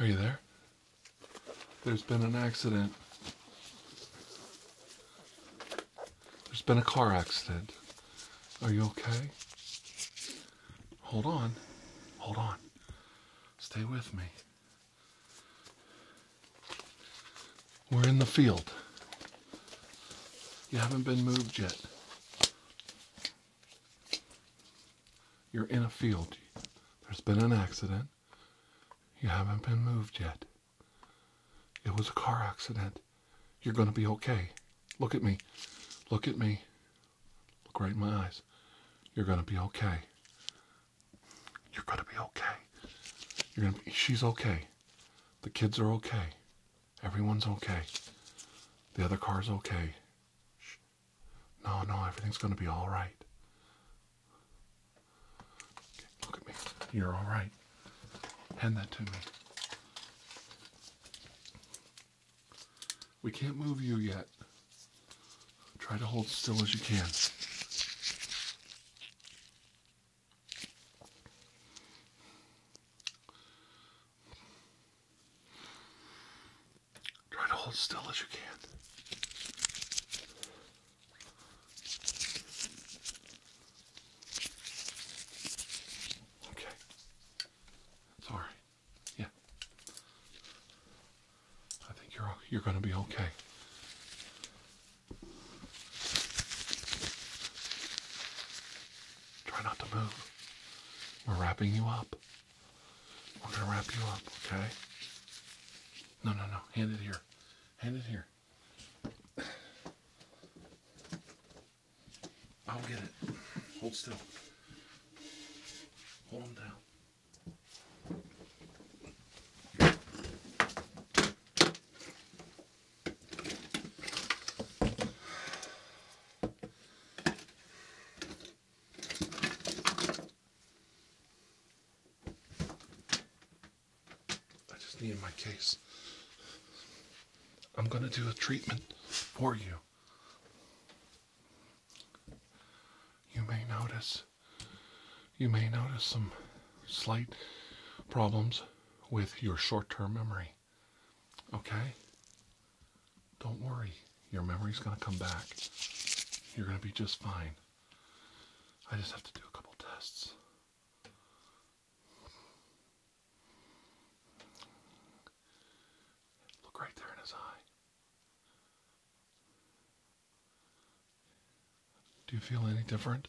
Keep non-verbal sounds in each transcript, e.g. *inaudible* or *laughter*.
Are you there? There's been an accident. There's been a car accident. Are you okay? Hold on. Hold on. Stay with me. We're in the field. You haven't been moved yet. You're in a field. There's been an accident. You haven't been moved yet. It was a car accident. You're going to be okay. Look at me. Look at me. Look right in my eyes. You're going to be okay. You're going to be okay. You're going to be, she's okay. The kids are okay. Everyone's okay. The other car's okay. Shh. No, no, everything's gonna be all right. Okay, look at me. You're all right. Hand that to me. We can't move you yet. Try to hold still as you can. Try to hold still as you can. Okay. It's all right. Yeah. I think you're you're going to be okay. Try not to move. We're wrapping you up. We're gonna wrap you up, okay? No, no, no. Hand it here. Hand it here. I'll get it. Hold still. Hold him down. I just need my case. I'm going to do a treatment for you. You may notice you may notice some slight problems with your short-term memory. Okay? Don't worry. Your memory's going to come back. You're going to be just fine. I just have to do a couple tests. Look right there in his eye. Do you feel any different?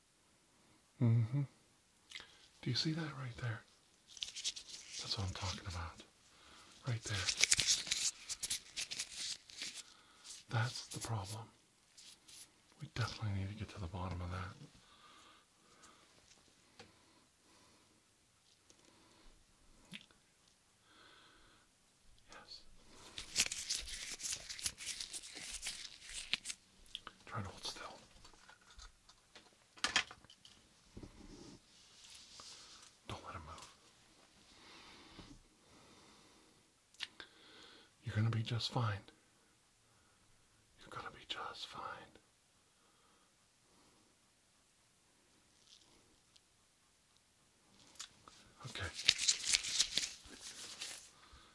Mm-hmm. Do you see that right there? That's what I'm talking about. Right there. That's the problem. We definitely need to get to the bottom of that. Yes. Try to hold still. Don't let him move. You're gonna be just fine. You're gonna be just fine. Okay.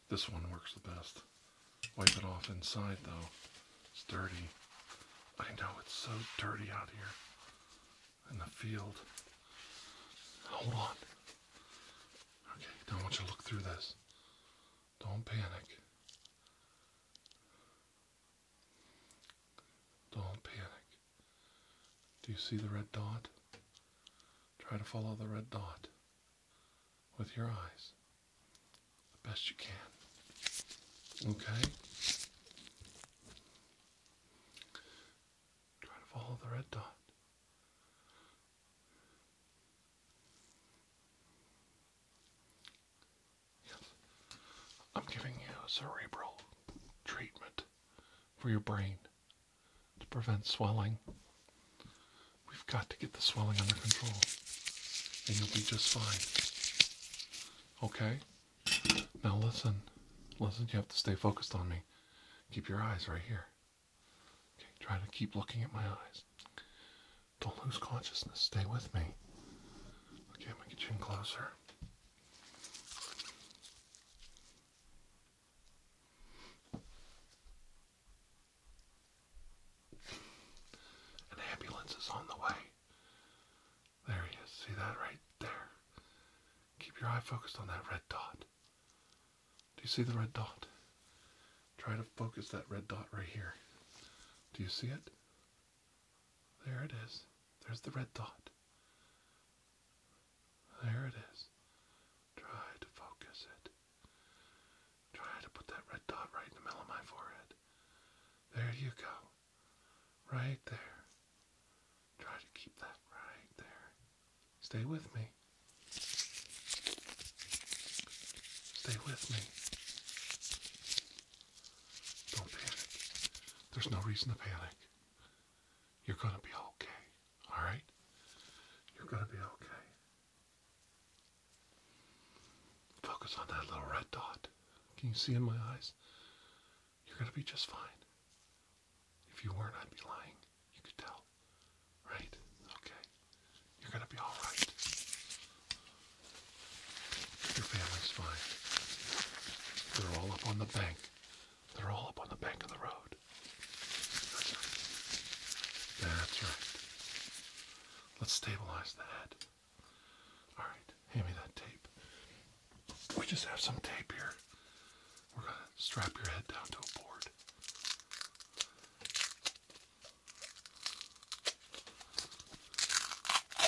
This one works the best. Wipe it off inside though. It's dirty. I know it's so dirty out here in the field. Hold on. Okay, don't want you to look through this. Don't panic. Don't panic. Do you see the red dot? Try to follow the red dot with your eyes the best you can. Okay? Try to follow the red dot. Yes. I'm giving you a cerebral treatment for your brain to prevent swelling We've got to get the swelling under control, and you'll be just fine. Okay? Now listen. Listen, you have to stay focused on me. Keep your eyes right here. Okay, try to keep looking at my eyes. Don't lose consciousness. Stay with me. Okay, I'm gonna get you in closer. An ambulance is on the way. There he is. See that right there? Keep your eye focused on that red dot. Do you see the red dot? Try to focus that red dot right here. Do you see it? There it is. There's the red dot. There it is. Try to focus it. Try to put that red dot right in the middle of my forehead. There you go. Right there. Try to keep that right there. Stay with me. Stay with me. Don't panic. There's no reason to panic. You're going to be okay. All right? You're going to be okay. Focus on that little red dot. Can you see in my eyes? You're going to be just fine. If you weren't, I'd be lying. You could tell. Right? Okay. You're going to be all right. Your family's fine. They're all up on the bank. They're all up on the bank of the road. That's right. Let's stabilize the head. All right, hand me that tape. We just have some tape here. We're going to strap your head down to a board. All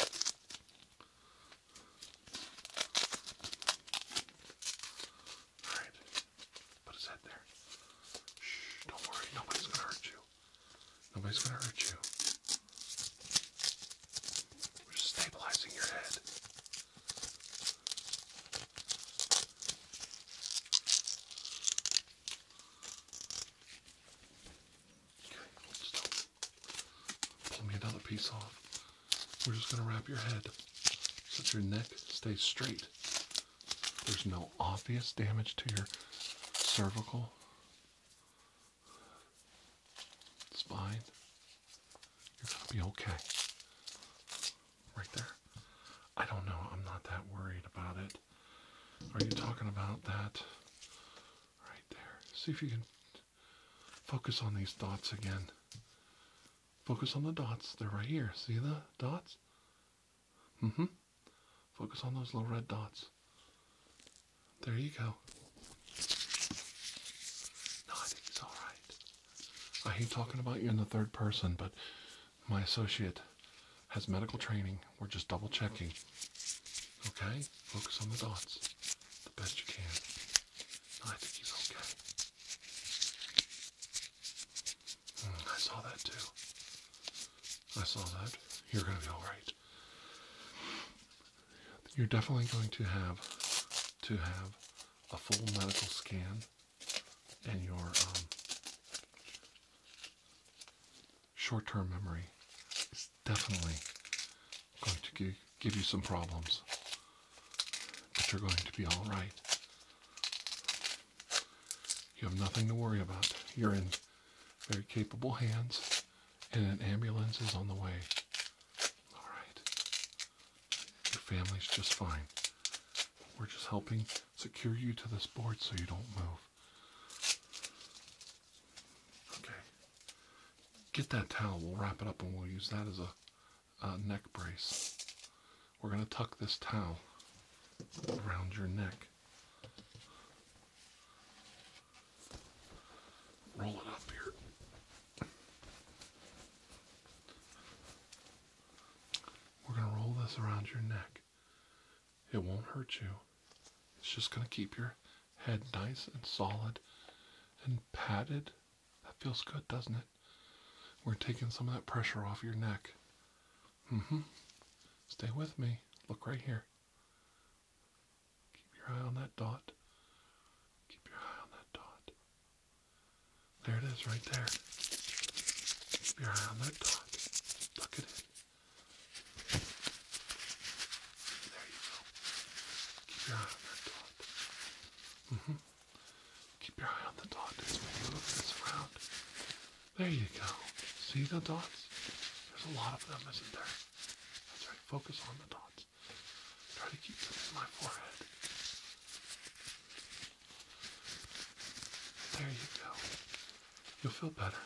right, put his head there. Shh, don't worry, nobody's going to hurt you. Nobody's gonna hurt you. We're just stabilizing your head. Okay, hold Pull me another piece off. We're just gonna wrap your head so your neck stays straight there's no obvious damage to your cervical spine. You're going to be okay. Right there. I don't know. I'm not that worried about it. Are you talking about that? Right there. See if you can focus on these dots again. Focus on the dots. They're right here. See the dots? Mm-hmm. Focus on those little red dots. There you go. No, I think it's all right. I hate talking about you in the third person, but my associate has medical training. We're just double checking. Okay? Focus on the dots the best you can. I think he's okay. Hmm, I saw that too. I saw that. You're going to be all right. You're definitely going to have to have a full medical scan and your um, short-term memory is definitely going to give you some problems. But you're going to be all right. You have nothing to worry about. You're in very capable hands, and an ambulance is on the way. All right. Your family's just fine. We're just helping secure you to this board so you don't move. Okay. Get that towel. We'll wrap it up and we'll use that as a, a neck brace. We're going to tuck this towel around your neck. Rolling up here. We're going to roll this around your neck. It won't hurt you. It's just going to keep your head nice and solid and padded. That feels good, doesn't it? We're taking some of that pressure off your neck. Mm hmm. Stay with me. Look right here. Keep your eye on that dot. Keep your eye on that dot. There it is right there. Keep your eye on that dot. Tuck it There you go. Keep your eye on that dot. hmm Keep your eye on the dot as we move this around. There you go. See the dots? There's a lot of them, isn't there? That's right. Focus on the dots. Try to keep them in my forehead. There you go. You'll feel better.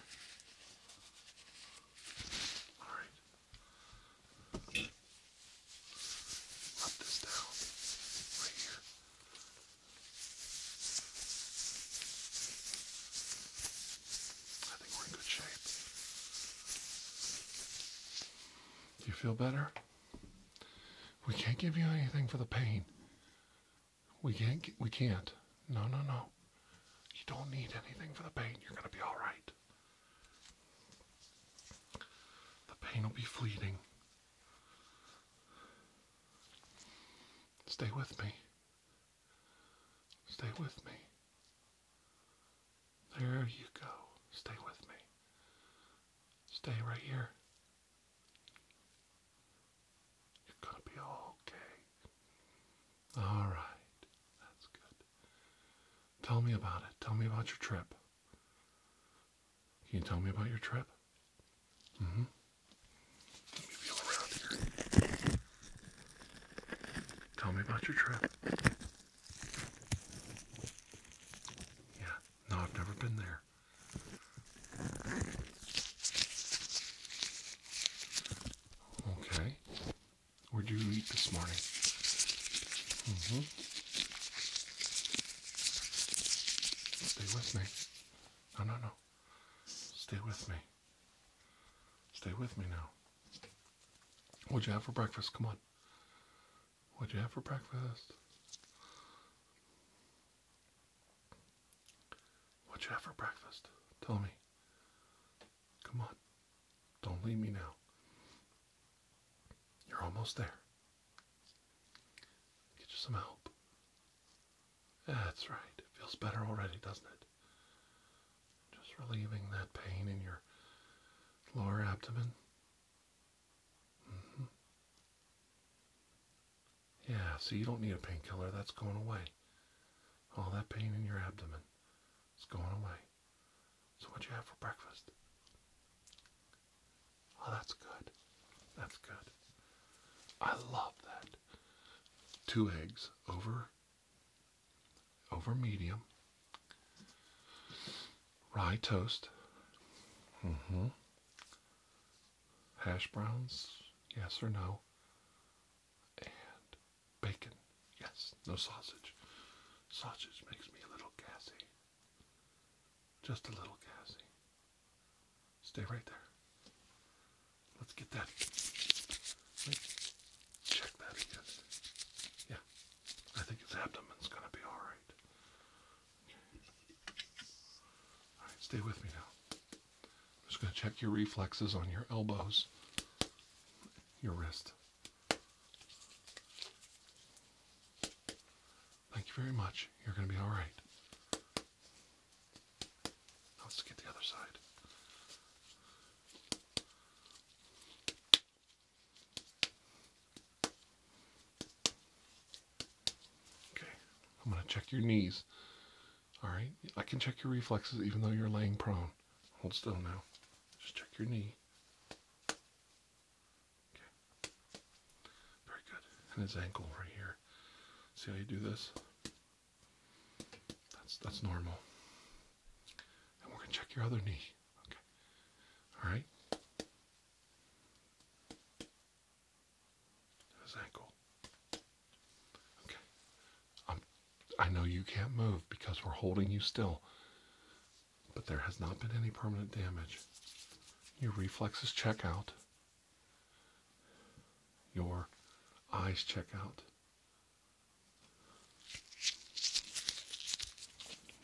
Alright. Let this down. Right here. I think we're in good shape. You feel better? We can't give you anything for the pain. We can't. We can't. No, no, no. You don't need anything for the pain. You're going to be all right. The pain will be fleeting. Stay with me. Stay with me. There you go. Stay with me. Stay right here. You're gonna be okay. Alright. That's good. Tell me about it. Tell me about your trip. Can you tell me about your trip? hmm. Tell me about your trip. Yeah, no, I've never been there. Okay. Where'd you eat this morning? Mm-hmm. Stay with me. No, no, no. Stay with me. Stay with me now. What'd you have for breakfast? Come on. What'd you have for breakfast? What'd you have for breakfast? Tell me. Come on. Don't leave me now. You're almost there. Get you some help. That's right. It feels better already, doesn't it? Just relieving that pain in your lower abdomen. Mm-hmm. Yeah, so you don't need a painkiller. That's going away. All that pain in your abdomen is going away. So what you have for breakfast? Oh, that's good. That's good. I love that. Two eggs over over medium rye toast mm -hmm. hash browns yes or no and bacon yes no sausage sausage makes me a little gassy just a little gassy stay right there Let's get that. Let's check that again. Yeah, I think his abdomen's gonna be all right. All right, stay with me now. I'm just gonna check your reflexes on your elbows, your wrist. Thank you very much. You're gonna be all right. Let's get the other side. Okay, I'm going to check your knees. All right, I can check your reflexes even though you're laying prone. Hold still now. Just check your knee. Okay. Very good. And his ankle right here. See how you do this? That's that's normal. And we're gonna check your other knee. Okay. All right. His ankle. Okay. I'm, um, I know you can't move because we're holding you still, but there has not been any permanent damage. Your reflexes check out. Your eyes check out.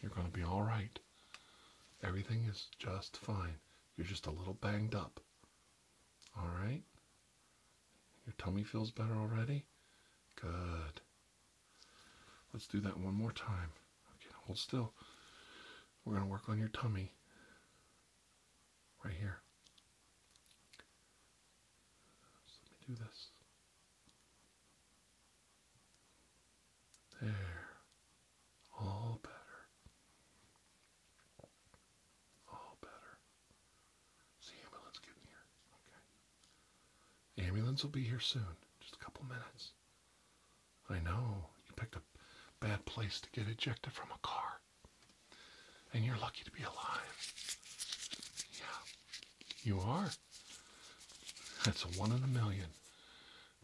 You're going to be all right. Everything is just fine. You're just a little banged up. All right? Your tummy feels better already? Good. Let's do that one more time. Okay, hold still. We're going to work on your tummy right here. let me do this. There. All better. All better. Is ambulance getting here? Okay. Ambulance will be here soon. Just a couple minutes. I know. You picked a bad place to get ejected from a car. And you're lucky to be alive. Yeah, you are. That's one in a million.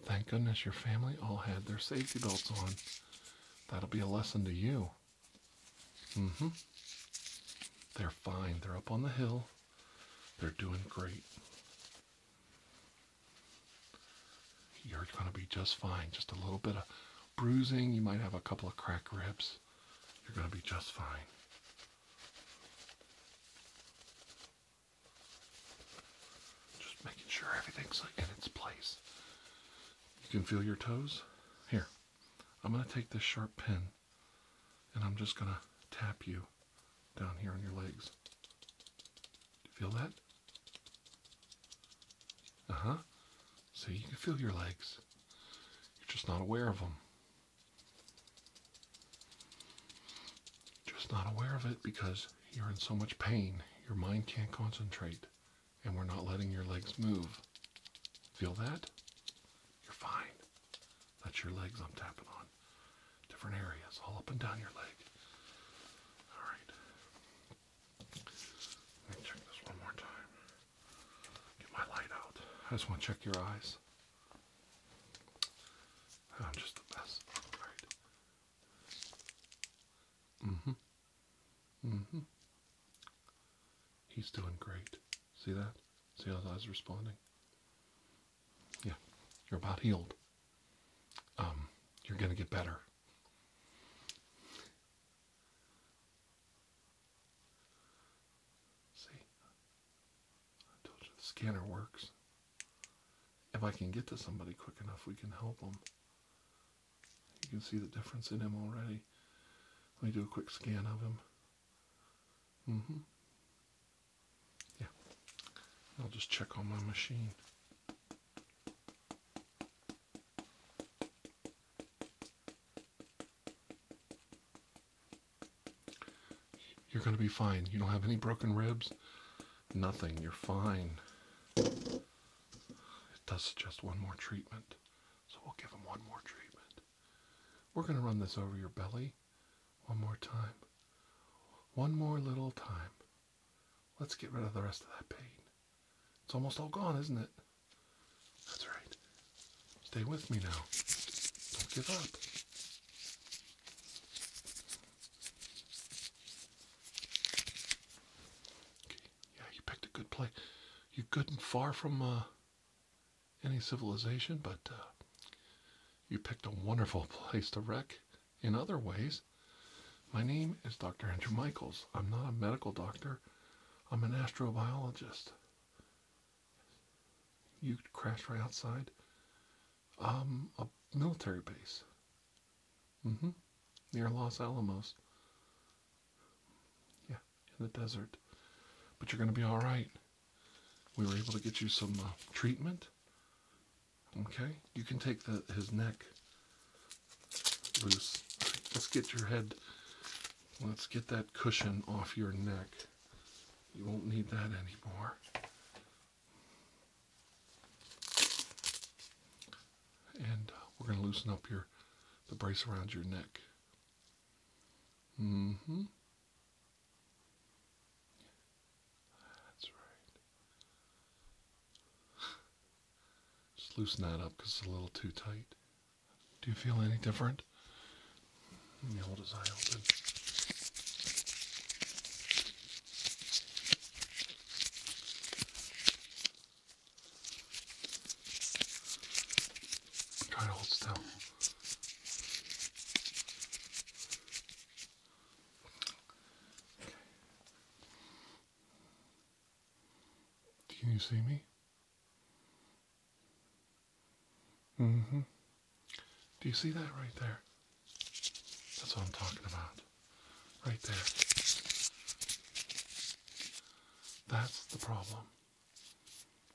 Thank goodness your family all had their safety belts on. That'll be a lesson to you. Mm hmm. They're fine. They're up on the hill. They're doing great. You're going to be just fine. Just a little bit of bruising. You might have a couple of cracked ribs you're going to be just fine. Just making sure everything's in its place. You can feel your toes. Here, I'm going to take this sharp pin and I'm just going to tap you down here on your legs. Do you feel that? Uh huh. See, you can feel your legs. You're just not aware of them. Just not aware of it because you're in so much pain. Your mind can't concentrate, and we're not letting your legs move. Feel that? You're fine. That's your legs I'm tapping on. Different areas, all up and down your leg. All right. Let me check this one more time. Get my light out. I just want to check your eyes. I'm just the best. Alright. hmm hmm He's doing great. See that? See how his eyes responding? Yeah. You're about healed. Um, you're gonna get better. See, I told you the scanner works. If I can get to somebody quick enough, we can help them. You can see the difference in him already. Let me do a quick scan of him. Mm-hmm. Yeah. I'll just check on my machine. You're going to be fine. You don't have any broken ribs. Nothing. You're fine. It does suggest one more treatment. So we'll give him one more treatment. We're going to run this over your belly one more time. One more little time. Let's get rid of the rest of that pain. It's almost all gone, isn't it? That's right. Stay with me now. Don't give up. Okay. Yeah, you picked a good play. You good and far from uh, any civilization, but uh, you picked a wonderful *laughs* place to wreck in other ways. My name is Dr. Andrew Michaels. I'm not a medical doctor, I'm an astrobiologist. You crashed right outside um, a military base. Mm-hmm. Near Los Alamos. Yeah, in the desert. But you're going to be all right. We were able to get you some uh, treatment. Okay, you can take the his neck loose. Let's get your head Let's get that cushion off your neck. You won't need that anymore. And we're going to loosen up your the brace around your neck. Mm-hmm. That's right. Just loosen that up because it's a little too tight. Do you feel any different? You hold his eye open. Try to hold still. Okay. Can you see me? hmm. Do you see that right there? That's what I'm talking about. Right there. That's the problem.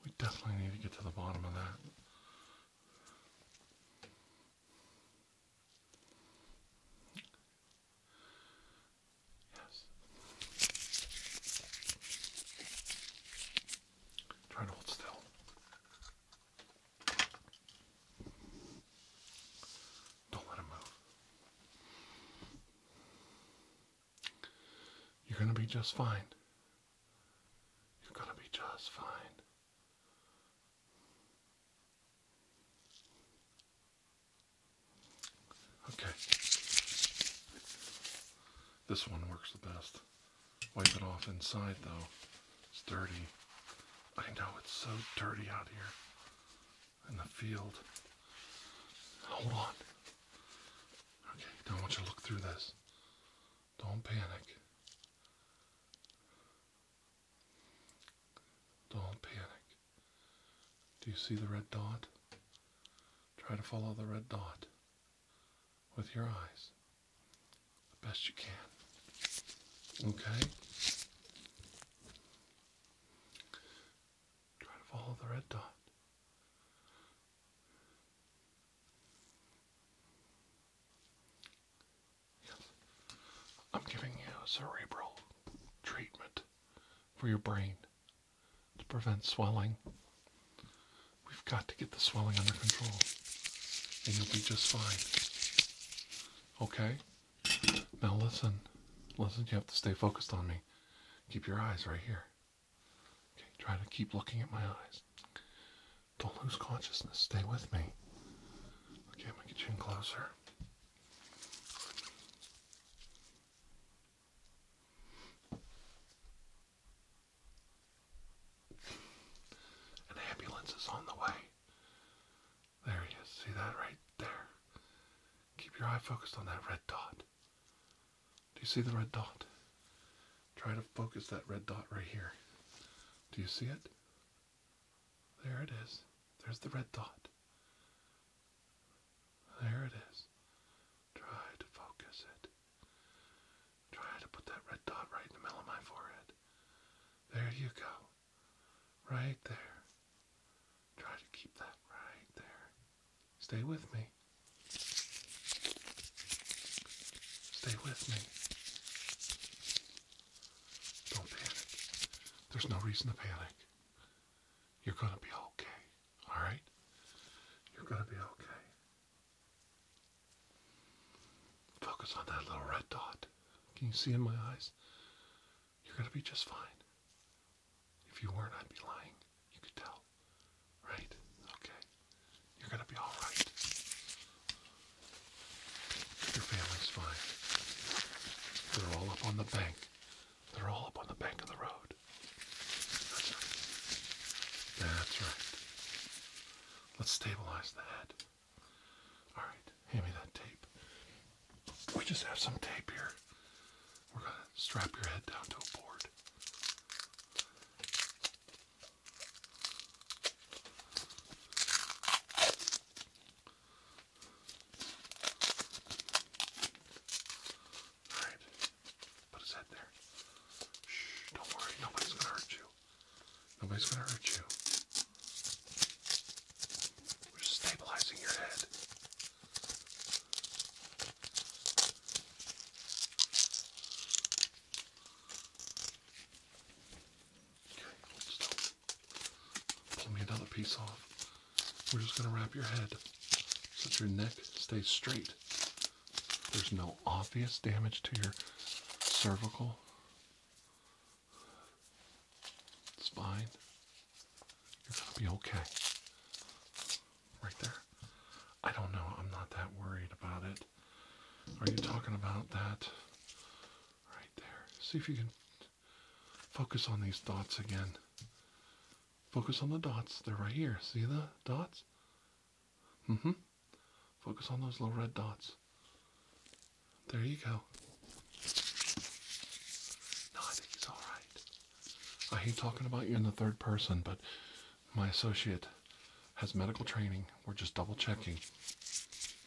We definitely need to get to the bottom of that. Yes, Try to hold still. Don't let him move. You're going to be just fine. You're going to be just fine. Okay. This one works the best. Wipe it off inside though. It's dirty. I know it's so dirty out here in the field. Hold on. Okay, don't want you to look through this. Don't panic. Don't panic. Do you see the red dot? Try to follow the red dot with your eyes the best you can. Okay? Try to follow the red dot. Yes. I'm giving you a cerebral treatment for your brain to prevent swelling. We've got to get the swelling under control, and you'll be just fine. Okay? Now listen. Listen, you have to stay focused on me. Keep your eyes right here. Okay, try to keep looking at my eyes. Don't lose consciousness. Stay with me. Okay, I'm gonna get you in closer. An ambulance is on the way. There he is. See that right there? Keep your eye focused on that red dot. Do you see the red dot? Try to focus that red dot right here. Do you see it? There it is. There's the red dot. There it is. Try to focus it. Try to put that red dot right in the middle of my forehead. There you go. Right there. Try to keep that right there. Stay with me. Stay with me. Don't panic. There's no reason to panic. You're going to be okay. Alright? You're going to be okay. Focus on that little red dot. Can you see in my eyes? You're going to be just fine. If you weren't, I'd be lying. You could tell. Right? Okay. You're going to be all right. Your family's fine. They're all up on the bank. They're all up on the bank of the road. That's right. That's right. Let's stabilize the head. Alright, hand me that tape. We just have some tape here. We're going to strap your head down to a board. Alright. Put his head there. Shh, don't worry. Nobody's gonna hurt you. Nobody's gonna hurt you. We're stabilizing your head. Okay, hold still. Pull me another piece off. We're just gonna wrap your head so that your neck stays straight there's no obvious damage to your cervical spine. You're going to be okay. Right there. I don't know. I'm not that worried about it. Are you talking about that? Right there. See if you can focus on these dots again. Focus on the dots. They're right here. See the dots? Mm-hmm. Focus on those little red dots. There you go. I think he's alright. I hate talking about you in the third person, but my associate has medical training. We're just double checking.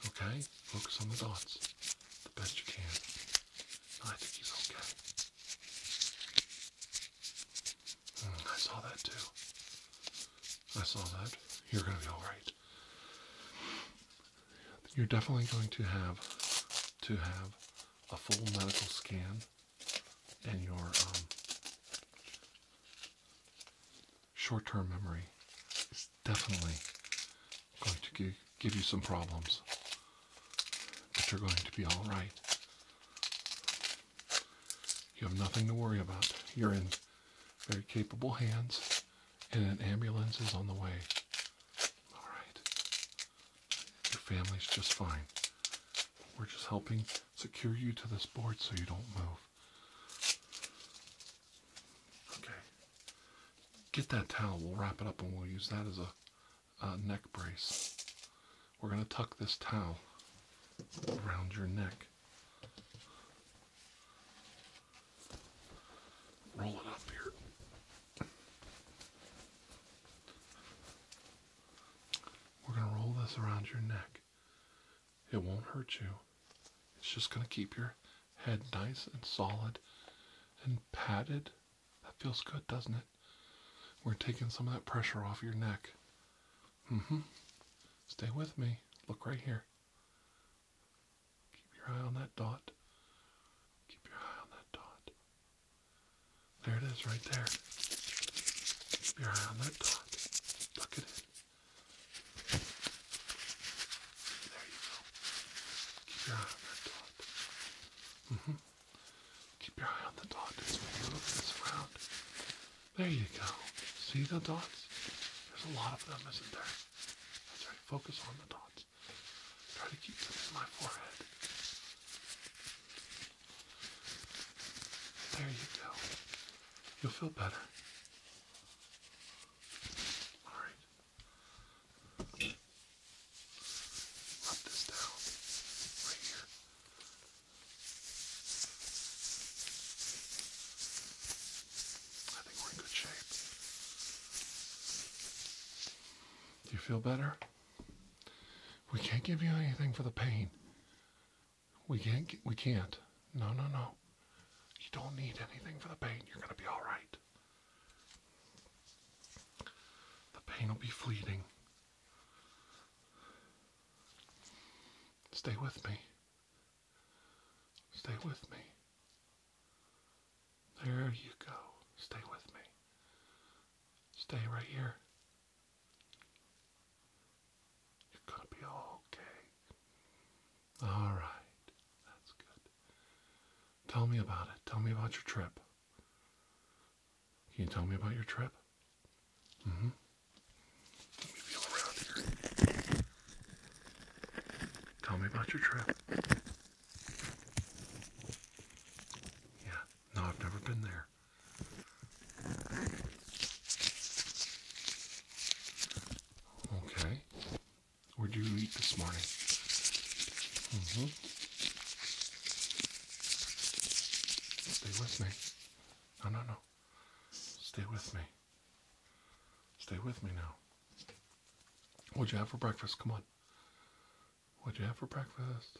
Okay? Focus on the dots the best you can. I think he's okay. I saw that too. I saw that. You're going to be all right. You're definitely going to have to have a full medical scan and your um, short-term memory is definitely going to give you some problems. But you're going to be all right. You have nothing to worry about. You're in very capable hands, and an ambulance is on the way. All right. Your family's just fine. We're just helping secure you to this board so you don't move. Okay. Get that towel. We'll wrap it up and we'll use that as a, a neck brace we're going to tuck this towel around your neck. Roll it up here. We're going to roll this around your neck. It won't hurt you. It's just going to keep your head nice and solid and padded. That feels good, doesn't it? We're taking some of that pressure off your neck. Mm hmm. Stay with me. Look right here. Keep your eye on that dot. Keep your eye on that dot. There it is, right there. Keep your eye on that dot. Look at it. There you go. Keep your eye on that dot. Mm hmm. Keep your eye on the dot as this around. There you go. See the dots? There's a lot of them, isn't there? That's right. Focus on the dots. Try to keep them in my forehead. There you go. You'll feel better. Alright. Rub this down right here. I think we're in good shape. Do you feel better? We can't give you anything for the pain. We can't. We can't. No, no, no. You don't need anything for the pain. You're going to be all right. The pain will be fleeting. Stay with me. Stay with me. There you go. Stay with me. Stay right here. You're gonna be okay. Alright. That's good. Tell me about it. Tell me about your trip. Can you tell me about your trip? Mm -hmm. Tell me about your trip. Yeah, no, I've never been there. Okay. Where'd you eat this morning? Mm-hmm. Stay with me. No, no, no. Stay with me. Stay with me now. What'd you have for breakfast? Come on. What'd you have for breakfast?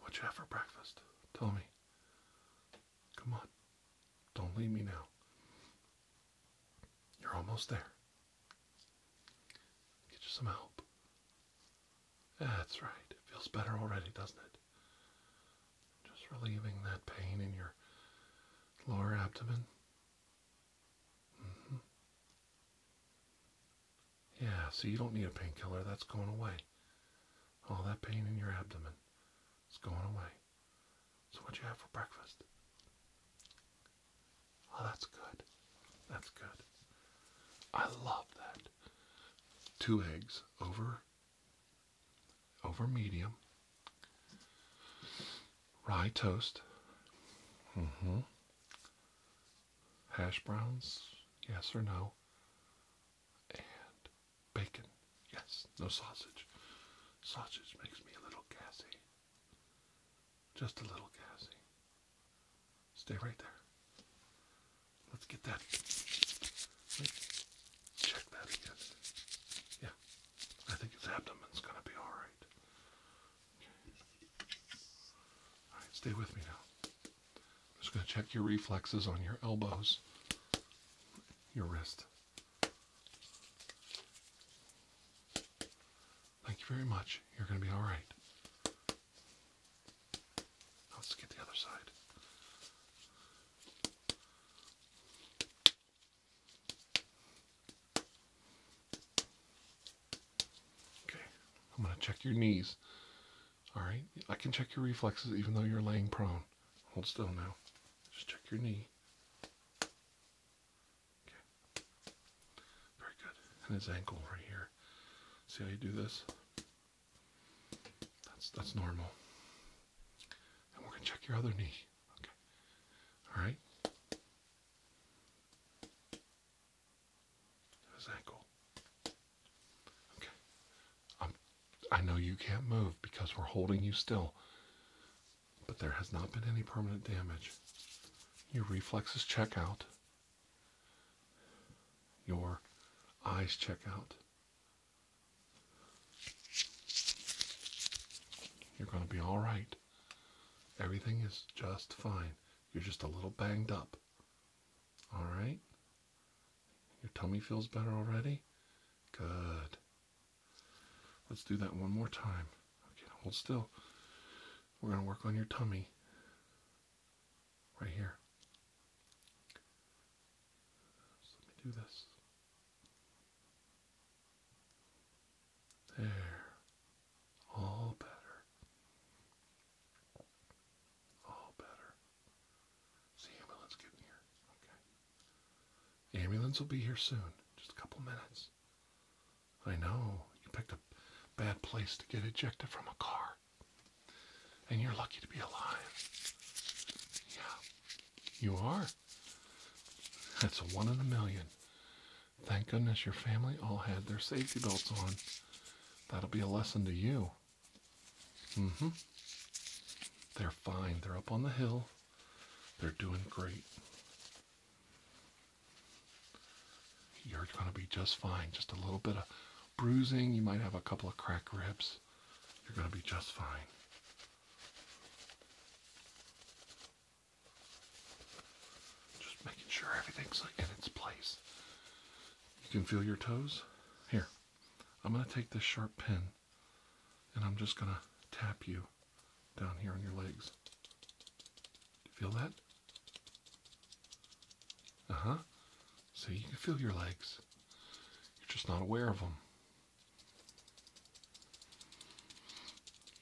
What'd you have for breakfast? Tell me. Come on. Don't leave me now. You're almost there. Get you some help. That's right. It feels better already, doesn't it? Just relieving that pain in your lower abdomen. -hmm. Yeah, so you don't need a painkiller. That's going away. All that pain in your abdomen is going away. So, what you have for breakfast? Oh, that's good. That's good. I love that. Two eggs over over medium. Rye toast. Mm-hmm. Hash browns, yes or no. And bacon, yes, no sausage. Sausage makes me a little gassy. Just a little gassy. Stay right there. Let's get that. let check that again. Yeah, I think his abdomen's gonna be all right. All right, stay with me now. I'm just gonna check your reflexes on your elbows, your wrist. Thank you very much. You're gonna be all right. Let's get the other side. Okay, I'm going to check your knees. Alright, I can check your reflexes even though you're laying prone. Hold still now. Just check your knee. Okay. Very good. And his ankle right here. See how you do this? That's that's normal. And we're gonna check your other knee. Okay. All right. His ankle. Okay. I'm, um, I know you can't move because we're holding you still, but there has not been any permanent damage. Your reflexes check out. Your eyes check out. You're going to be all right. Everything is just fine. You're just a little banged up. All right? Your tummy feels better already? Good. Let's do that one more time. Okay, hold still. We're going to work on your tummy right here. let me do this. There. All better. All better. See, ambulance getting here. Okay. Ambulance will be here soon. Just a couple minutes. I know. You picked a bad place to get ejected from a car. And you're lucky to be alive. Yeah, you are. That's a one in a million. Thank goodness your family all had their safety belts on. That'll be a lesson to you. hmm. They're fine. They're up on the hill. They're doing great. You're going to be just fine. Just a little bit of bruising, you might have a couple of crack ribs. You're going to be just fine. Just making sure everything's in its place. You can feel your toes. Here, I'm going to take this sharp pin and I'm just going to tap you down here on your legs. feel that? Uh huh. So you can feel your legs. You're just not aware of them.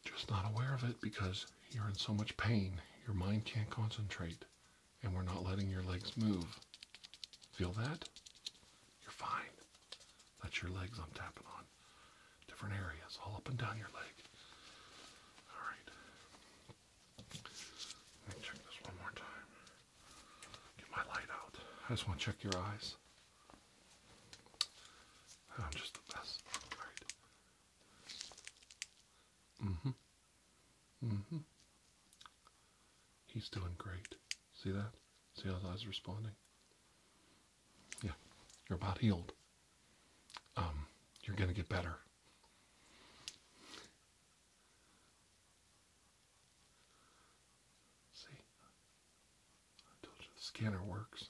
Just not aware of it because you're in so much pain. Your mind can't concentrate. And we're not letting your legs move. Feel that? You're fine. That's your legs I'm tapping on. Different areas, all up and down your leg. Alright. Let me check this one more time. Get my light out. I just want to check your eyes. I'm just the best. Right. hmm hmm He's doing great. See that? See how his eyes are responding? Yeah. You're about healed. Um, you're gonna get better. See, I told you the scanner works.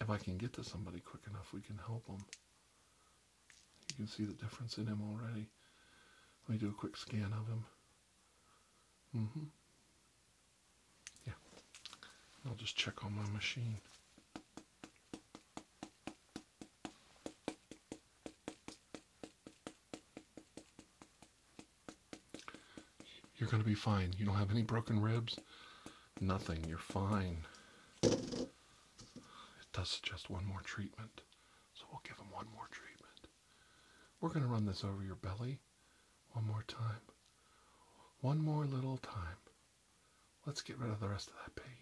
If I can get to somebody quick enough, we can help them. You can see the difference in him already. Let me do a quick scan of him. hmm Yeah. I'll just check on my machine. You're going to be fine. You don't have any broken ribs. Nothing. You're fine. It does suggest one more treatment. So we'll give him one more treatment. We're going to run this over your belly one more time. One more little time. Let's get rid of the rest of that pain.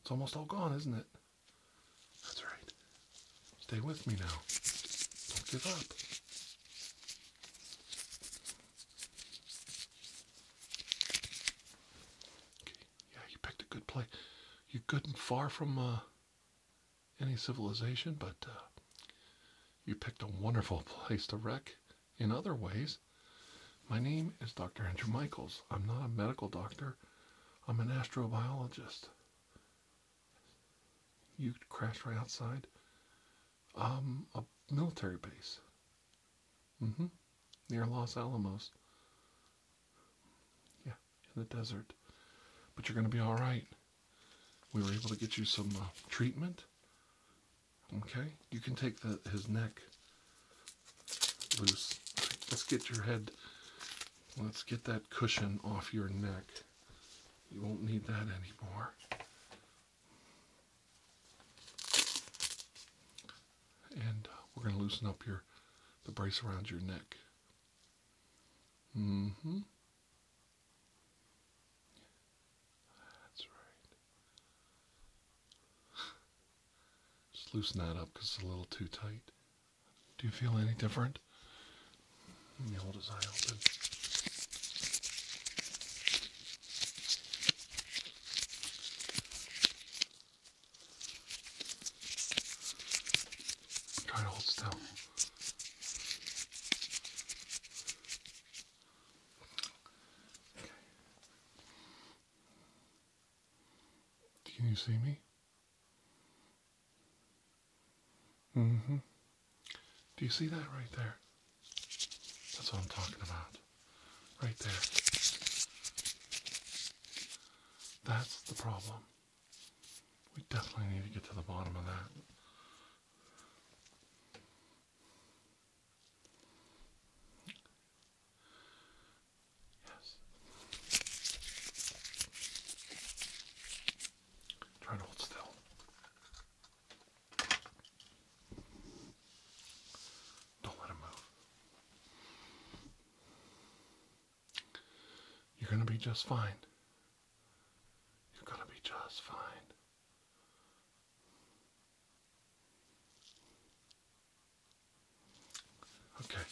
It's almost all gone, isn't it? That's right. Stay with me now. Don't give up. Okay. Yeah, you picked a good play. You're good and far from uh, any civilization, but uh, you picked a wonderful *laughs* place to wreck in other ways. My name is Dr. Andrew Michaels. I'm not a medical doctor. I'm an astrobiologist. You crashed right outside um, a military base. Mm-hmm. Near Los Alamos. Yeah, in the desert. But you're going to be all right. We were able to get you some uh, treatment. Okay, you can take the his neck loose. Let's get your head, let's get that cushion off your neck. You won't need that anymore. And we're going to loosen up your the brace around your neck. Mm-hmm. That's right. Just loosen that up because it's a little too tight. Do you feel any different? Let me hold his eye open. Try to hold still. Okay. Can you see me? hmm. Do you see that right there? That's what I'm talking about. Right there. That's the problem. We definitely need to get to the bottom of that. Yes. Try to hold still. Don't let him move. You're going to be just fine. You're going to be just fine. Okay.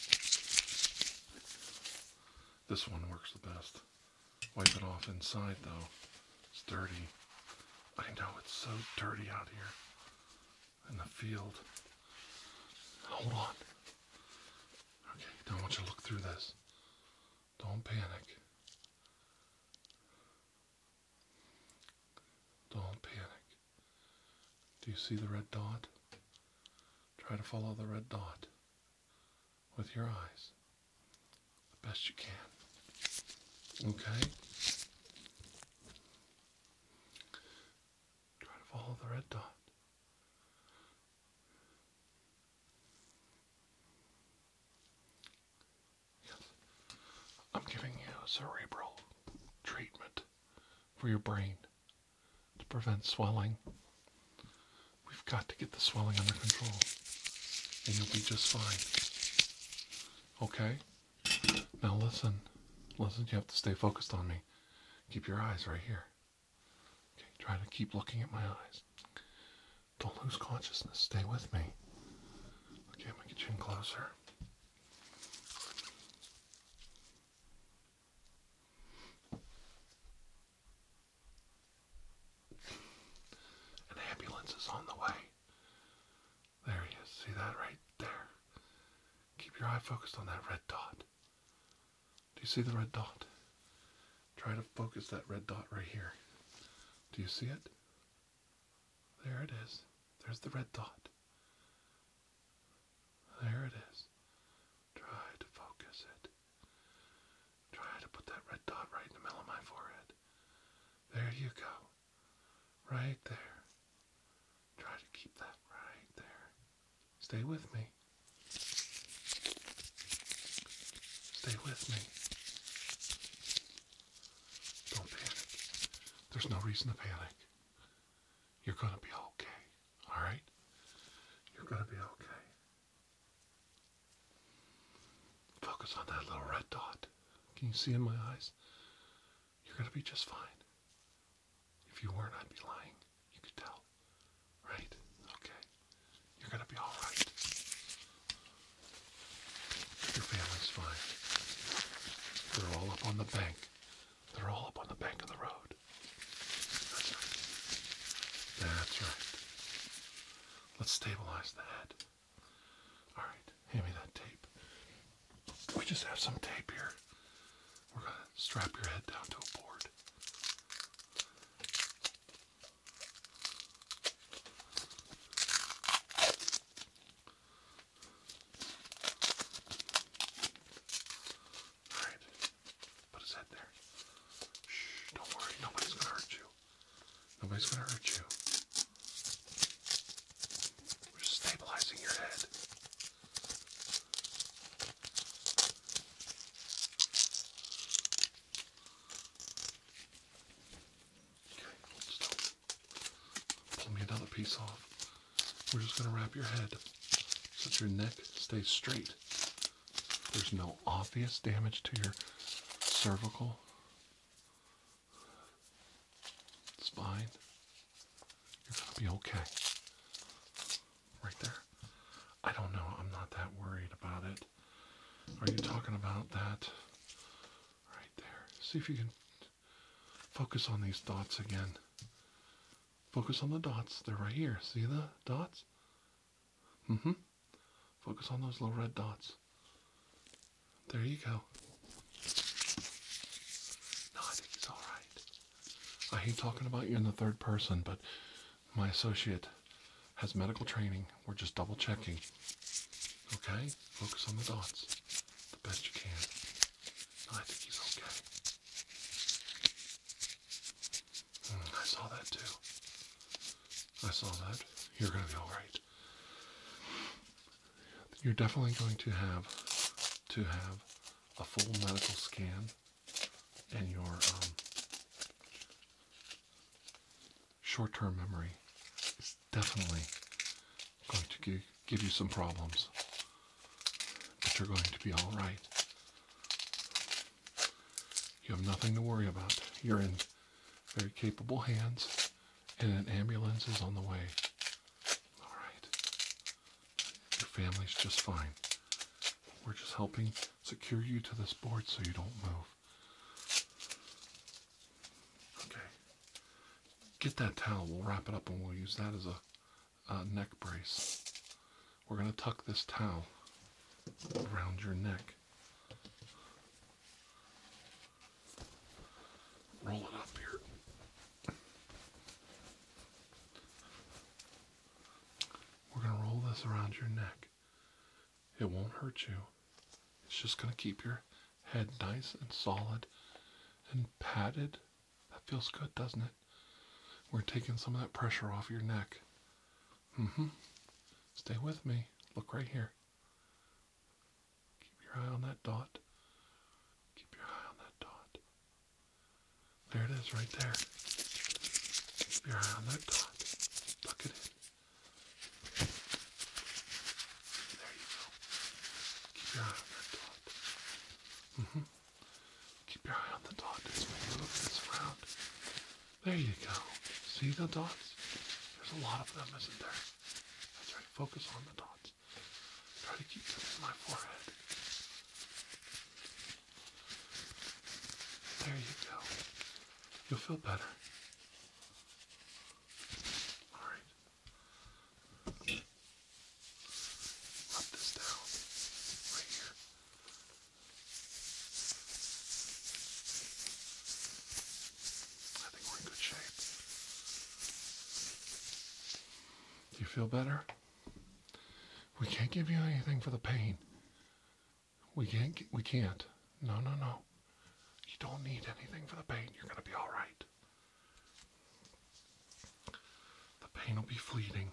This one works the best. Wipe it off inside though. It's dirty. I know it's so dirty out here in the field. Hold on. Okay, don't want you to look through this. Don't panic. Don't panic. Do you see the red dot? Try to follow the red dot with your eyes the best you can. Okay? Try to follow the red dot. Yes. I'm giving you a cerebral treatment for your brain to prevent swelling. We've got to get the swelling under control, and you'll be just fine. Okay? Now listen. Listen, you have to stay focused on me. Keep your eyes right here. Okay, try to keep looking at my eyes. Don't lose consciousness. Stay with me. Okay, I'm gonna get you in closer. An ambulance is on the way. There he is. See that right there? Keep your eye focused on that red dot. Do you see the red dot? Try to focus that red dot right here. Do you see it? There it is. There's the red dot. There it is. Try to focus it. Try to put that red dot right in the middle of my forehead. There you go. Right there. Try to keep that right there. Stay with me. Stay with me. Don't panic. There's no reason to panic. You're gonna be okay. All right? You're going to be okay. Focus on that little red dot. Can you see in my eyes? You're going to be just fine. If you weren't, I'd be lying. You could tell. Right? Okay. You're going to be all right. Your family's fine. They're all up on the bank. They're all up on the bank of the road. That's right. Let's stabilize the All right, hand me that tape. We just have some tape here. We're gonna strap your head down to a board. Alright. Put his head there. Shh, don't worry. Nobody's gonna hurt you. Nobody's gonna hurt you. We're just stabilizing your head. Okay, hold still. Pull me another piece off. We're just going to wrap your head so that your neck stays straight. There's no obvious damage to your cervical spine. You're going to be okay. Right there. I don't know. I'm not that worried about it. Are you talking about that? Right there. See if you can focus on these thoughts again. Focus on the dots. They're right here. See the dots? Mm hmm. Focus on those little red dots. There you go. No, I think he's alright. I hate talking about you in the third person, but my associate has medical training. We're just double checking. Okay? Focus on the dots the best you can. Oh, I think he's okay. Hmm, I saw that too. I saw that. You're going to be alright. You're definitely going to have to have a full medical scan and your um, short-term memory is definitely going to give you some problems. But you're going to be all right. You have nothing to worry about. You're in very capable hands, and an ambulance is on the way. All right. Your family's just fine. We're just helping secure you to this board so you don't move. Okay. Get that towel. We'll wrap it up and we'll use that as a uh, neck brace. We're going to tuck this towel around your neck. Roll it up here. We're going to roll this around your neck. It won't hurt you. It's just going to keep your head nice and solid and padded. That feels good, doesn't it? We're taking some of that pressure off your neck. Mm-hmm. Stay with me. Look right here. Keep your eye on that dot. Keep your eye on that dot. There it is right there. Keep your eye on that dot. Tuck it There you go. Keep your eye on that dot. Mm-hmm. Keep your eye on the dots when you move this around. There you go. See the dots? There's a lot of them, isn't there? That's right. Focus on the dots. Try to keep them in my forehead. There you go. You'll feel better. Alright. Rub this down I think we're in good shape. you feel better? We can't give you anything for the pain. We can't. We can't. No, no, no. You don't need anything for the pain. You're going to be all right. The pain will be fleeting.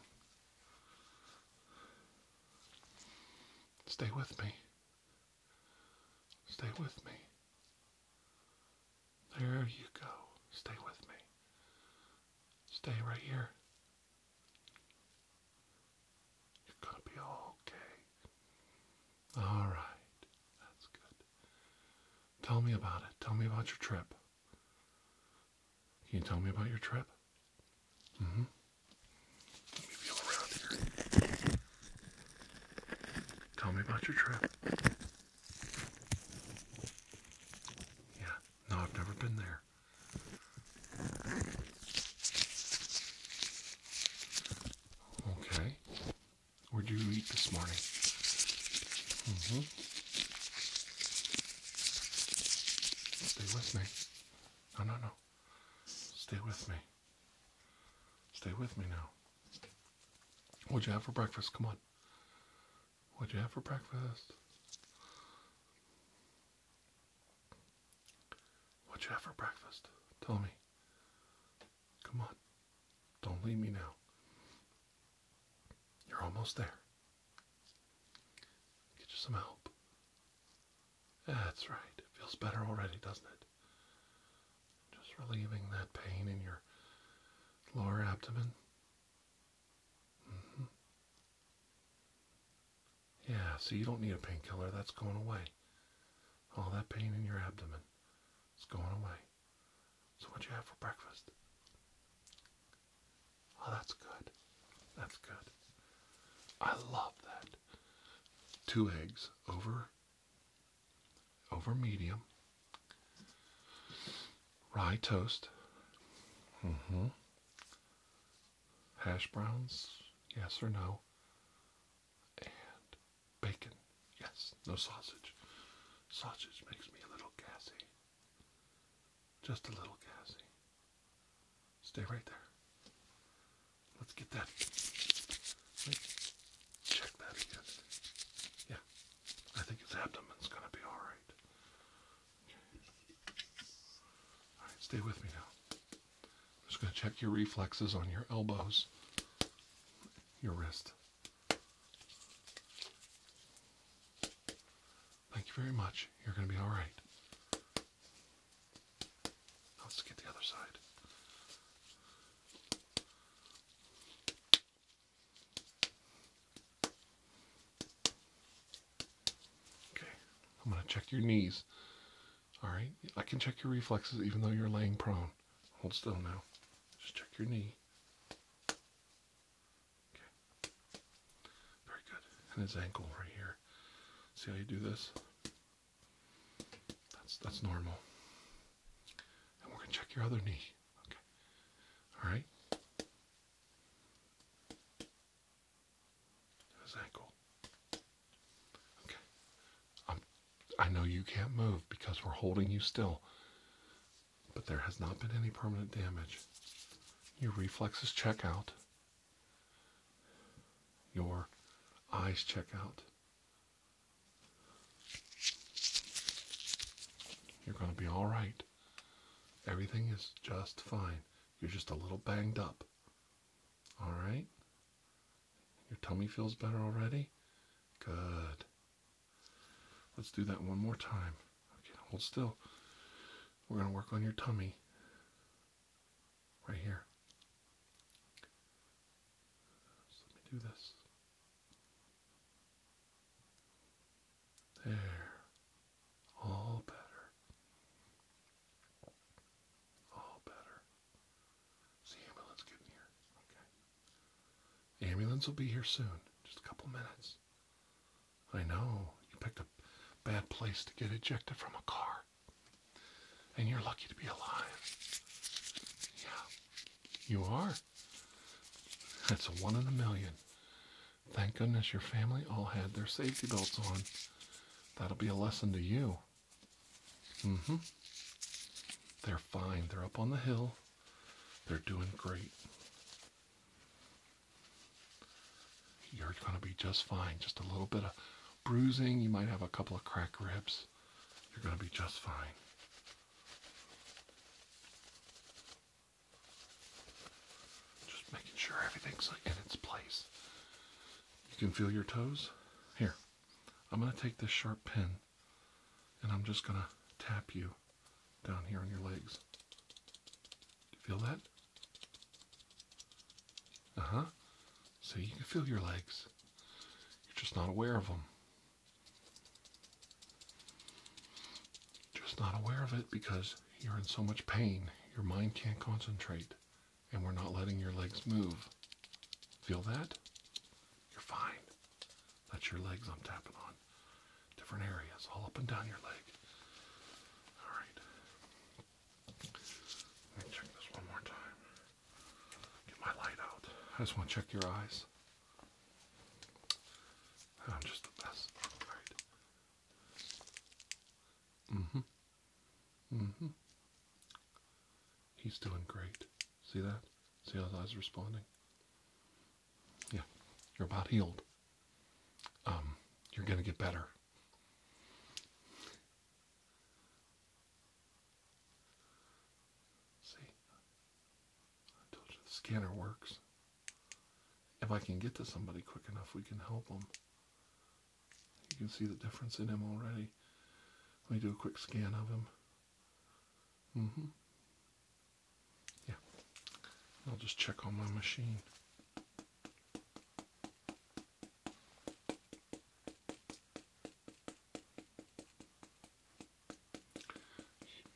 Stay with me. Stay with me. There you go. Stay with me. Stay right here. You're gonna be okay. All right. That's good. Tell me about it. Tell me about your trip. Can you tell me about your trip? Mm-hmm. Tell me about your trip. Yeah, no, I've never been there. Okay. Where'd you eat this morning? Mm-hmm. Stay with me. No, no, no. Stay with me. Stay with me now. What'd you have for breakfast? Come on. What'd you have for breakfast? What'd you have for breakfast? Tell me. Come on. Don't leave me now. You're almost there. Get you some help. That's right. It feels better already, doesn't it? Just relieving that pain in your lower abdomen. Mm-hmm. Yeah, so you don't need a painkiller. That's going away. All that pain in your abdomen is going away. So, what you have for breakfast? Oh, that's good. That's good. I love that. Two eggs over over medium. Rye toast. Mm-hmm. Hash browns, yes or no. And bacon, yes, no sausage. Sausage makes me a little gassy. Just a little Cassie. Stay right there. Let's get that. check that again. Yeah, I think his abdomen's gonna be all right. All right, stay with me now. I'm just gonna check your reflexes on your elbows, your wrist. Thank you very much. You're going to be all right. Let's get the other side. Okay, I'm going to check your knees. All right, I can check your reflexes even though you're laying prone. Hold still now. Just check your knee. Okay. Very good. And his ankle right here. See how you do this? That's that's normal. And we're gonna check your other knee. Okay. Alright. His ankle. Okay. I'm um, I know you can't move because we're holding you still. But there has not been any permanent damage. Your reflexes check out. Your eyes check out. You're going to be all right. Everything is just fine. You're just a little banged up. All right? Your tummy feels better already? Good. Let's do that one more time. Okay, hold still. We're going to work on your tummy. Right here. let me do this. There. All better. All better. the ambulance getting here? Okay. The ambulance will be here soon. Just a couple minutes. I know. You picked a bad place to get ejected from a car. And you're lucky to be alive. Yeah, you are. That's one in a million. Thank goodness your family all had their safety belts on. That'll be a lesson to you. Mm hmm. They're fine. They're up on the hill. They're doing great. You're going to be just fine. Just a little bit of bruising. You might have a couple of cracked ribs. You're going to be just fine. Just making sure everything's in its place. You can feel your toes. Here, I'm going to take this sharp pin and I'm just going to tap you down here on your legs. you feel that? Uh huh. So you can feel your legs. You're just not aware of them. Just not aware of it because you're in so much pain. Your mind can't concentrate. And we're not letting your legs move. Feel that? You're fine. That's your legs I'm tapping on. Different areas, all up and down your leg. All right. Let me check this one more time. Get my light out. I just want to check your eyes. I'm just the best. Alright. hmm hmm He's doing great. See that? See how his eyes are responding? Yeah. You're about healed. Um, you're going to get better. See, I told you the scanner works. If I can get to somebody quick enough, we can help them. You can see the difference in him already. Let me do a quick scan of him. hmm Yeah. I'll just check on my machine.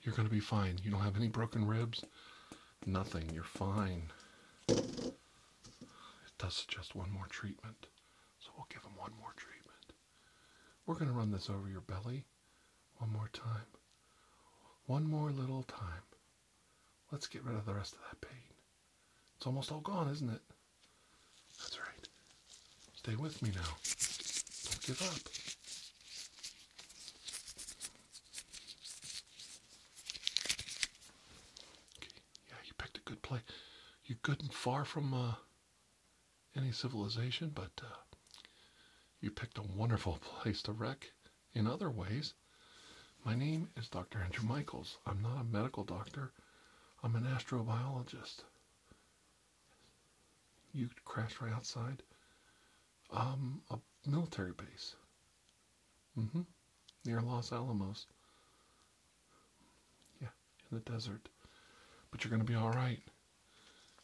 You're going to be fine. You don't have any broken ribs. Nothing. You're fine. It does suggest one more treatment. So we'll give him one more treatment. We're going to run this over your belly one more time. One more little time. Let's get rid of the rest of that pain. It's almost all gone, isn't it? That's right. Stay with me now. Don't give up. Okay. Yeah, you picked a good place. You're good and far from uh, any civilization, but uh, you picked a wonderful *laughs* place to wreck in other ways. My name is Dr. Andrew Michaels. I'm not a medical doctor, I'm an astrobiologist. You crashed right outside um, a military base mm-hmm. near Los Alamos. Yeah, in the desert. But you're going to be all right.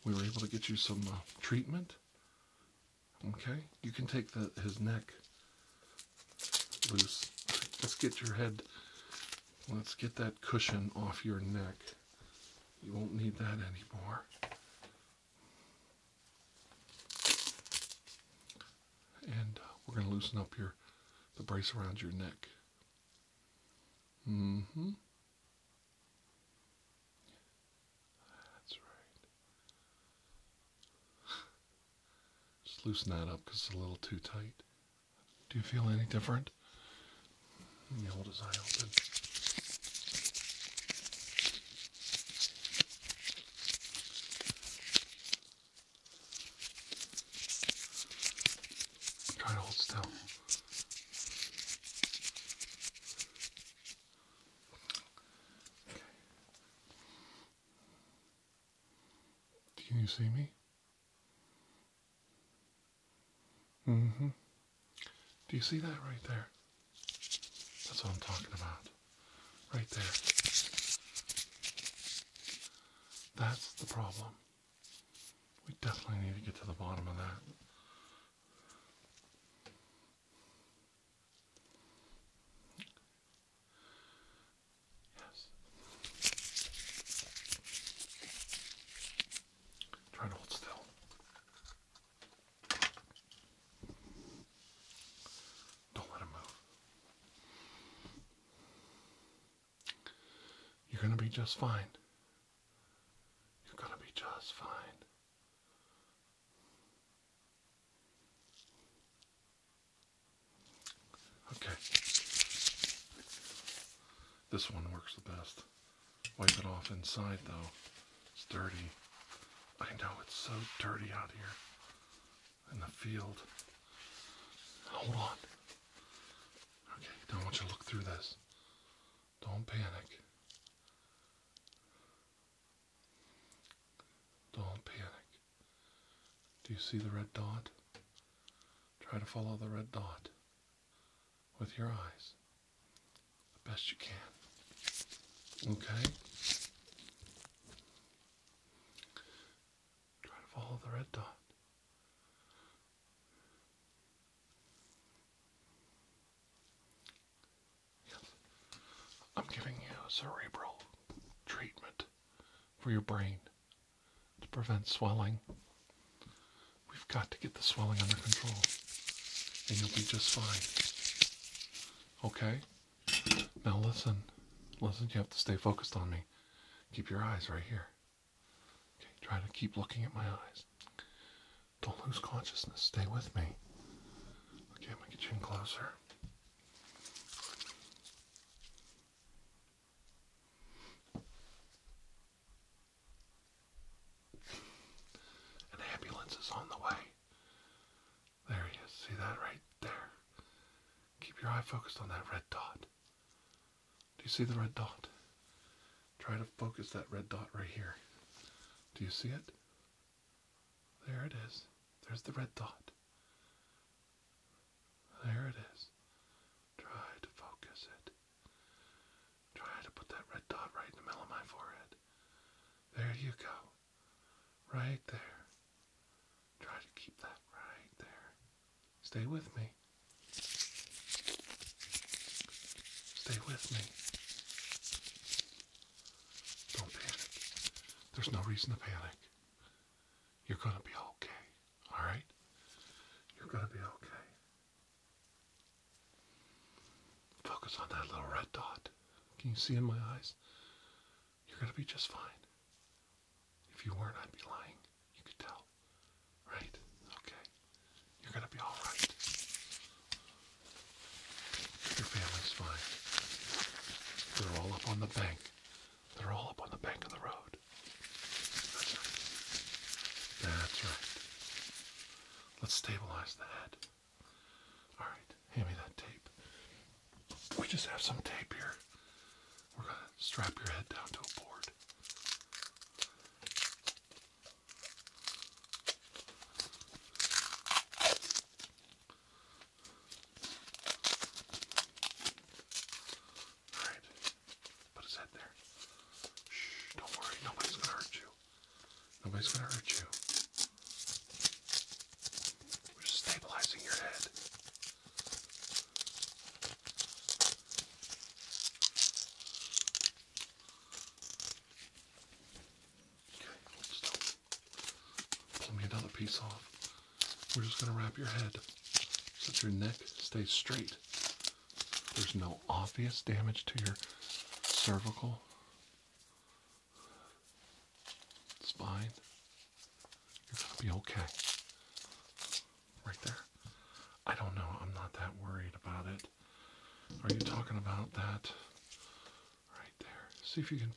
We were able to get you some uh, treatment Okay, you can take the, his neck loose. Let's get your head, let's get that cushion off your neck. You won't need that anymore. And uh, we're going to loosen up your the brace around your neck. Mm-hmm. That's right. Just loosen that up because it's a little too tight. Do you feel any different? The old as I open. Try to hold still. Can you see me? hmm. Do you see that right there? That's what I'm talking about. Right there. That's the problem. We definitely need to get to the bottom of that. Yes. Try to hold still. Don't let him move. You're going to be just fine. You're going to be just fine. Okay. This one works the best. Wipe it off inside though. It's dirty. I know it's so dirty out here in the field. Hold on. Okay, Don't want you to look through this. Don't panic. Don't panic. Do you see the red dot? Try to follow the red dot with your eyes the best you can. Okay? Try to follow the red dot. Yes. I'm giving you cerebral treatment for your brain to prevent swelling. We've got to get the swelling under control, and you'll be just fine. Okay? Now listen. Listen, you have to stay focused on me. Keep your eyes right here. Okay, try to keep looking at my eyes. Don't lose consciousness. Stay with me. Okay, let me get you in closer. An ambulance is on the way. There he is. See that right there? Keep your eye focused on that red dot. Do you see the red dot? Try to focus that red dot right here. Do you see it? There it is. There's the red dot. There it is. Try to focus it. Try to put that red dot right in the middle of my forehead. There you go. Right there. Try to keep that right there. Stay with me. Stay with me. Don't panic. There's no reason to panic. You're going to be okay. All right? You're going to be okay. Focus on that little red dot. Can you see in my eyes? You're going to be just fine. If you weren't, I'd be lying. You could tell. Right? Okay. You're going to be all right. Your family's fine. They're all up on the bank. They're all up on the bank of the road. That's right. That's right. Let's stabilize the Alright, hand me that tape. We just have some tape here. We're going to strap your head down to a board. Alright. Put his head there. Shh, don't worry. Nobody's gonna hurt you. Nobody's gonna hurt you. We're just stabilizing your head. Okay, let's stop. Pull me another piece off. We're just going to wrap your head so your neck stays straight. There's no obvious damage to your cervical spine. You're going to be okay. Right there. I don't know. I'm not that worried about it. Are you talking about that? Right there. See if you can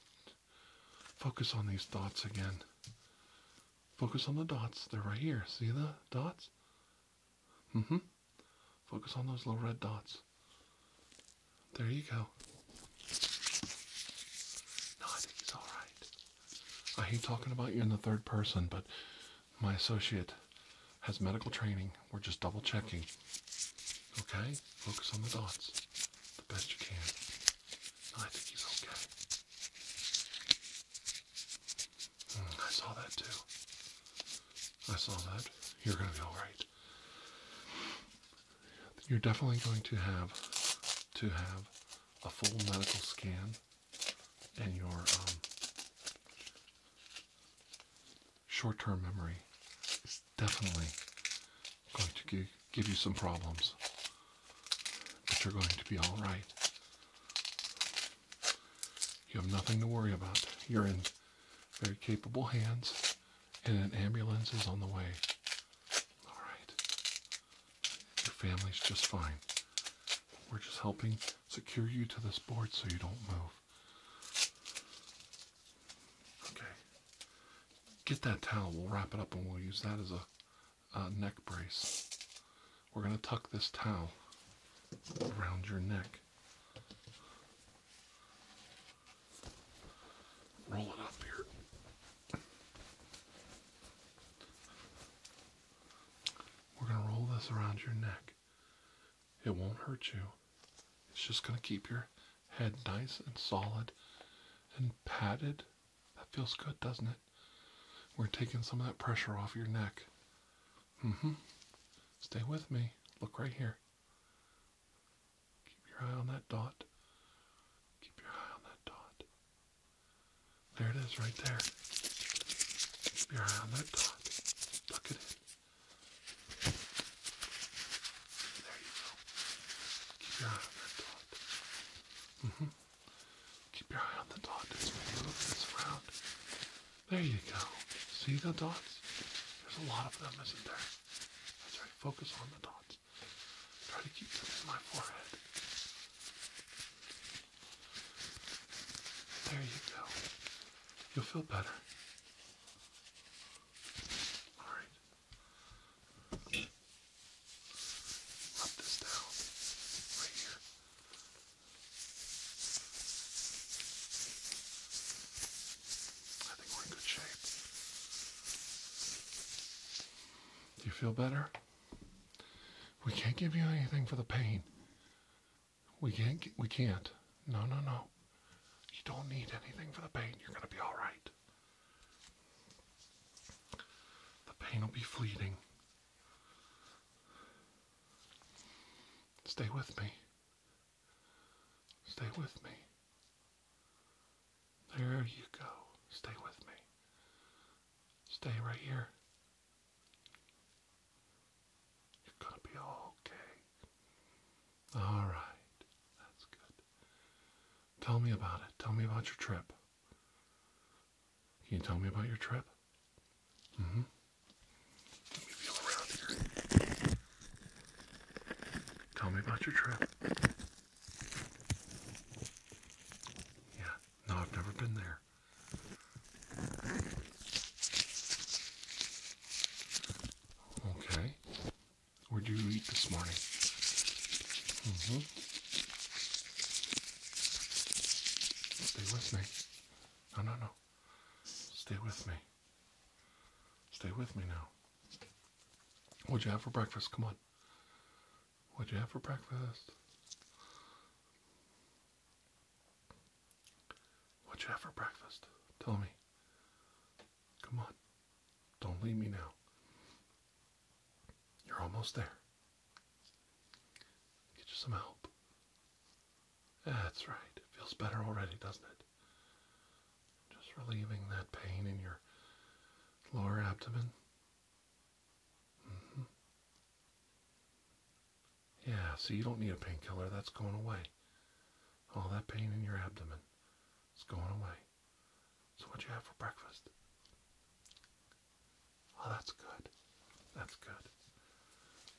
Focus on these dots again. Focus on the dots. They're right here. See the dots? Mm hmm. Focus on those little red dots. There you go. No, I think he's alright. I hate talking about you in the third person, but my associate has medical training. We're just double checking. Okay? Focus on the dots the best you can. I think he's okay. Hmm, I saw that too. I saw that. You're going to be all right. You're definitely going to have to have a full medical scan and your um, short-term memory is definitely going to give give you some problems. But you're going to be all right. You have nothing to worry about. You're in very capable hands, and an ambulance is on the way. All right. Your family's just fine. We're just helping secure you to this board so you don't move. Okay. Get that towel. We'll wrap it up and we'll use that as a uh, neck brace. We're going to tuck this towel around your neck. Roll it up here. We're going to roll this around your neck. It won't hurt you. It's just going to keep your head nice and solid and padded that feels good, doesn't it? We're taking some of that pressure off your neck. Mm-hmm. Stay with me. Look right here. Keep your eye on that dot. Keep your eye on that dot. There it is right there. Keep your eye on that dot. Look at it. There you go. Keep your eye on that dot. Mm -hmm. Keep your eye on the dot as this around. There you go. See the dots? There's a lot of them, isn't there? That's right. Focus on the dots. Try to keep them in my forehead. There you go. You'll feel better. All right. Rub this down I think we're in good shape. Do you feel better? We can't give you anything for the pain. We can't. We can't. No, no, no. You don't need anything for the pain. You're going to be all right. The pain will be fleeting. Stay with me. Stay with me. There you go. Stay with me. Stay right here. You're gonna be okay. Alright. That's good. Tell me about it. Tell me about your trip. Can you tell me about your trip? Mm-hmm. Tell me about your trip. Yeah, no, I've never been there. Okay. Where'd you eat this morning? Mm-hmm. Stay with me. No, no, no. Stay with me. Stay with me now. What'd you have for breakfast? Come on. What'd you have for breakfast? What'd you have for breakfast? Tell me. Come on. Don't leave me now. You're almost there. Get you some help. That's right. It feels better already, doesn't it? Just relieving that pain in your lower abdomen. Mm-hmm. Yeah, so you don't need a painkiller. That's going away. All that pain in your abdomen It's going away. So what'd you have for breakfast? Oh, that's good. That's good.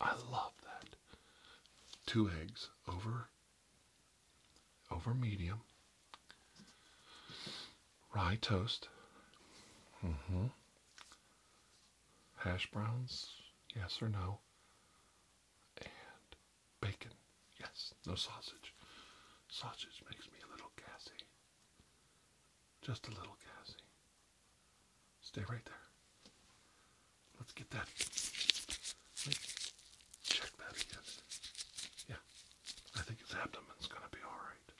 I love that. Two eggs over over medium. Rye toast. Mm-hmm. Hash browns, yes or no. And bacon, yes, no sausage. Sausage makes me a little gassy. Just a little Cassie. Stay right there. Let's get that. check that again. Yeah, I think his abdomen's gonna be all right.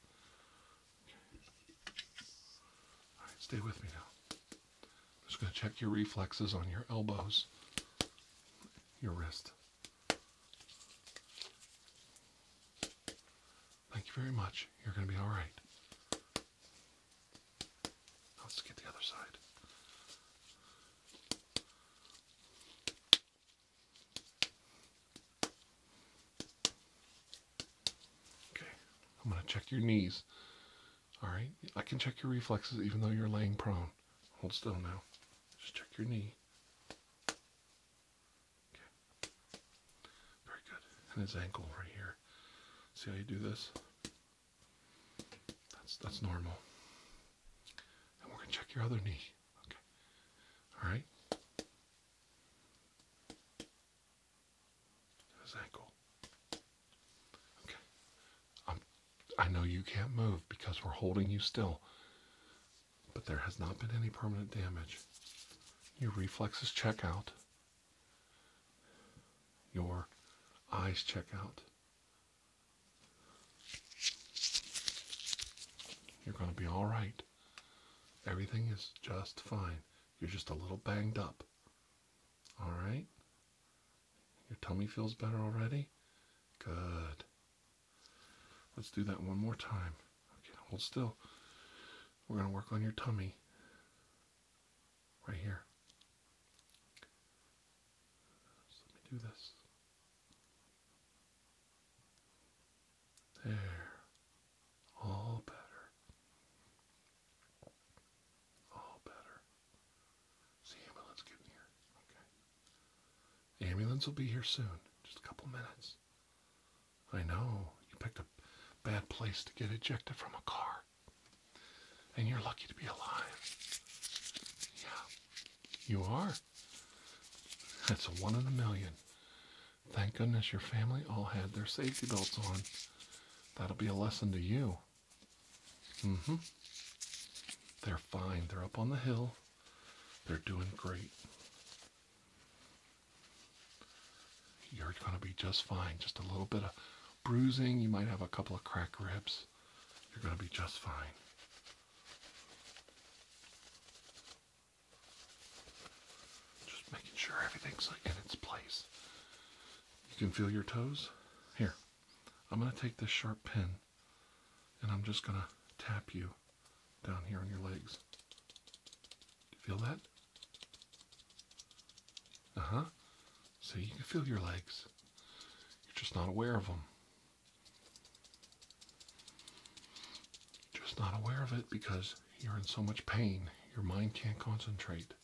All right, stay with me now. I'm just gonna check your reflexes on your elbows, your wrist. Thank you very much. You're going to be all right. Let's get the other side. Okay, I'm going to check your knees. All right, I can check your reflexes even though you're laying prone. Hold still now. Just check your knee. Okay. Very good. And his ankle right here. See how you do this? That's that's normal. And we're gonna check your other knee. Okay. Alright. His ankle. Okay. I'm um, I know you can't move because we're holding you still but there has not been any permanent damage. Your reflexes check out, your eyes check out. You're going to be all right. Everything is just fine. You're just a little banged up. All right? Your tummy feels better already? Good. Let's do that one more time. Okay, hold still. We're going to work on your tummy right here. let me do this. There. All better. All better. ambulance getting here. Okay. ambulance will be here soon. Just a couple minutes. I know. You picked a bad place to get ejected from a car. And you're lucky to be alive. Yeah, you are. That's a one in a million. Thank goodness your family all had their safety belts on. That'll be a lesson to you. Mm-hmm. They're fine. They're up on the hill. They're doing great. You're going to be just fine. Just a little bit of bruising. You might have a couple of crack ribs. You're going to be just fine. Just making sure everything's in its place. You can feel your toes. Here, I'm going to take this sharp pin and I'm just going to tap you down here on your legs. feel that? Uh huh. So you can feel your legs. You're just not aware of them. just not aware of it because you're in so much pain. Your mind can't concentrate,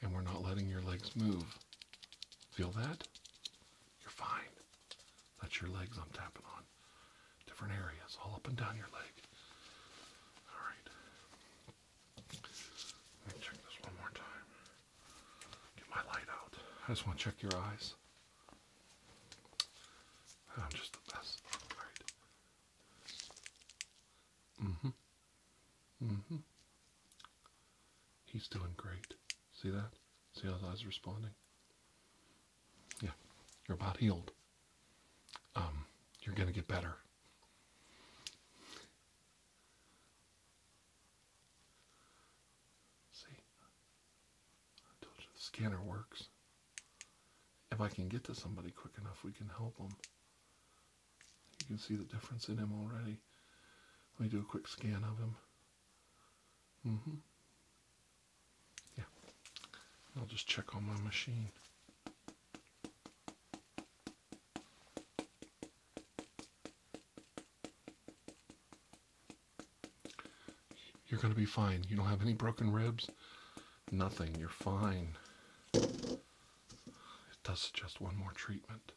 and we're not letting your legs move. Feel that? You're fine. That's your legs I'm tapping on. Different areas, all up and down your leg. All right. Let me check this one more time. Get my light out. I just want to check your eyes. I'm just the best. alright right. Mm-hmm. mm-hmm. He's doing great. See that? See how his eyes are responding? Yeah, you're about healed. Um, you're going to get better. See, I told you the scanner works. If I can get to somebody quick enough, we can help them. You can see the difference in him already. Let me do a quick scan of him. Mm-hmm. Yeah, I'll just check on my machine. You're going to be fine. You don't have any broken ribs. Nothing. You're fine. It does suggest one more treatment.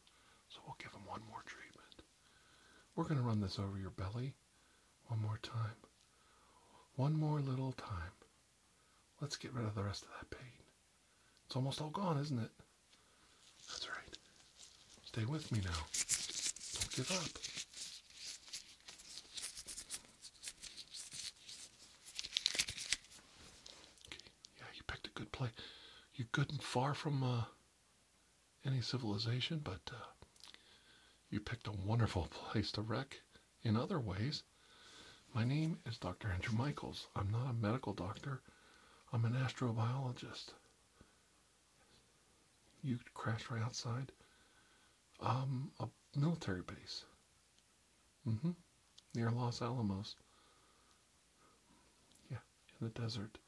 So we'll give him one more treatment. We're going to run this over your belly one more time. One more little time. Let's get rid of the rest of that pain. It's almost all gone, isn't it? That's right. Stay with me now. Don't give up. Okay. Yeah, you picked a good play. You're good and far from uh, any civilization, but uh, you picked a wonderful *laughs* place to wreck in other ways. My name is Dr. Andrew Michaels. I'm not a medical doctor, I'm an astrobiologist. You crashed right outside um, a military base mm-hmm. near Los Alamos. Yeah, in the desert.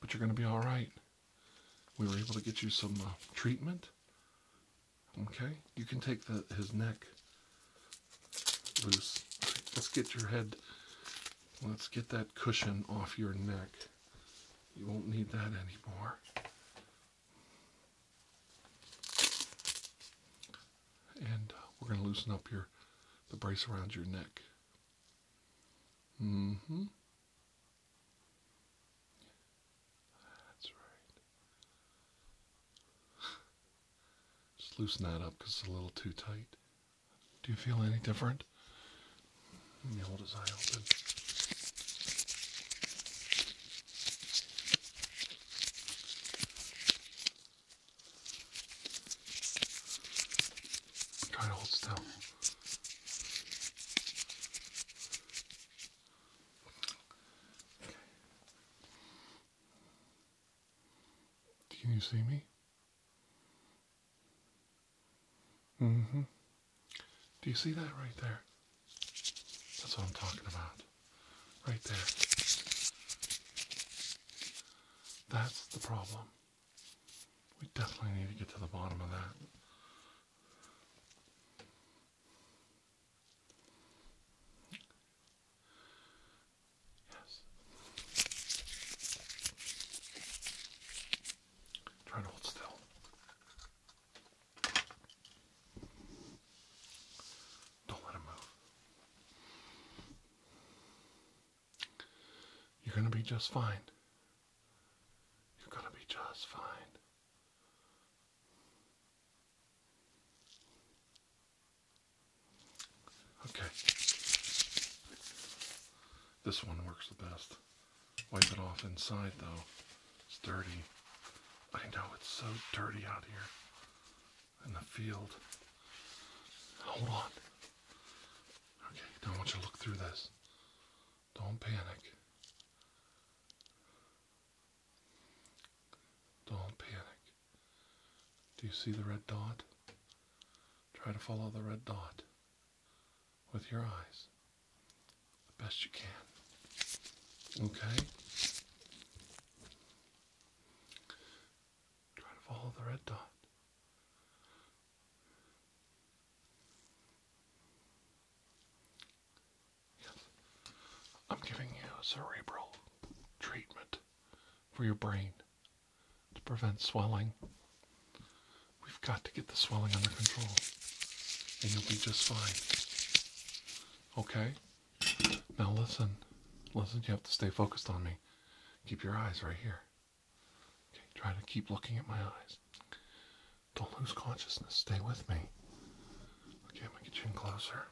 But you're going to be all right. We were able to get you some uh, treatment Okay, you can take the, his neck loose. Let's get your head, let's get that cushion off your neck. You won't need that anymore. And uh, we're going to loosen up your, the brace around your neck. Mm-hmm. That's right. Just loosen that up because it's a little too tight. Do you feel any different? Try to hold still. Can you see me? Mm-hmm. Do you see that right there? That's what I'm talking about. Right there. That's the problem. We definitely need to get to the bottom of that. Yes. Try to hold still. Don't let him move. You're going to be just fine. You're going to be just fine. Okay. This one works the best. Wipe it off inside though. It's dirty. I know it's so dirty out here in the field. Hold on. Okay, Don't want you to look through this. Don't panic. Don't panic. Do you see the red dot? Try to follow the red dot with your eyes the best you can. Okay? Try to follow the red dot. I'm giving you a cerebral treatment for your brain to prevent swelling. We've got to get the swelling under control, and you'll be just fine. Okay? Now listen. Listen, you have to stay focused on me. Keep your eyes right here. Okay, try to keep looking at my eyes. Don't lose consciousness. Stay with me. Okay, I'm going to get you in closer.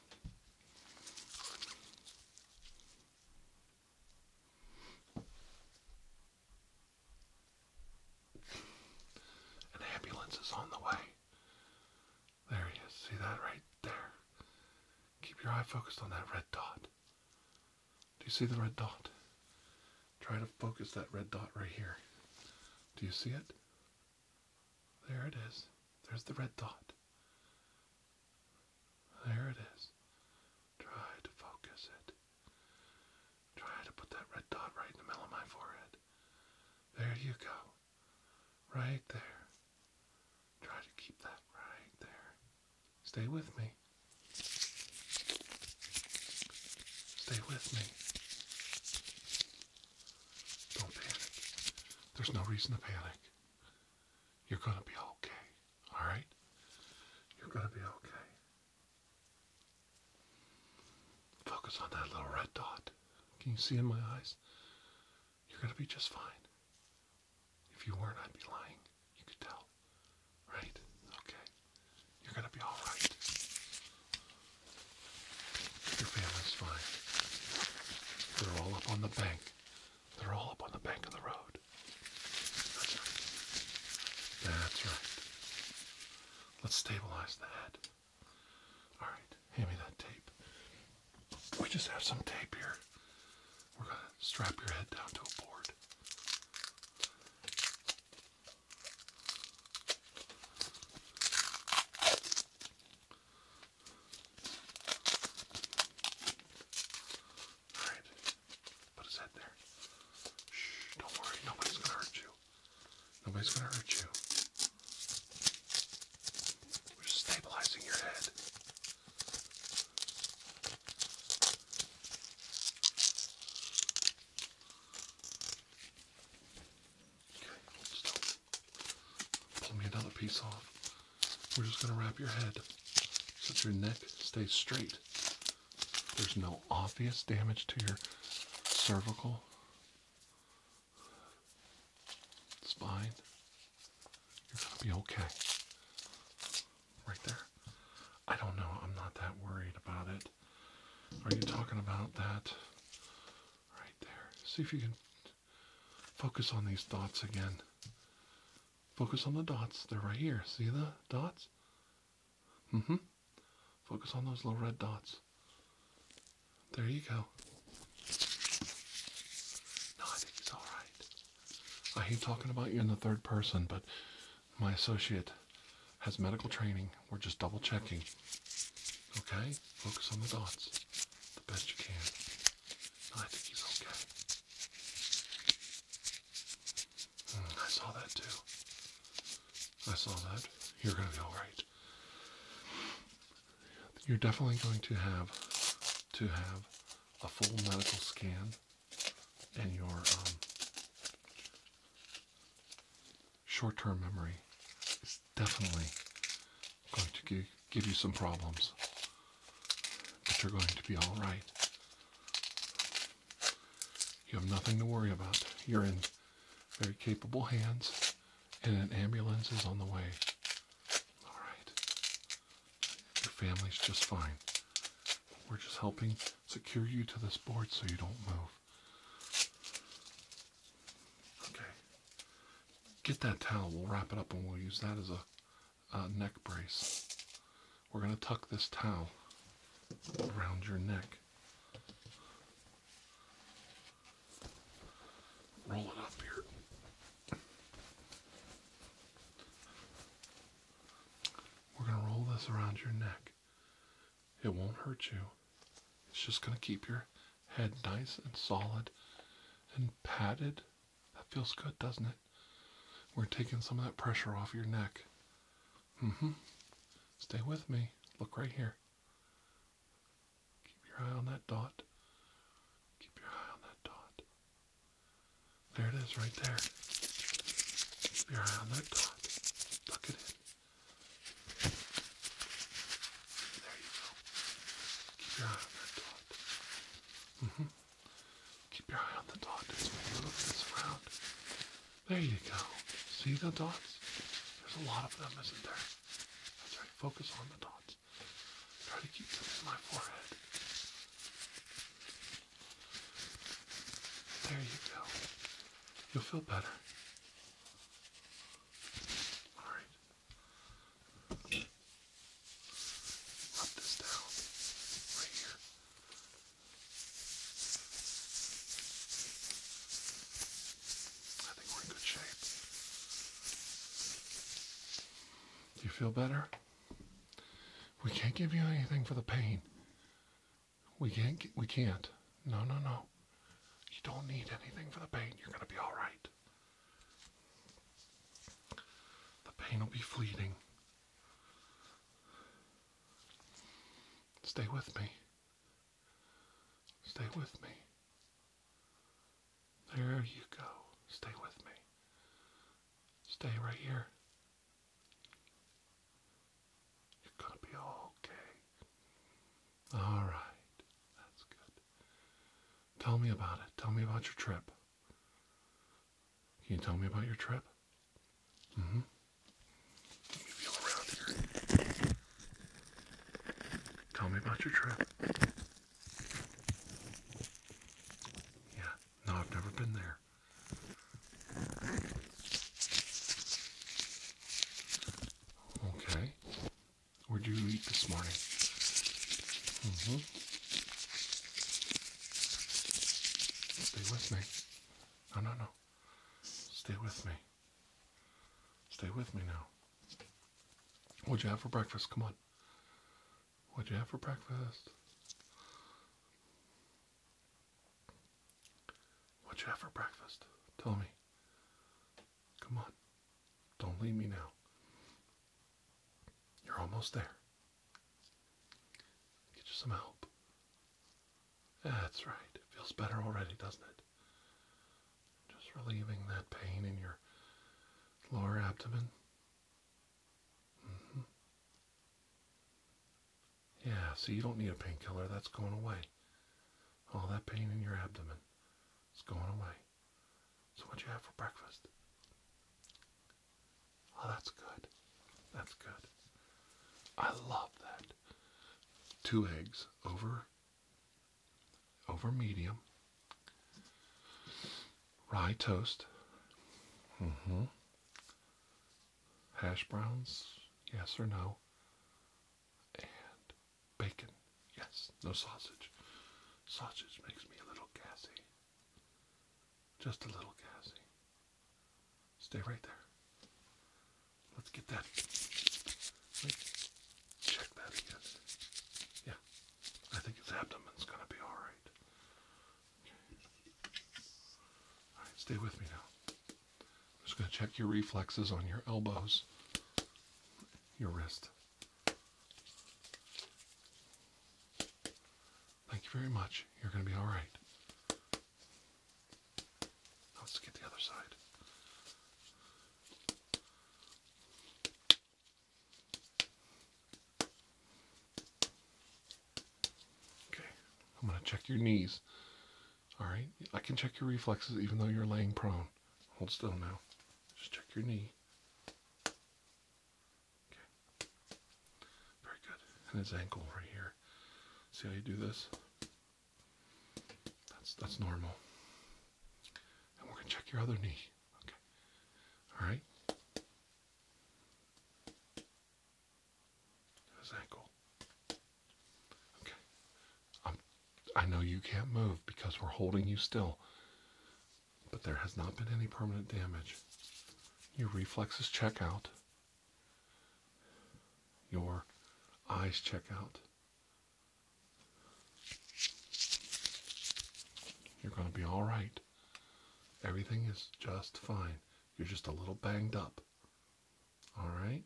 An ambulance is on the way. There he is. See that right there? Keep your eye focused on that red dot. Do you see the red dot? Try to focus that red dot right here. Do you see it? There it is. There's the red dot. There it is. Try to focus it. Try to put that red dot right in the middle of my forehead. There you go. Right there. Try to keep that right there. Stay with me. Stay with me. Don't panic. There's no reason to panic. You're going to be okay. All right? You're going to be okay. Focus on that little red dot. Can you see in my eyes? You're going to be just fine. If you weren't, I'd be lying. You could tell. Right? Okay. You're going to be all right. Your family's fine. They're all up on the bank. They're all up on the bank of the road. That's right. That's right. Let's stabilize the head. All right, hand me that tape. We just have some tape here. We're going to strap your head down to a board. Alright. Put his head there. Shh, don't worry. Nobody's gonna hurt you. Nobody's gonna hurt you. We're just stabilizing your head. Okay, hold still. Pull me another piece off. We're just going to wrap your head so your neck stays straight. There's no obvious damage to your cervical spine. You're going to be okay. Right there. I don't know. I'm not that worried about it. Are you talking about that Right there. See if you can focus on these dots again. Focus on the dots. They're right here. See the dots? Mm hmm. Focus on those little red dots. There you go. No, I think it's alright. I hate talking about you in the third person, but my associate has medical training. We're just double checking. Okay? Focus on the dots the best you can. I think he's okay. Hmm, I saw that too. I saw that. You're going to be alright. You're definitely going to have to have a full medical scan and your um, short term memory is definitely going to give, you some problems, but you're going to be all right. You have nothing to worry about. You're in very capable hands, and an ambulance is on the way. All right. Your family's just fine. We're just helping secure you to this board so you don't move. Okay. Get that towel. We'll wrap it up and we'll use that as a neck brace. We're going to tuck this towel around your neck. Roll it up here. We're going to roll this around your neck. It won't hurt you. It's just going to keep your head nice and solid and padded. That feels good, doesn't it? We're taking some of that pressure off your neck. Mm-hmm. Stay with me. Look right here. Keep your eye on that dot. Keep your eye on that dot. There it is right there. Keep your eye on that dot. Look at it. There you go. Keep your eye on that dot. -hmm. Keep your eye on the dot as we move this around. There you go. See the dots? There's a lot of them, isn't there? That's right. Focus on the dots. Try to keep them in my forehead. There you go. You'll feel better. Alright. Rub this down right here. I think we're in good shape. You feel better? We can't give you anything for the pain. We can't. We can't. No, no, no. You don't need anything for the pain. You're gonna be all right. The pain will be fleeting. Stay with me. Stay with me. There you go. Stay with me. Stay right here. You're gonna be okay. All right, that's good. Tell me about it. Tell me about your trip. Can you tell me about your trip? Mm hmm. Tell me about your trip. Yeah, no, I've never been there. Okay where did you eat this morning? Mm-hmm. Stay with me. No, no, no. Stay with me. Stay with me now. What'd you have for breakfast? Come on. What'd you have for breakfast? What'd you have for breakfast? Tell me. Come on. Don't leave me now. You're almost there. Get you some help. That's right. It feels better already, doesn't it? Just relieving that pain in your lower abdomen. Mm-hmm. Yeah, so you don't need a painkiller. That's going away. All that pain in your abdomen is going away. So, what you have for breakfast? Oh, that's good. That's good. I love that. Two eggs over over medium. Rye toast. Mm-hmm. Hash browns, yes or no. And Bacon. Yes, no sausage. Sausage makes me a little gassy. Just a little gassy. Stay right there. Let's get that. check that again. Yeah, I think his abdomen's gonna be Alright, stay with me now. I'm just gonna check your reflexes on your elbows, your wrist. Thank you very much. You're going to be all right. let's get the other side. Okay, I'm going to check your knees. All right, I can check your reflexes even though you're laying prone. Hold still now. Just check your knee. Okay. Very good. And his ankle right here. See how you do this? That's that's normal. And we're gonna check your other knee. Okay. All right. His ankle. Okay. I'm um, I know you can't move because we're holding you still, but there has not been any permanent damage. Your reflexes check out, your eyes check out. You're going to be all right. Everything is just fine. You're just a little banged up. All right?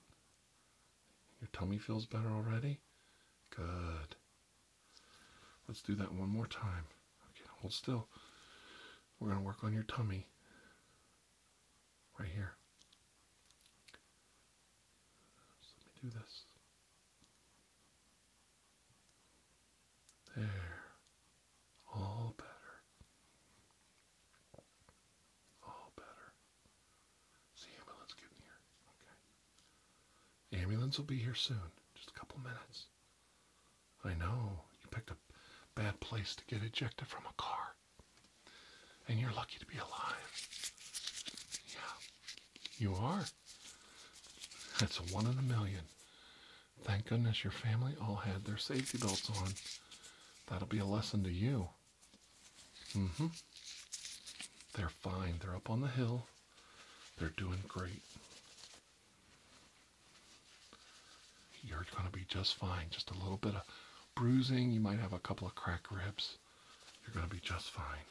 Your tummy feels better already? Good. Let's do that one more time. Okay, hold still. We're going to work on your tummy right here. let me do this. There. All better. All better. See, but let's get in Okay. The ambulance will be here soon, just a couple minutes. I know, you picked a bad place to get ejected from a car. And you're lucky to be alive. Yeah, you are. That's one in a million. Thank goodness your family all had their safety belts on. That'll be a lesson to you. Mm hmm. They're fine. They're up on the hill. They're doing great. You're going to be just fine. Just a little bit of bruising. You might have a couple of crack ribs. You're going to be just fine.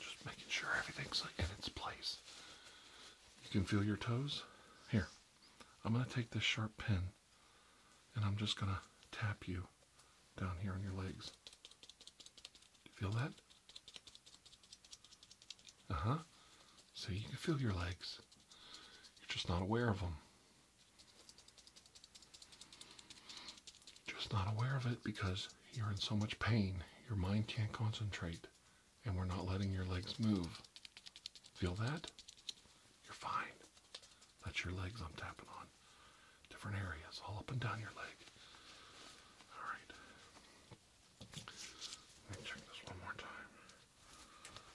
Just making sure everything's in its place. You can feel your toes. Here, I'm going to take this sharp pen and I'm just going to tap you down here on your legs. feel that? Uh-huh. So you can feel your legs. You're just not aware of them. Just not aware of it because you're in so much pain. Your mind can't concentrate and we're not letting your legs move. Feel that? You're fine. That's your legs I'm tapping on. Different areas, all up and down your leg. Alright. Let me check this one more time.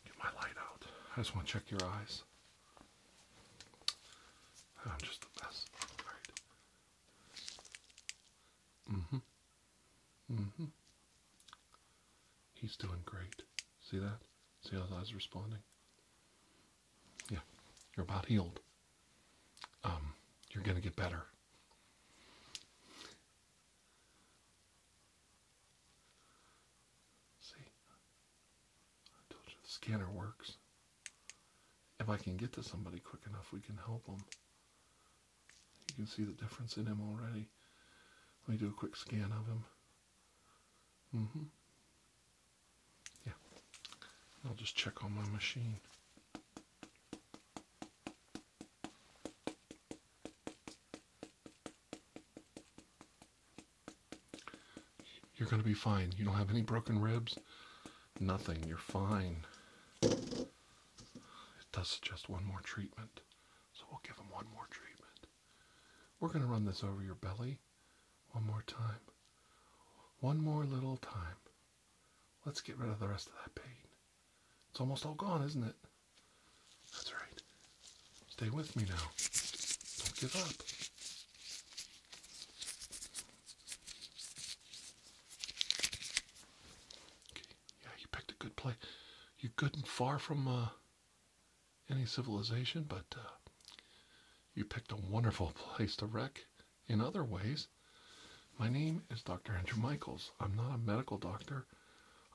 Get my light out. I just want to check your eyes. I'm just the best. Alright. Mm-hmm. Mm-hmm. He's doing great. See that? See how his eyes are responding? Yeah, you're about healed. Um, you're going to get better. See, I told you the scanner works. If I can get to somebody quick enough, we can help them. You can see the difference in him already. Let me do a quick scan of him. Mm-hmm. Yeah, I'll just check on my machine. You're going to be fine. You don't have any broken ribs, nothing. You're fine. It does suggest one more treatment, so we'll give him one more treatment. We're going to run this over your belly one more time. One more little time. Let's get rid of the rest of that pain. It's almost all gone, isn't it? That's right. Stay with me now. Don't give up. Okay, yeah, you picked a good play. You good and far from uh any civilization, but uh, you picked a wonderful *laughs* place to wreck in other ways. My name is Dr. Andrew Michaels. I'm not a medical doctor,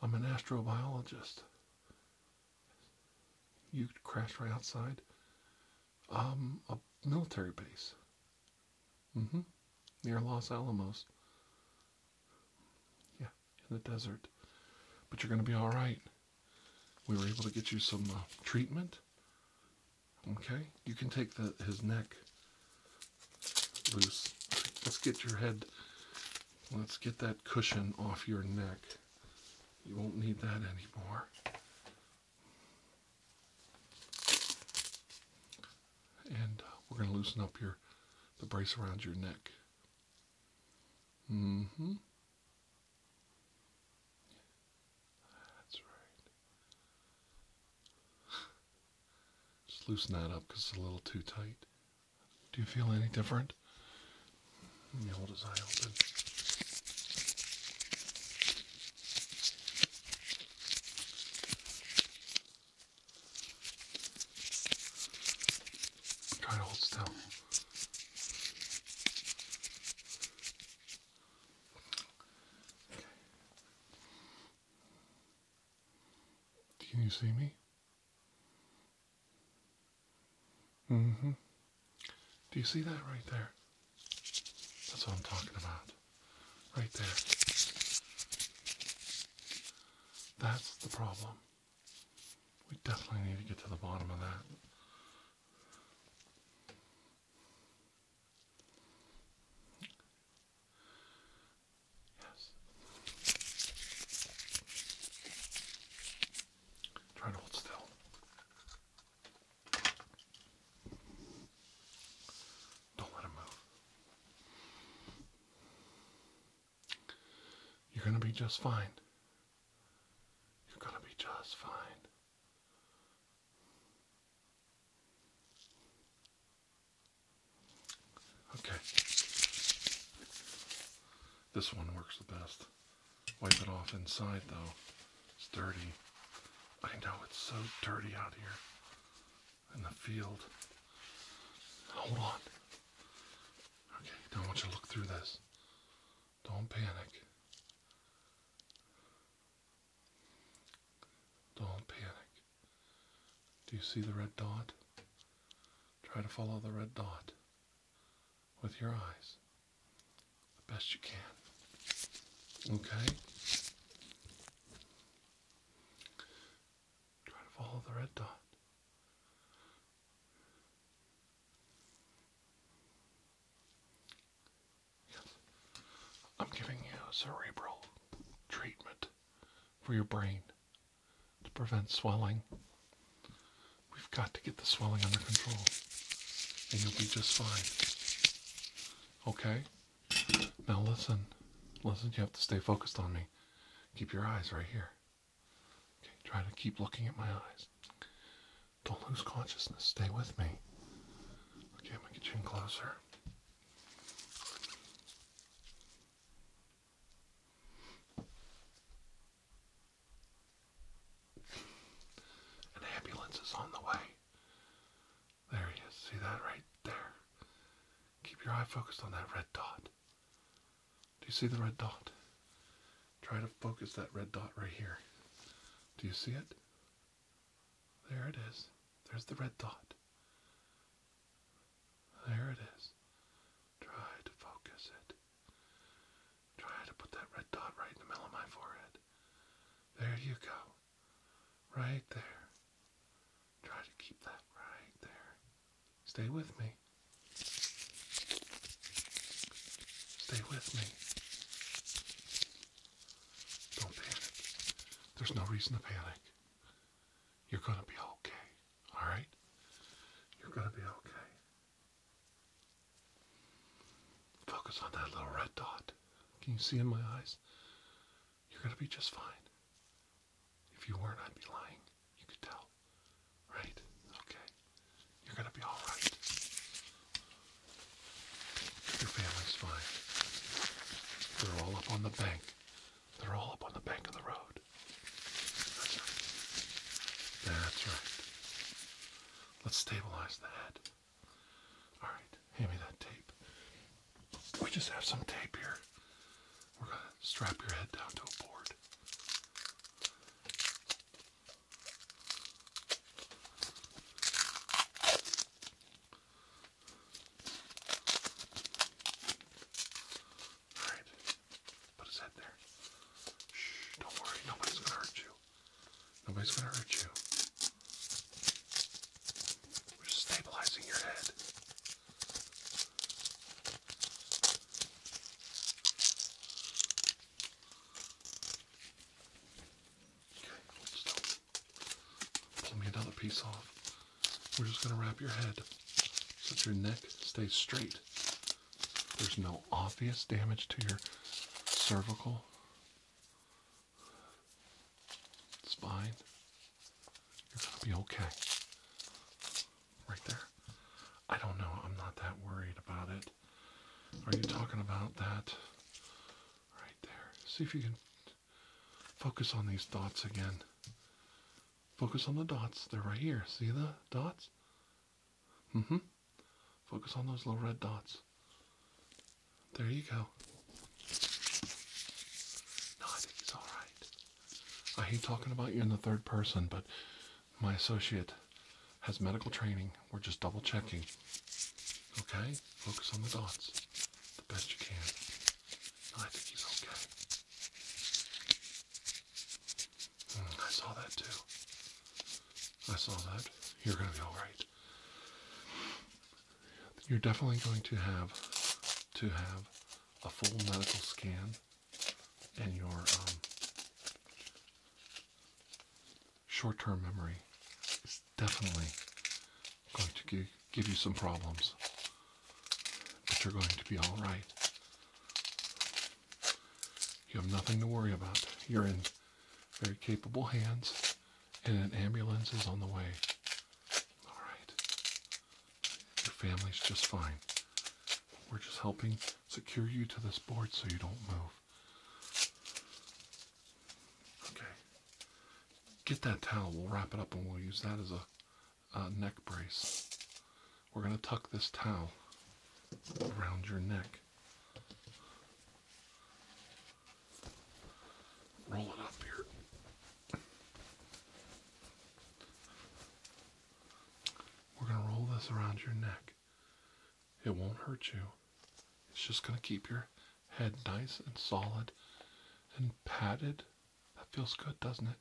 I'm an astrobiologist. You crashed right outside um, a military base mm-hmm. near Los Alamos. Yeah, in the desert. But you're going to be all right we were able to get you some uh, treatment. Okay, you can take his neck loose. Let's get your head, let's get that cushion off your neck. You won't need that anymore. And uh, we're going to loosen up your the brace around your neck. Mm-hmm. That's right. Just loosen that up because it's a little too tight. Do you feel any different? Let me hold his eye open. Try to hold still. Can you see me? hmm. Do you see that right there? That's what I'm talking about. Right there. That's the problem. We definitely need to get to the bottom of that. Yes. Try to hold still. Don't let him move. You're going to be just fine. You're gonna be just fine. Okay. This one works the best. Wipe it off inside though. It's dirty. I know it's so dirty out here in the field. Hold on. Okay, don't want you to look through this. Don't panic. Don't panic. Do you see the red dot? Try to follow the red dot with your eyes the best you can. Okay? Try to follow the red dot. Yes. I'm giving you a cerebral treatment for your brain to prevent swelling. We've got to get the swelling under control, and you'll be just fine. Okay? Now listen. Listen, you have to stay focused on me. Keep your eyes right here. Okay, try to keep looking at my eyes. Don't lose consciousness. Stay with me. Okay, I'm gonna get you in closer. An ambulance is on the way. There he is. See that right there? Keep your eye focused on that red dot. Do you see the red dot? Try to focus that red dot right here. Do you see it? There it is. There's the red dot. There it is. Try to focus it. Try to put that red dot right in the middle of my forehead. There you go. Right there. Try to keep that right there. Stay with me. Stay with me. Don't panic. There's no reason to panic. You're going to be okay. All right? You're going to be okay. Focus on that little red dot. Can you see in my eyes? You're going to be just fine. If you weren't, I'd be lying. You could tell. Right? Okay. You're gonna be all right. Your family's fine. They're all up on the bank. They're all up on the bank of the road. That's right. That's right. Let's stabilize the head. All right, hand me that tape. We just have some tape here. We're gonna strap your head down to a board. Alright. Put his head there. Shh, don't worry, nobody's gonna hurt you. Nobody's gonna hurt you. We're just stabilizing your head. Okay, pull me another piece off. We're just going to wrap your head so your neck stays straight. There's no obvious damage to your cervical spine. You're going to be okay. Right there. I don't know. I'm not that worried about it. Are you talking about that? Right there. See if you can focus on these dots again. Focus on the dots. They're right here. See the dots? Mm hmm. Focus on those little red dots. There you go. No, I think he's alright. I hate talking about you in the third person, but my associate has medical training. We're just double checking. Okay? Focus on the dots the best you can. I think he's okay. Hmm, I saw that too. I saw that. You're going to be alright. You're definitely going to have to have a full medical scan and your um, short term memory is definitely going to give, you some problems, but you're going to be all right. You have nothing to worry about. You're in very capable hands, and an ambulance is on the way. All right. Your family's just fine. We're just helping secure you to this board so you don't move. Okay. Get that towel. We'll wrap it up and we'll use that as a neck brace. We're going to tuck this towel around your neck. Roll it up here. We're going to roll this around your neck. It won't hurt you. It's just going to keep your head nice and solid and padded. That feels good, doesn't it?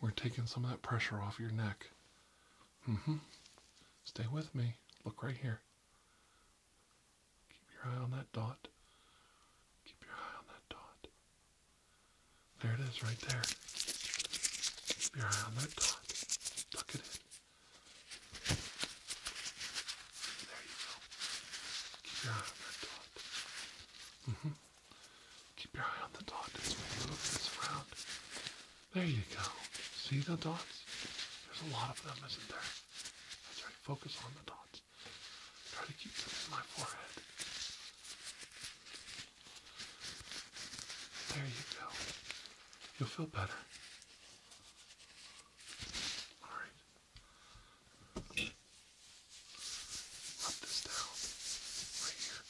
We're taking some of that pressure off your neck. Mm hmm. Stay with me. Look right here. Keep your eye on that dot. Keep your eye on that dot. There it is right there. Keep your eye on that dot. Look at it. There you go. Keep your eye on that dot. Mm hmm Keep your eye on the dot as we move this around. There you go. See the dots? There's a lot of them, isn't there? That's right. Focus on the dots. Try to keep them in my forehead. There you go. You'll feel better. All right. Rub this down right here.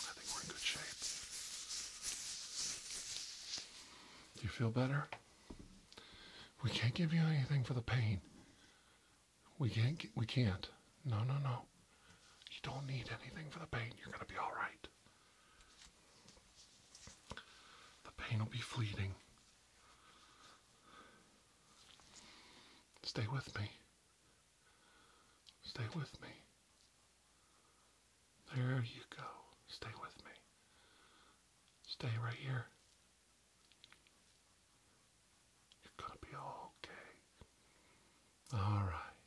I think we're in good shape. Do you feel better? We can't give you anything for the pain. We can't. Get, we can't. No, no, no. You don't need anything for the pain. You're going to be all right. The pain will be fleeting. Stay with me. Stay with me. There you go. Stay with me. Stay right here. You're gonna be okay. All right,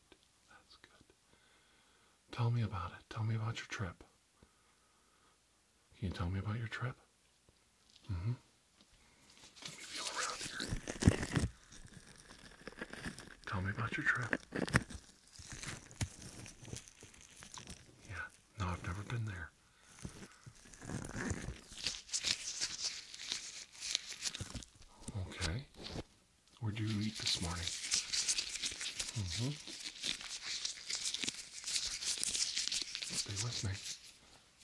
that's good. Tell me about it. Tell me about your trip. Can you tell me about your trip? Mm-hmm. Tell me about your trip. Yeah, no, I've never been there. Okay. Where do you eat this morning? Mm-hmm. Stay with me.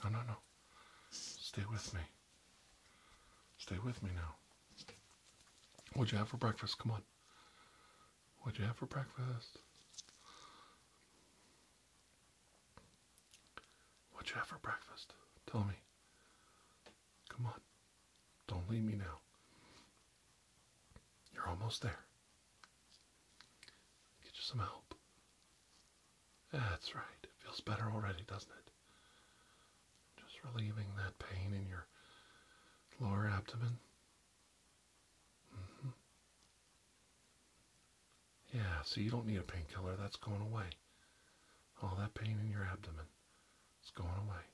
No, no, no. Stay with me. Stay with me now. What'd you have for breakfast? Come on. What'd you have for breakfast? What'd you have for breakfast? Tell me. Come on. Don't leave me now. You're almost there. Get you some help. That's right. It feels better already, doesn't it? Just relieving that pain in your lower abdomen. Mm-hmm. Yeah, so you don't need a painkiller. That's going away. All that pain in your abdomen is going away.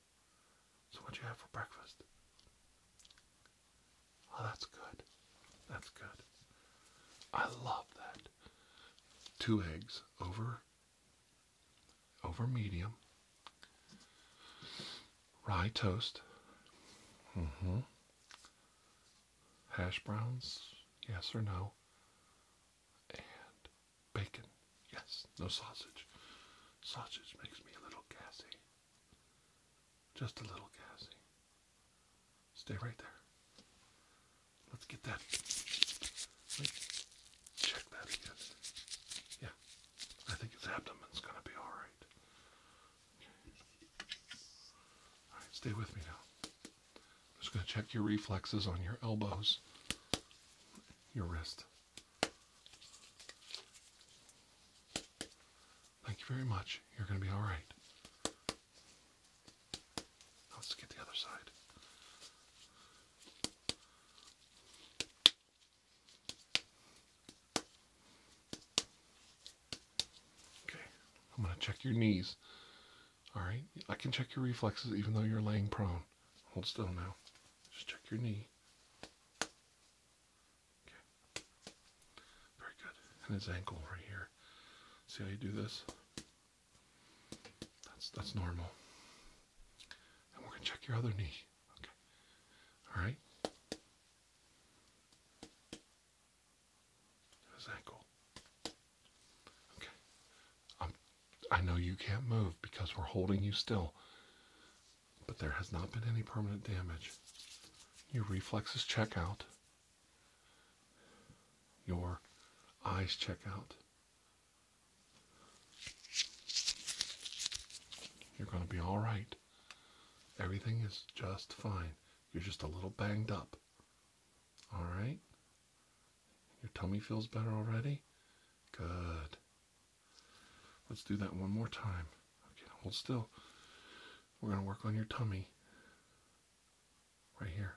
So, what you have for breakfast? Oh, that's good. That's good. I love that. Two eggs over over medium. Rye toast. Mm-hmm. Hash browns, yes or no? and bacon. Yes, no sausage. Sausage makes me a little gassy. Just a little gassy. Stay right there. Let's get that. Let's check that again. Yeah, I think his abdomen's gonna be alright. stay with me now. I'm just going to check your reflexes on your elbows, your wrist. Thank you very much. You're going to be all right. Let's get the other side. Okay, I'm going to check your knees. All right, I can check your reflexes even though you're laying prone. Hold still now. Just check your knee. Okay. Very good. And his ankle right here. See how you do this? That's that's normal. And we're gonna check your other knee. Okay. Alright. His ankle. Okay. i um, I know you can't move because we're holding you still, but there has not been any permanent damage. Your reflexes check out. Your eyes check out. You're going to be all right. Everything is just fine. You're just a little banged up. All right? Your tummy feels better already? Good. Let's do that one more time. Okay, hold still. We're going to work on your tummy right here.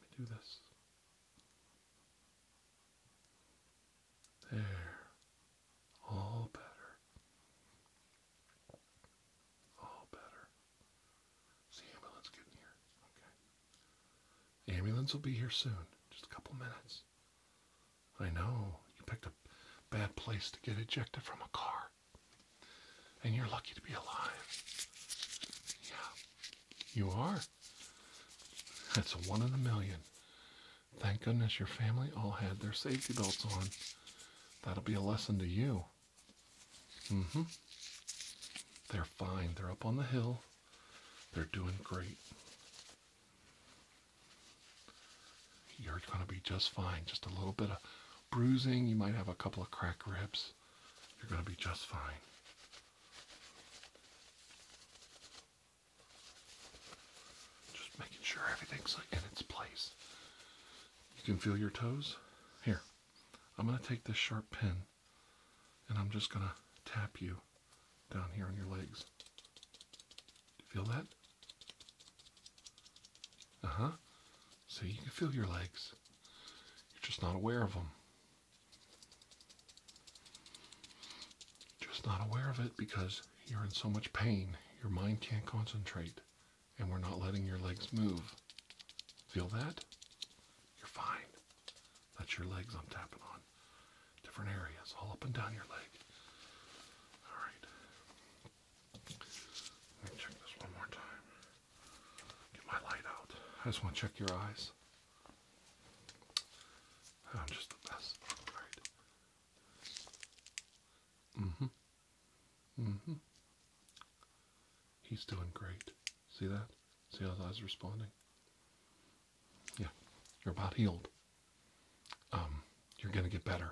let me do this. There. All better. All better the ambulance getting here? Okay. The ambulance will be here soon. Just a couple minutes. I know. You picked a bad place to get ejected from a car. And you're lucky to be alive. Yeah. You are. That's one in a million. Thank goodness your family all had their safety belts on. That'll be a lesson to you hmm. They're fine. They're up on the hill. They're doing great. You're going to be just fine. Just a little bit of bruising. You might have a couple of crack ribs. You're going to be just fine. Just making sure everything's in its place. You can feel your toes. Here, I'm going to take this sharp pin and I'm just going to tap you down here on your legs. feel that? Uh huh. So you can feel your legs. You're just not aware of them. Just not aware of it because you're in so much pain. Your mind can't concentrate and we're not letting your legs move. Feel that? You're fine. That's your legs I'm tapping on. Different areas, all up and down your leg. All right. Let me check this one more time. Get my light out. I just want to check your eyes. I'm just the best. alright right. Mm-hmm. mm-hmm. He's doing great. See that? See how his eyes are responding? Yeah, you're about healed. Um, you're going to get better.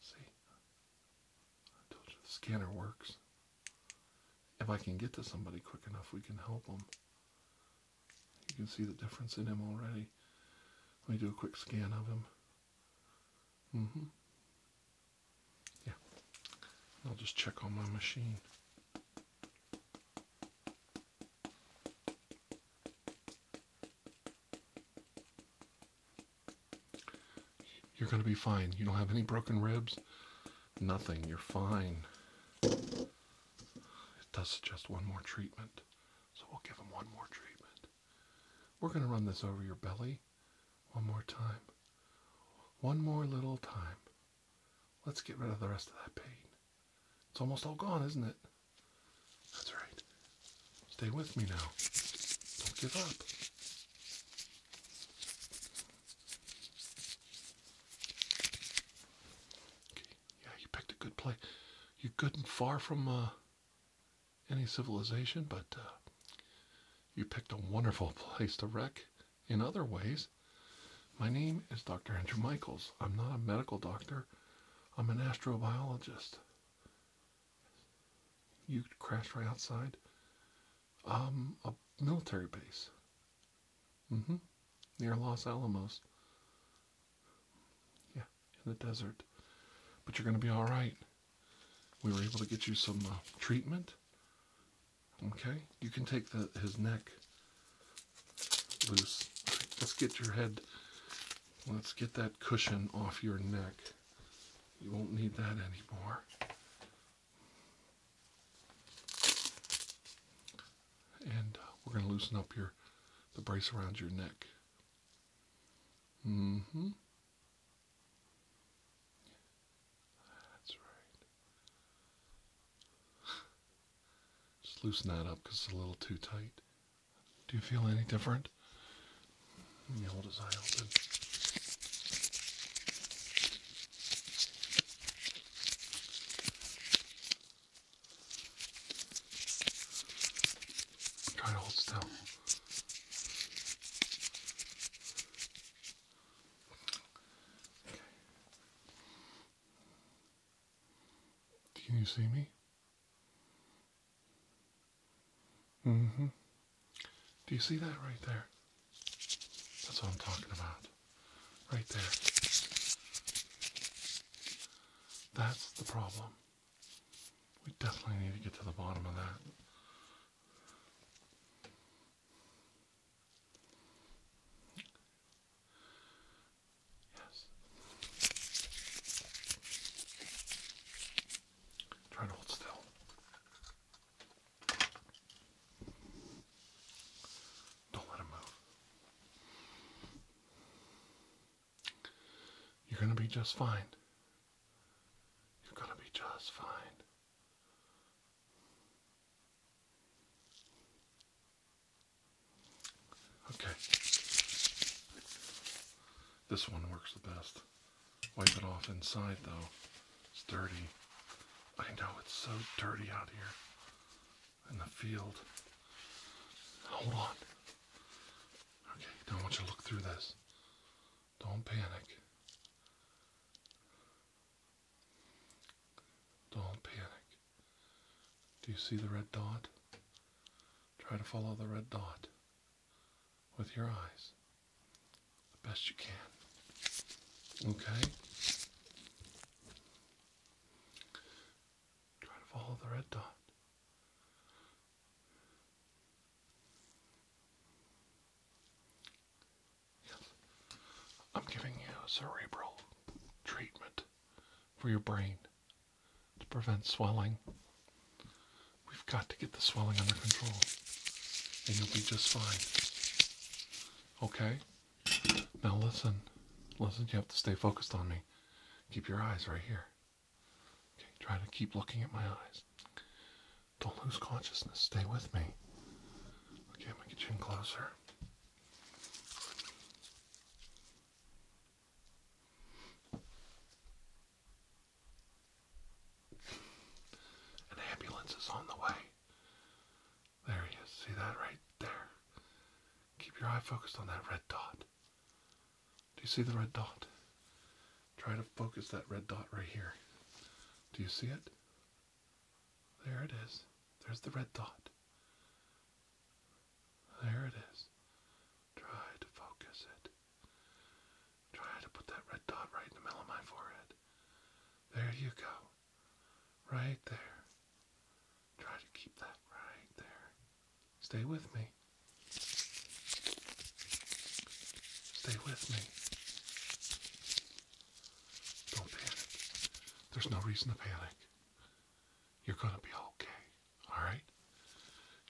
See? I told you the scanner works. If I can get to somebody quick enough, we can help them. You can see the difference in him already. Let me do a quick scan of him. Mm hmm. Yeah. I'll just check on my machine. You're going to be fine. You don't have any broken ribs. Nothing. You're fine. It does suggest one more treatment. So we'll give him one more treatment. We're going to run this over your belly one more time. One more little time. Let's get rid of the rest of that pain. It's almost all gone, isn't it? That's right. Stay with me now. Don't give up. Okay. Yeah, you picked a good play. You're good and far from uh, any civilization, but uh, you picked a wonderful *laughs* place to wreck in other ways. My name is Dr. Andrew Michaels. I'm not a medical doctor, I'm an astrobiologist. You crashed right outside um, a military base mm-hmm. near Los Alamos. Yeah in the desert, but you're going to be all right. We were able to get you some uh, treatment. Okay, you can take the, his neck loose. Let's get your head. Let's get that cushion off your neck. You won't need that anymore. And uh, we're going to loosen up your the brace around your neck. Mm hmm. That's right. Just loosen that up because it's a little too tight. Do you feel any different? Let me eye open. Try to hold still. Can you see me? hmm Do you see that right there? That's what I'm talking about. Right there. That's the problem. We definitely need to get to the bottom of that. Yes. Try to hold still. Don't let him move. You're going to be just fine. You're going to be just fine. Okay. This one works the best. Wipe it off inside though. It's dirty. I know it's so dirty out here in the field. Hold on. Okay, now I want you look through this. Don't panic. Don't panic. Do you see the red dot? Try to follow the red dot with your eyes the best you can. Okay? Try to follow the red dot. Yes. I'm giving you a cerebral treatment for your brain to prevent swelling. We've got to get the swelling under control, and you'll be just fine. Okay? Now listen. Listen, you have to stay focused on me. Keep your eyes right here. Okay, try to keep looking at my eyes. Don't lose consciousness. Stay with me. Okay, I'm gonna get you in closer. An ambulance is on the way. There he is. See that right there? Keep your eye focused on that red dot. Do you see the red dot? Try to focus that red dot right here. Do you see it? There it is. There's the red dot. There it is. Try to focus it. Try to put that red dot right in the middle of my forehead. There you go. Right there. Try to keep that right there. Stay with me. Stay with me. Don't panic. There's no reason to panic. You're going to be okay. All right?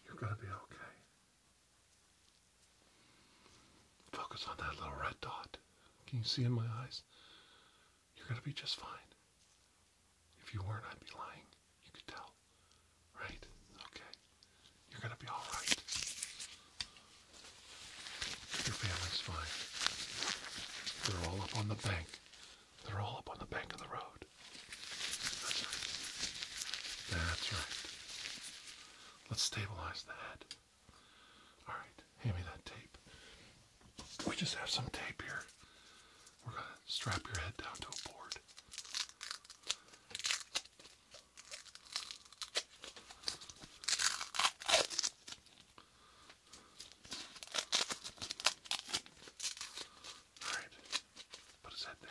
You're going to be okay. Focus on that little red dot. Can you see in my eyes? You're going to be just fine. If you weren't, I'd be lying. You can tell. Right? Okay. You're gonna be alright. Your family's fine. They're all up on the bank. They're all up on the bank of the road. That's right. Let's stabilize the head. Alright, hand me that tape. We just have some tape here. We're gonna strap your head down to a board. Alright. Put his head there.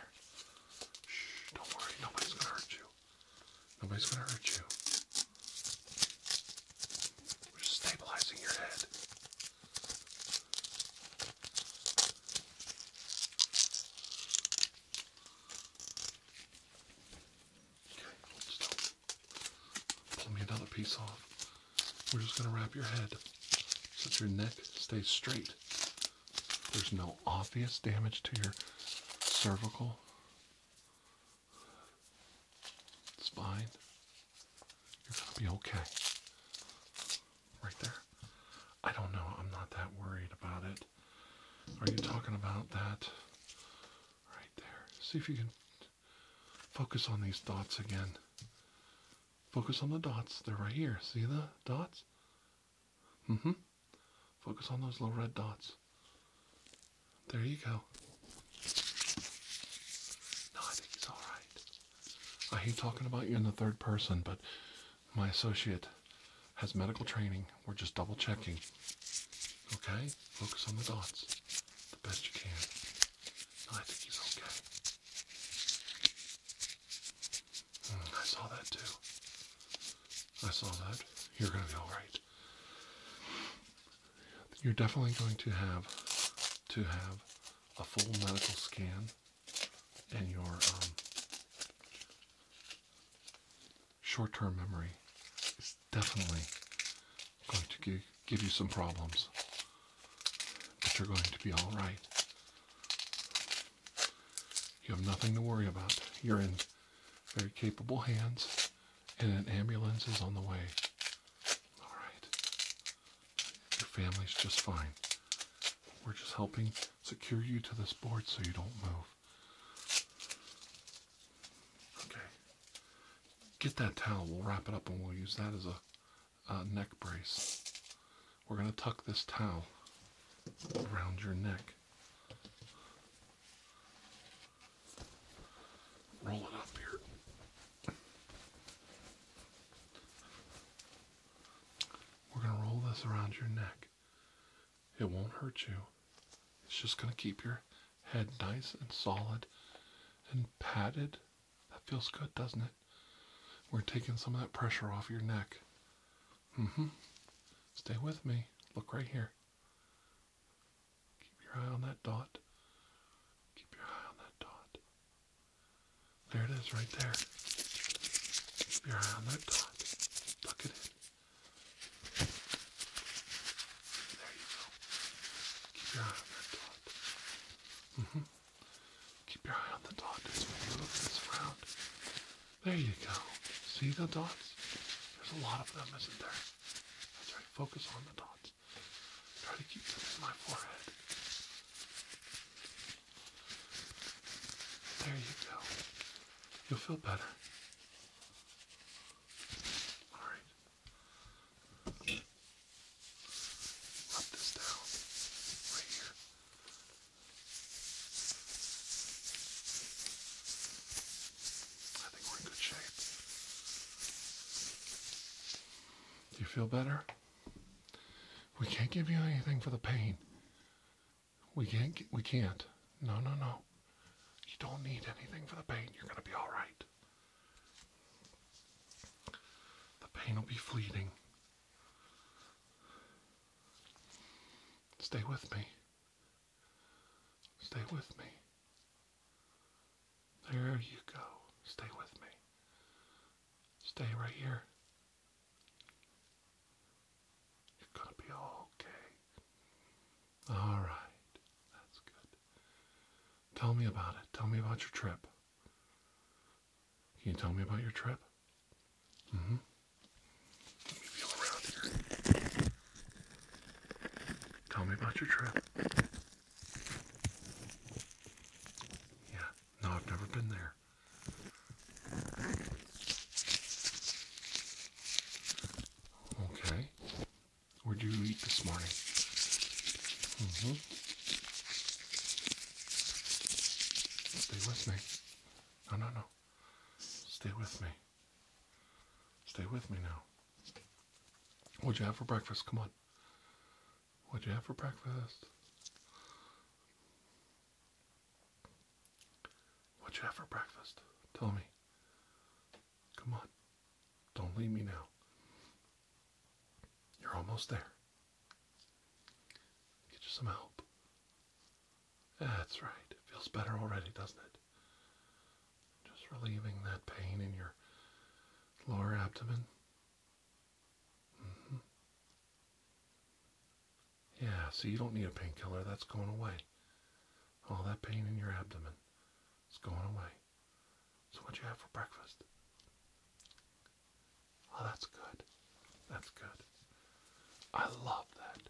Shh, don't worry, nobody's gonna hurt you. Nobody's gonna hurt you. We're just stabilizing your head. Pull me another piece off. We're just going to wrap your head so your neck stays straight. There's no obvious damage to your cervical spine. You're going to be okay right there. I don't know. I'm not that worried about it. Are you talking about that right there? See if you can focus on these dots again. Focus on the dots. They're right here. See the dots? Mm-hmm. Focus on those little red dots. There you go. No, I think he's alright. I hate talking about you in the third person, but my associate has medical training. We're just double checking. Okay? Focus on the dots the best you can. I think he's okay. Hmm, I saw that too. I saw that. You're going to be alright. You're definitely going to have to have a full medical scan and your um, short-term memory is definitely going to give, give you some problems, but you're going to be all right. You have nothing to worry about. You're in very capable hands, and an ambulance is on the way. All right. Your family's just fine. We're just helping secure you to this board so you don't move. Okay. Get that towel. We'll wrap it up and we'll use that as a, a neck brace. We're going to tuck this towel around your neck. Roll it up here. We're going to roll this around your neck. It won't hurt you. It's just going to keep your head nice and solid and padded. That feels good, doesn't it? We're taking some of that pressure off your neck. Mm-hmm. Stay with me. Look right here. Keep your eye on that dot. Keep your eye on that dot. There it is right there. Keep your eye on that dot. Tuck it in. There you go. Keep your eye on that dot. Mm -hmm. Keep your eye on the dot as we move this around. There you go. See the dots? There's a lot of them, isn't there? That's right. Focus on the dots. Try to keep them in my forehead. There you go. You'll feel better. All right. Rub this down I think we're in good shape. Do you feel better? We can't give you anything for the pain. We can't. we can't. No, no, no. You don't need anything for the pain. You're gonna be all right. The pain will be fleeting. Stay with me. Stay with me. There you go. Stay with me. Stay right here. You're gonna be okay. All right, that's good. Tell me about it. Tell me about your trip. Can you tell me about your trip? Mm-hmm. Tell me about your trip. Yeah, no, I've never been there. Okay. Where'd you eat this morning? Mm-hmm. Stay with me. No, no, no. Stay with me. Stay with me now. What'd you have for breakfast? Come on. What'd you have for breakfast? What you have for breakfast? Tell me. Come on. Don't leave me now. You're almost there. Get you some help. That's right. It feels better already, doesn't it? Just relieving that pain in your lower abdomen. Mm -hmm. Yeah, so you don't need a painkiller. That's going away. All that pain in your abdomen is going away. So what you have for breakfast? Oh, that's good. That's good. I love that.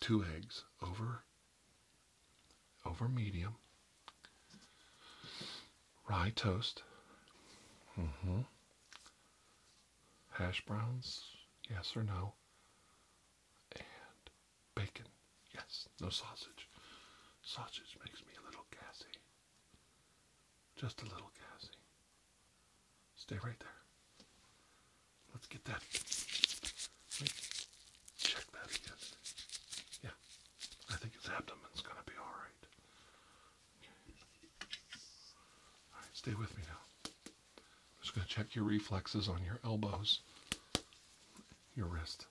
Two eggs over over medium. Rye toast. Mm-hmm hash browns, yes or no, and bacon, yes, no sausage. Sausage makes me a little gassy, just a little gassy. Stay right there. Let's get that. check that again. Yeah, I think his abdomen's gonna be all right. All right, stay with me now. I'm just going to check your reflexes on your elbows, your wrist.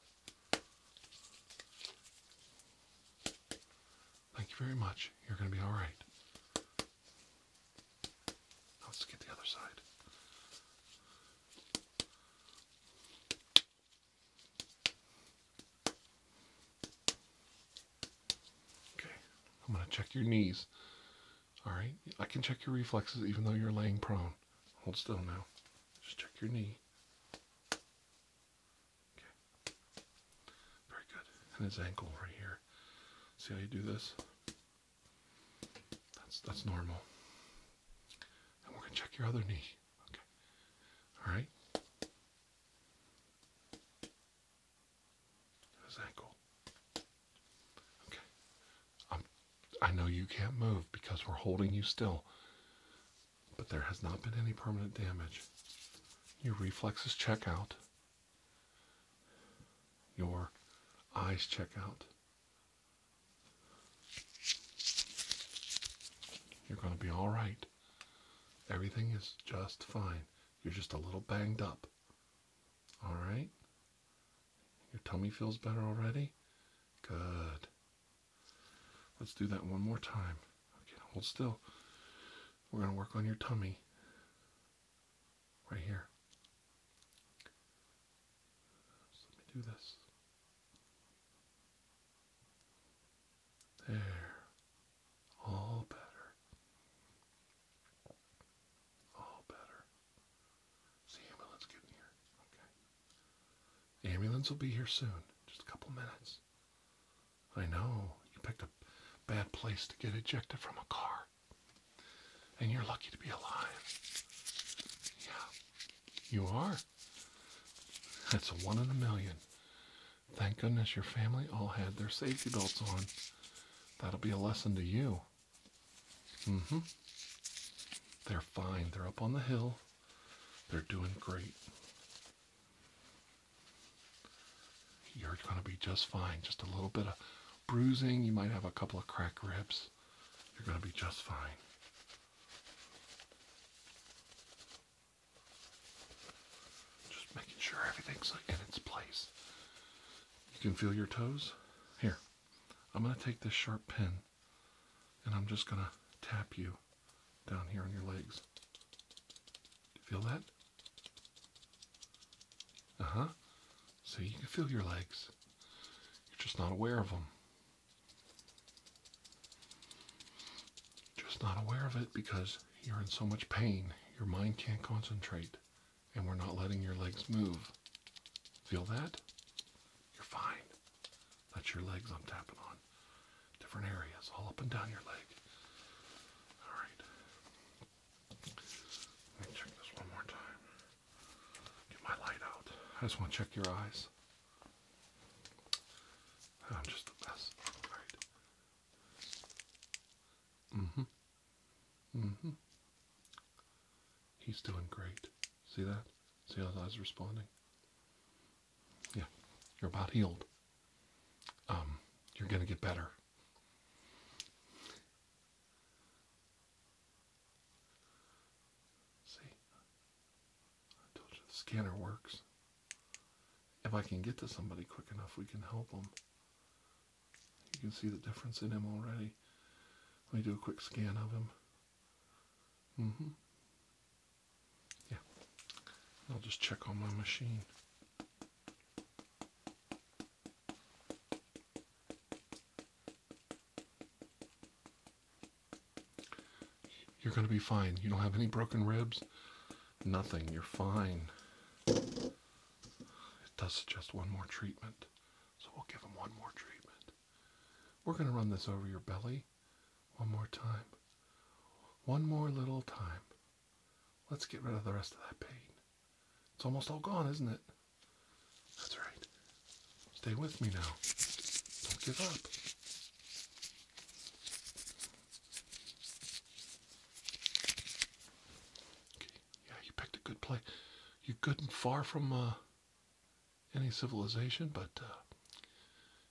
Thank you very much. You're going to be all right. Now let's get the other side. Okay, I'm going to check your knees. All right, I can check your reflexes even though you're laying prone. Hold still now. Just check your knee. Okay. Very good. And his ankle right here. See how you do this? That's that's normal. And we're gonna check your other knee. Okay. All right. Is that Okay. I'm, I know you can't move because we're holding you still, but there has not been any permanent damage. Your reflexes check out. Your eyes check out. You're going to be all right. Everything is just fine. You're just a little banged up. All right. Your tummy feels better already? Good. Let's do that one more time. Okay, hold still. We're going to work on your tummy right here. let me do this. There. All better. All oh, better. the ambulance getting here? Okay. The ambulance will be here soon. Just a couple minutes. I know. You picked a bad place to get ejected from a car. And you're lucky to be alive. Yeah. You are. That's one in a million. Thank goodness your family all had their safety belts on. That'll be a lesson to you hmm. They're fine. They're up on the hill. They're doing great. You're going to be just fine. Just a little bit of bruising. You might have a couple of cracked ribs. You're going to be just fine. Just making sure everything's in its place. You can feel your toes. Here, I'm going to take this sharp pin and I'm just going to tap you down here on your legs. feel that? Uh huh. So you can feel your legs. You're just not aware of them. just not aware of it because you're in so much pain. Your mind can't concentrate and we're not letting your legs move. Feel that? You're fine. That's your legs I'm tapping on. Different areas, all up and down your leg. Alright. Let me check this one more time. Get my light out. I just want to check your eyes. I'm just the best. Alright. Mm-hmm hmm. He's doing great. See that? See how that's responding? Yeah, you're about healed. Um, you're gonna get better. See, I told you the scanner works. If I can get to somebody quick enough, we can help them. You can see the difference in him already. Let me do a quick scan of him. Mm-hmm. Yeah. I'll just check on my machine. You're going to be fine. You don't have any broken ribs. Nothing. You're fine. It does suggest one more treatment. So we'll give them one more treatment. We're going to run this over your belly one more time. One more little time. Let's get rid of the rest of that pain. It's almost all gone, isn't it? That's right. Stay with me now. Don't give up. Okay. Yeah, you picked a good place. You're good and far from uh, any civilization, but uh,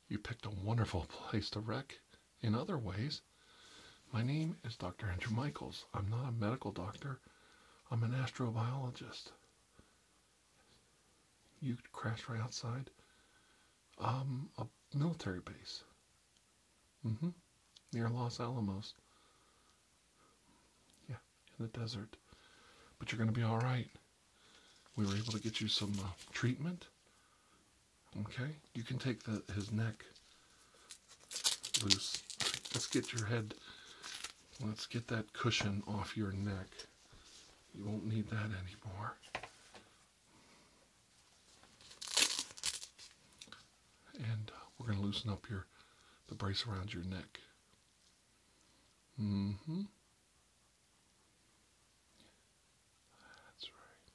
you picked a wonderful *laughs* place to wreck in other ways. My name is Dr. Andrew Michaels. I'm not a medical doctor, I'm an astrobiologist. You crashed right outside um, a military base mm-hmm. near Los Alamos. Yeah, in the desert. But you're going to be all right. We were able to get you some uh, treatment. Okay, you can take his neck loose. Let's get your head, let's get that cushion off your neck. You won't need that anymore and uh, we're going to loosen up your the brace around your neck. Mm-hmm. That's right.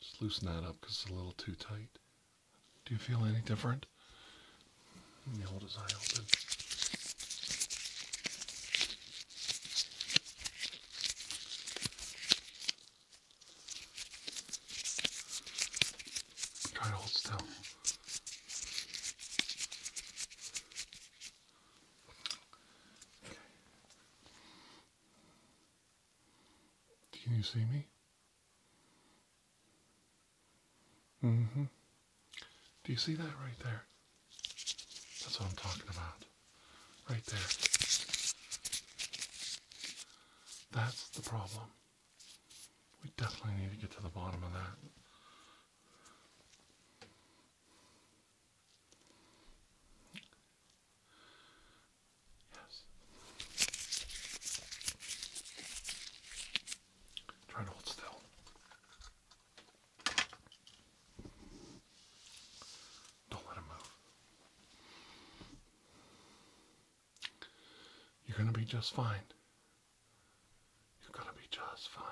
Just loosen that up because it's a little too tight. Do you feel any different? You hold his open. Try to hold still. Can you see me? hmm Do you see that right there? That's what I'm talking about. Right there. That's the problem. We definitely need to get to the bottom of that. Yes. Try to hold still. Don't let him move. You're going to be just fine. You're going to be just fine.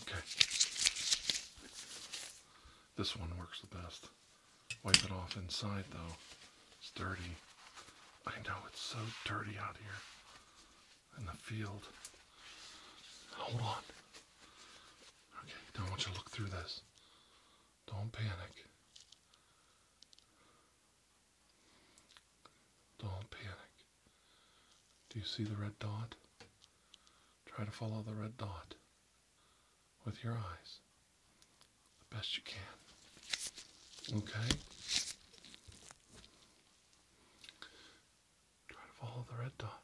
Okay. This one works the best. Wipe it off inside though. It's dirty. I know it's so dirty out here in the field. Hold on. Okay, now I want you to look through this. Don't panic. Don't panic. Do you see the red dot? Try to follow the red dot with your eyes the best you can. Okay? Try to follow the red dot.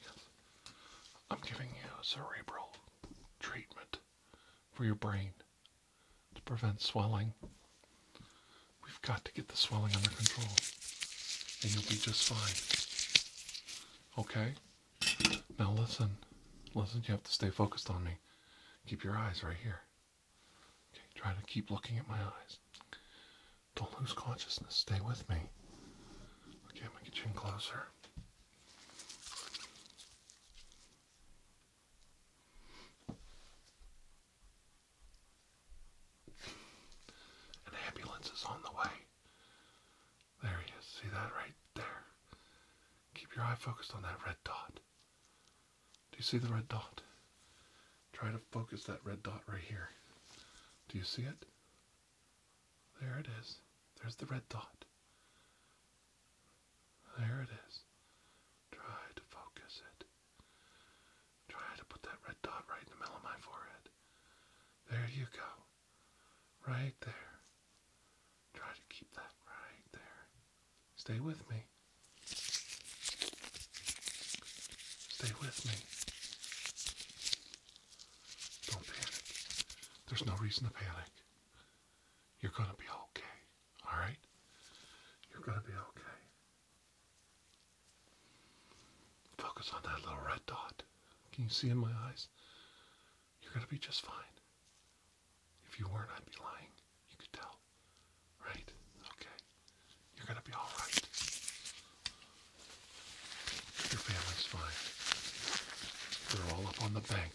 Yes. I'm giving you a cerebral treatment for your brain to prevent swelling. We've got to get the swelling under control, and you'll be just fine. Okay? Now listen. Listen, you have to stay focused on me. Keep your eyes right here. Okay, try to keep looking at my eyes. Don't lose consciousness. Stay with me. Okay, I'm gonna get you in closer. An ambulance is on the way. There he is. See that right there? Keep your eye focused on that red dot. Do you see the red dot? Try to focus that red dot right here. Do you see it? There it is. There's the red dot. There it is. Try to focus it. Try to put that red dot right in the middle of my forehead. There you go. Right there. Try to keep that right there. Stay with me. Stay with me. Don't panic. There's no reason to panic. You're going to be okay. All right? You're going to be okay. Focus on that little red dot. Can you see in my eyes? You're going to be just fine. If you weren't, I'd be lying. You could tell. Right? Okay. You're gonna be alright. Your family's fine. They're all up on the bank.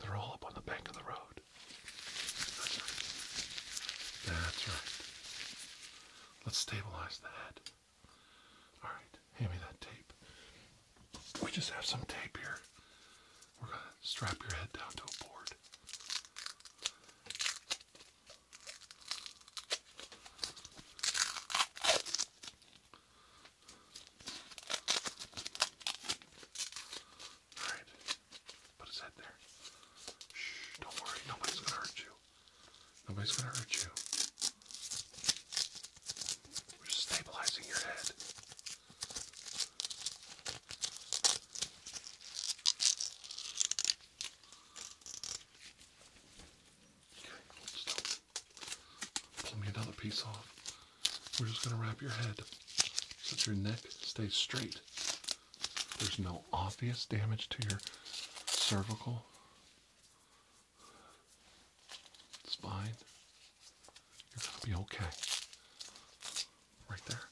They're all up on the bank of the road. That's right. That's right. Let's stabilize the head. Alright, hand me that tape. We just have some tape here we're going to strap your head down to a board. All right, put his head there. Shh, don't worry, nobody's gonna hurt you. Nobody's gonna hurt you. We're stabilizing your head. Pull me another piece off. We're just going to wrap your head so your neck stays straight. There's no obvious damage to your cervical spine. You're gonna be okay. Right there.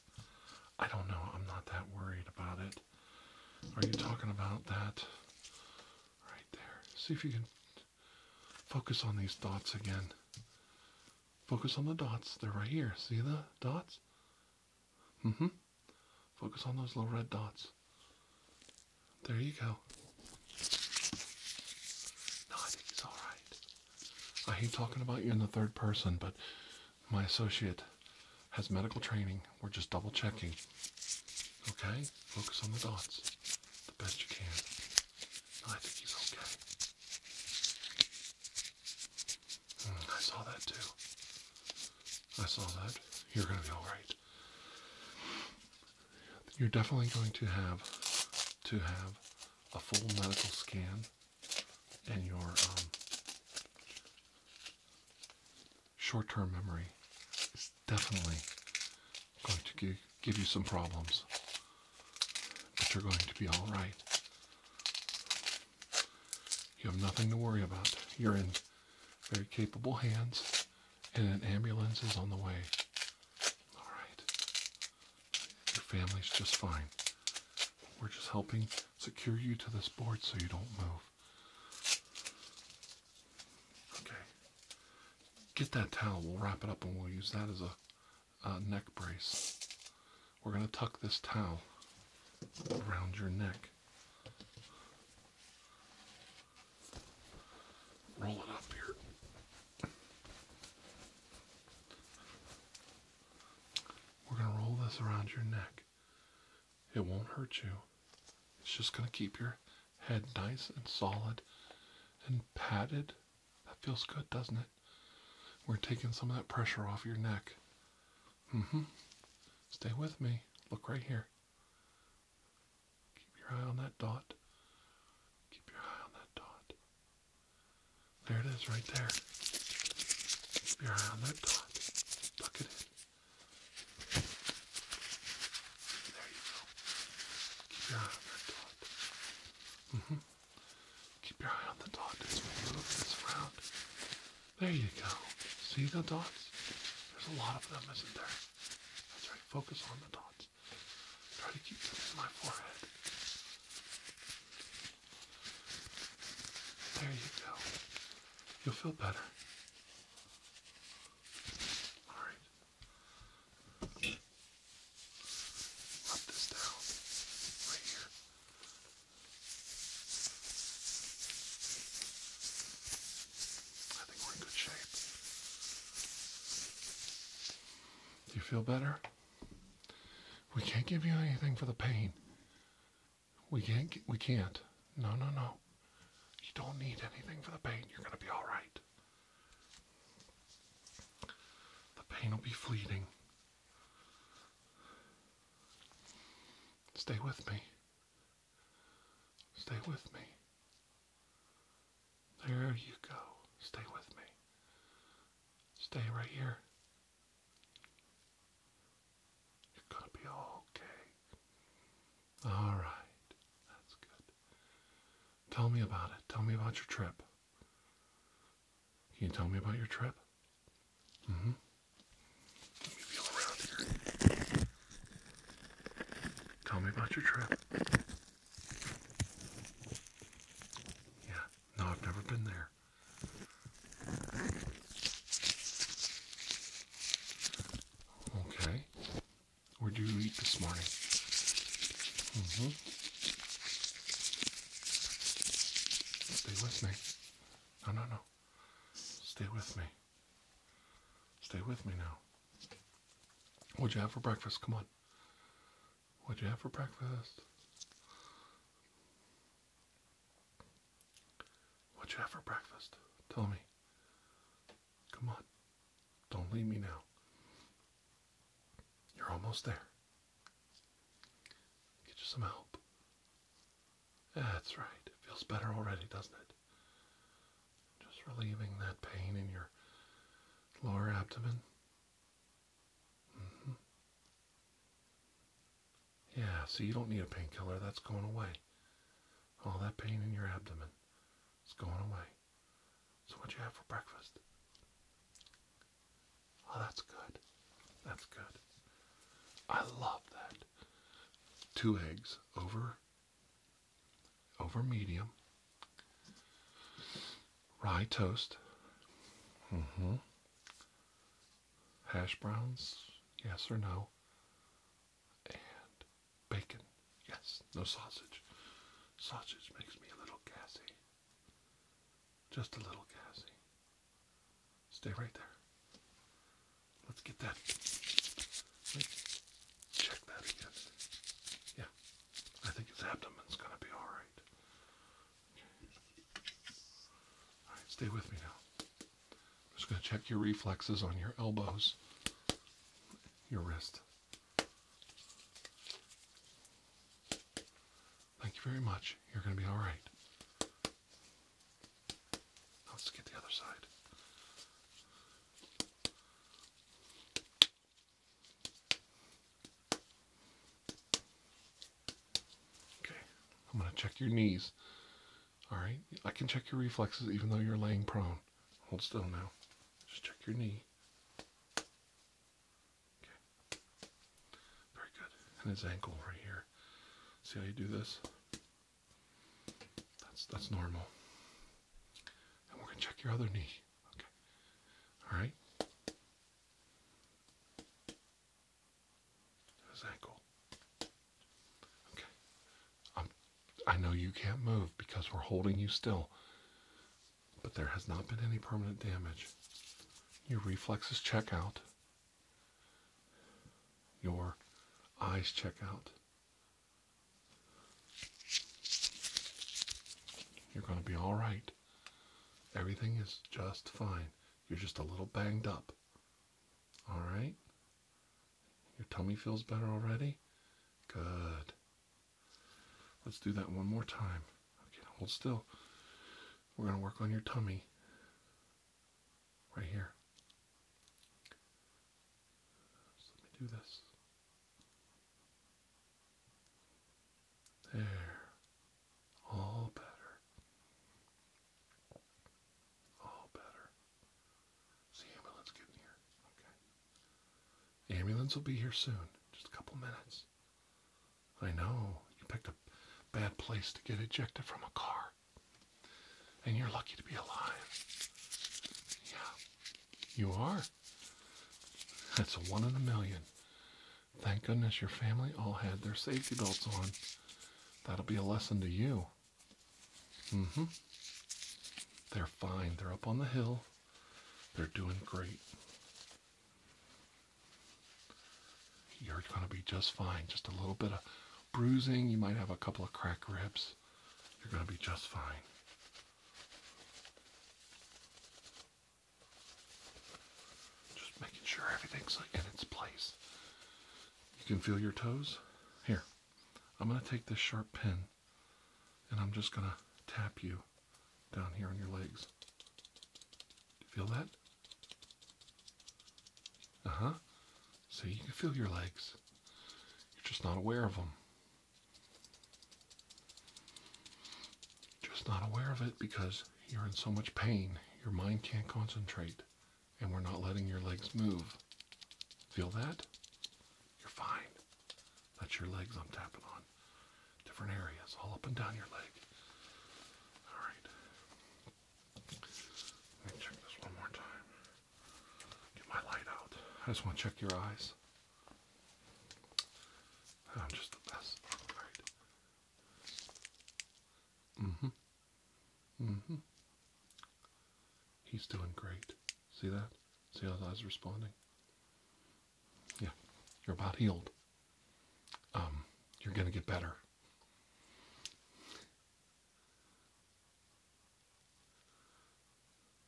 I don't know. I'm not that worried about it. Are you talking about that? Right there. See if you can focus on these dots again. Focus on the dots. They're right here. See the dots? Mm-hmm. Focus on those little red dots. There you go. No, I think he's alright. I hate talking about you in the third person, but my associate has medical training. We're just double checking. Okay? Focus on the dots the best you can. I think he's okay. Hmm, I saw that too. I saw that. You're going to be alright. You're definitely going to have to have a full medical scan and your um, short-term memory is definitely going to give, give you some problems, but you're going to be all right. You have nothing to worry about. You're in very capable hands, and an ambulance is on the way. All right. Your family's just fine. We're just helping secure you to this board so you don't move. Okay. Get that towel. We'll wrap it up and we'll use that as a, a neck brace. We're going to tuck this towel around your neck. Roll it up here. We're going to roll this around your neck. It won't hurt you. It's just going to keep your head nice and solid and padded. That feels good, doesn't it? We're taking some of that pressure off your neck. Mm-hmm. Stay with me. Look right here. Keep your eye on that dot. Keep your eye on that dot. There it is right there. Keep your eye on that dot. Tuck it in. There you go. Keep your eye on that dot. Mm-hmm. Keep your eye on the dot as move this around. There you go. See the dots? There's a lot of them, isn't there? That's right. Focus on the dots. Try to keep them in my forehead. There you go. You'll feel better. All right. Rub this down I think we're in good shape. Do you feel better? We can't give you anything for the pain. We can't. We can't. No, no, no. You don't need anything for the pain. You're going to be all right. The pain will be fleeting. Stay with me. Stay with me. There you go. Stay with me. Stay right here. You're gonna be okay. All right, that's good. Tell me about it. Tell me about your trip. Can you tell me about your trip? Mm-hmm. Tell me about your trip. Yeah, no, I've never been there. Okay. Where do you eat this morning? Mm-hmm. Stay with me. No, no, no. Stay with me. Stay with me now. What'd you have for breakfast? Come on. What'd you have for breakfast? What you have for breakfast? Tell me. Come on. Don't leave me now. You're almost there. Get you some help. That's right. It feels better already, doesn't it? Just relieving that pain in your lower abdomen. Mm-hmm. Yeah, so you don't need a painkiller. That's going away. All that pain in your abdomen is going away. So, what you have for breakfast? Oh, that's good. That's good. I love that. Two eggs over over medium. Rye toast. Mm-hmm hash browns, yes or no, and bacon, yes, no sausage. Sausage makes me a little gassy, just a little gassy. Stay right there. Let's get that. check that again. Yeah, I think his abdomen's gonna be all right stay with me now. I'm just going to check your reflexes on your elbows, your wrist. Thank you very much. You're going to be all right. let's get the other side. Okay, I'm going to check your knees. All right, I can check your reflexes even though you're laying prone. Hold still now. Just check your knee. Okay, very good. And his ankle right here. See how you do this? That's that's normal. And we're gonna check your other knee. Okay. All right. Is that Okay. I'm, I know you can't move because we're holding you still, but there has not been any permanent damage. Your reflexes check out. Your eyes check out. You're going to be all right. Everything is just fine. You're just a little banged up. All right? Your tummy feels better already? Good. Let's do that one more time. Okay, hold still. We're going to work on your tummy right here. let me do this. There. All better. All better. the ambulance getting here? Okay. The ambulance will be here soon. Just a couple minutes. I know. You picked a bad place to get ejected from a car. And you're lucky to be alive. Yeah. You are. That's a one in a million. Thank goodness your family all had their safety belts on. That'll be a lesson to you. Mm hmm. They're fine. They're up on the hill. They're doing great. You're going to be just fine. Just a little bit of bruising. You might have a couple of crack ribs. You're going to be just fine. Just making sure everything's like in its place. You can feel your toes. Here, I'm going to take this sharp pin and I'm just going to tap you down here on your legs. Do you feel that? Uh huh. So you can feel your legs. You're just not aware of them. just not aware of it because you're in so much pain, your mind can't concentrate, and we're not letting your legs move. Feel that? You're fine. That's your legs I'm tapping on. Different areas, all up and down your leg. All right. Let me check this one more time. Get my light out. I just want to check your eyes. I'm just the best. All right. Mm-hmm. Mm-hmm. He's doing great. See that? See how his eyes responding? Yeah. You're about healed. Um, you're gonna get better.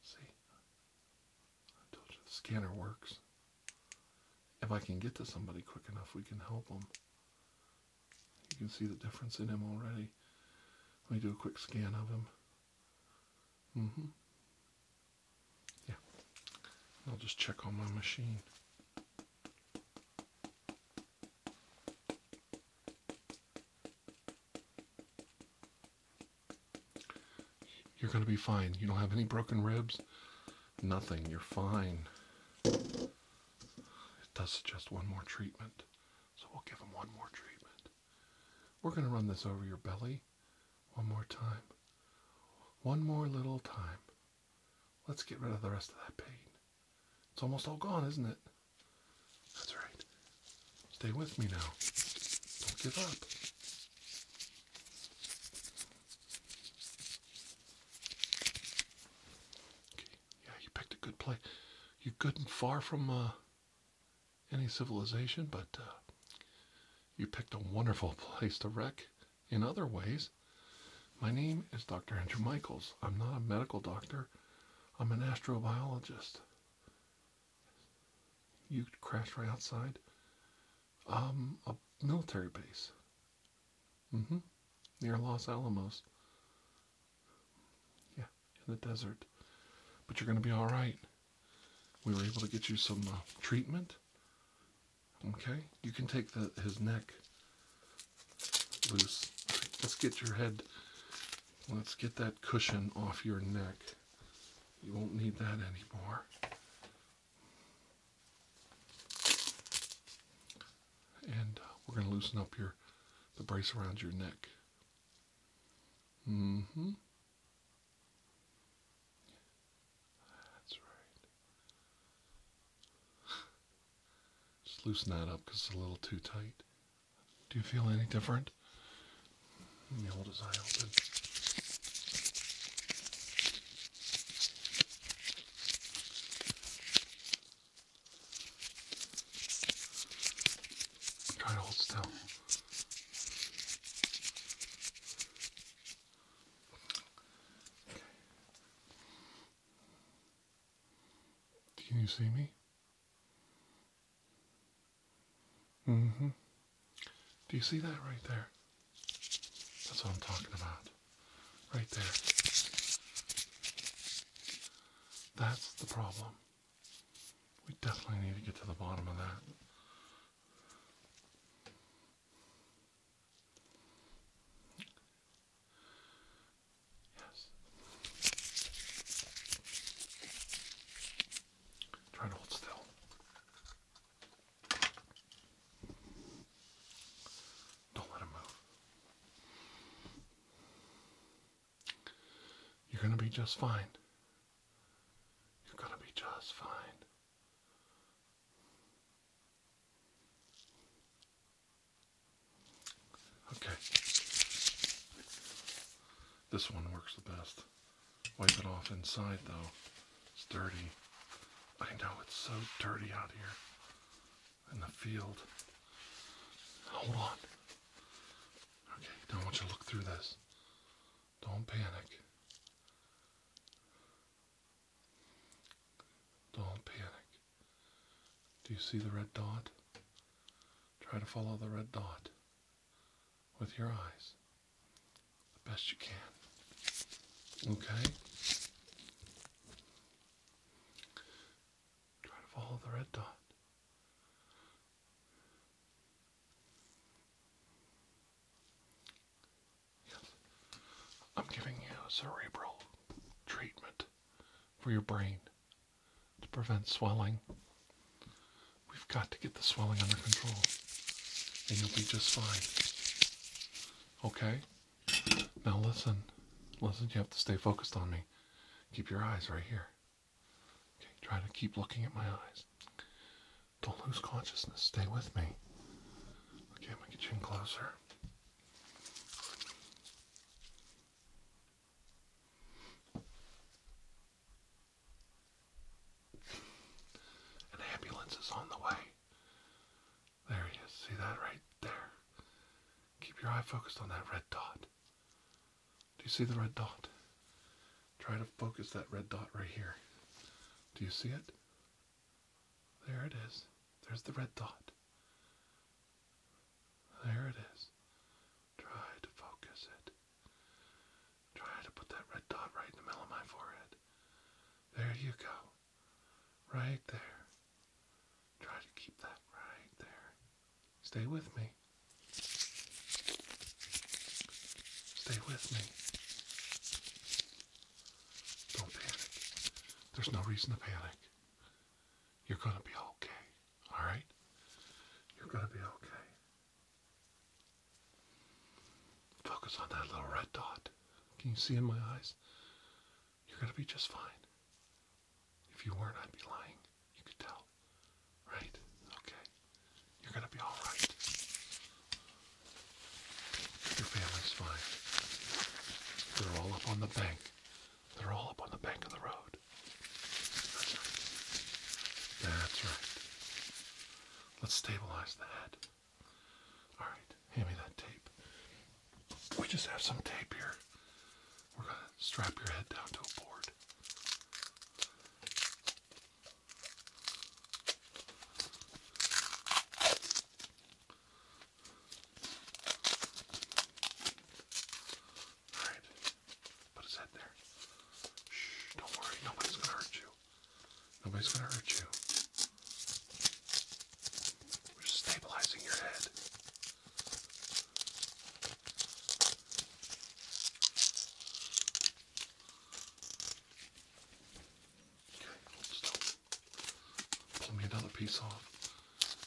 See? I told you the scanner works. If I can get to somebody quick enough, we can help them. You can see the difference in him already. Let me do a quick scan of him. Mm-hmm. Yeah. I'll just check on my machine. You're going to be fine. You don't have any broken ribs. Nothing. You're fine. It does suggest one more treatment, so we'll give him one more treatment. We're going to run this over your belly one more time. One more little time. Let's get rid of the rest of that pain. It's almost all gone, isn't it? That's right. Stay with me now. Don't give up. Yeah, you picked a good place. You're good and far from uh, any civilization, but uh, you picked a wonderful *laughs* place to wreck in other ways. My name is Dr. Andrew Michaels. I'm not a medical doctor, I'm an astrobiologist. You crashed right outside a military base Mm-hmm. Near Los Alamos. Yeah, in the desert. But you're going to be all right. We were able to get you some uh, treatment. Okay, you can take the, his neck loose. Let's get your head, let's get that cushion off your neck. You won't need that anymore. And uh, we're going to loosen up your the brace around your neck. Mm-hmm. That's right. *laughs* Just loosen that up because it's a little too tight. Do you feel any different? Let me hold his eye open. Try to hold still. Can you see me? hmm Do you see that right there? That's what I'm talking about. Right there. That's the problem. We definitely need to get to the bottom of that. Yes. Try to hold still. Don't let him move. You're going to be just fine. You're going to be just fine. Okay. This one works the best. Wipe it off inside though. It's dirty. I know it's so dirty out here in the field. Hold on. Okay, now I want you to look through this. Don't panic. Don't panic. Do you see the red dot? Try to follow the red dot with your eyes the best you can. Okay? Try to follow the red dot. Yes. I'm giving you a cerebral treatment for your brain to prevent swelling. We've got to get the swelling under control, and you'll be just fine. Okay? Now listen. Listen, you have to stay focused on me. Keep your eyes right here. Okay, try to keep looking at my eyes. Don't lose consciousness. Stay with me. Okay, I'm gonna get you in closer. An ambulance is on the way. There he is. See that right there? Keep your eye focused on that red dot. Do you see the red dot? Try to focus that red dot right here. Do you see it? There it is. There's the red dot. There it is. Try to focus it. Try to put that red dot right in the middle of my forehead. There you go. Right there. Try to keep that right there. Stay with me. Stay with me. Don't panic. There's no reason to panic. You're going to be okay. All right? You're going to be okay. Focus on that little red dot. Can you see in my eyes? You're gonna be just fine. If you weren't, I'd be lying. You could tell. Right? Okay. You're gonna be alright. Your family's fine. They're all up on the bank. They're all up on the bank of the road. That's right. That's right. Let's stabilize that. Alright, hand me that tape. We just have some tape here. We're going to strap your head down to a board. Alright, put his head there. Shh, don't worry, nobody's gonna hurt you. Nobody's gonna hurt you. We're stabilizing your head. Pull me another piece off.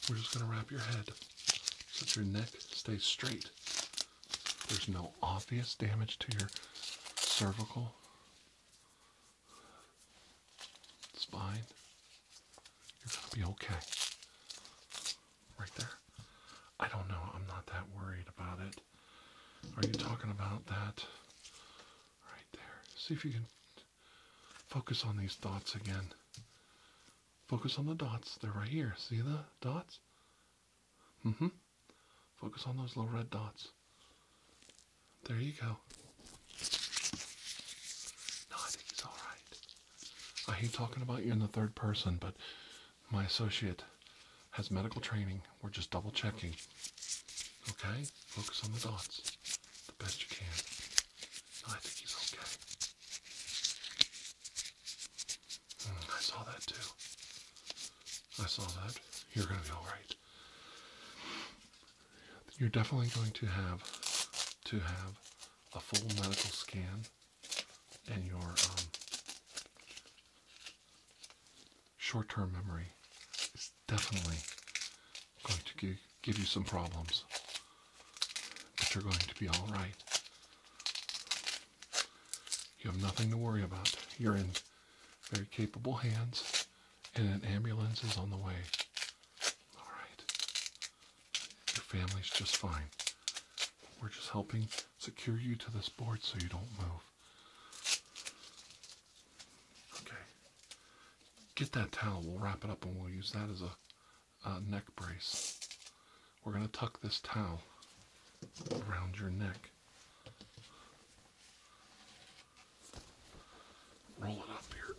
We're just going to wrap your head so that your neck stays straight. There's no obvious damage to your cervical it's fine. You're gonna be okay. Right there. I don't know. I'm not that worried about it. Are you talking about that? Right there. See if you can focus on these dots again. Focus on the dots. They're right here. See the dots? Mm-hmm. Focus on those little red dots. There you go. No, I think he's all right. I hate talking about you in the third person, but my associate has medical training. We're just double checking. Okay? Focus on the dots the best you can. I think he's okay. Hmm, I saw that too. I saw that. You're going to be all right you're definitely going to have to have a full medical scan and your um, short-term memory is definitely going to give, give you some problems but you're going to be all right you have nothing to worry about you're in very capable hands and an ambulance is on the way all right your family's just fine. We're just helping secure you to this board so you don't move. Okay. Get that towel. We'll wrap it up and we'll use that as a, neck brace. We're going to tuck this towel around your neck. Roll it up here.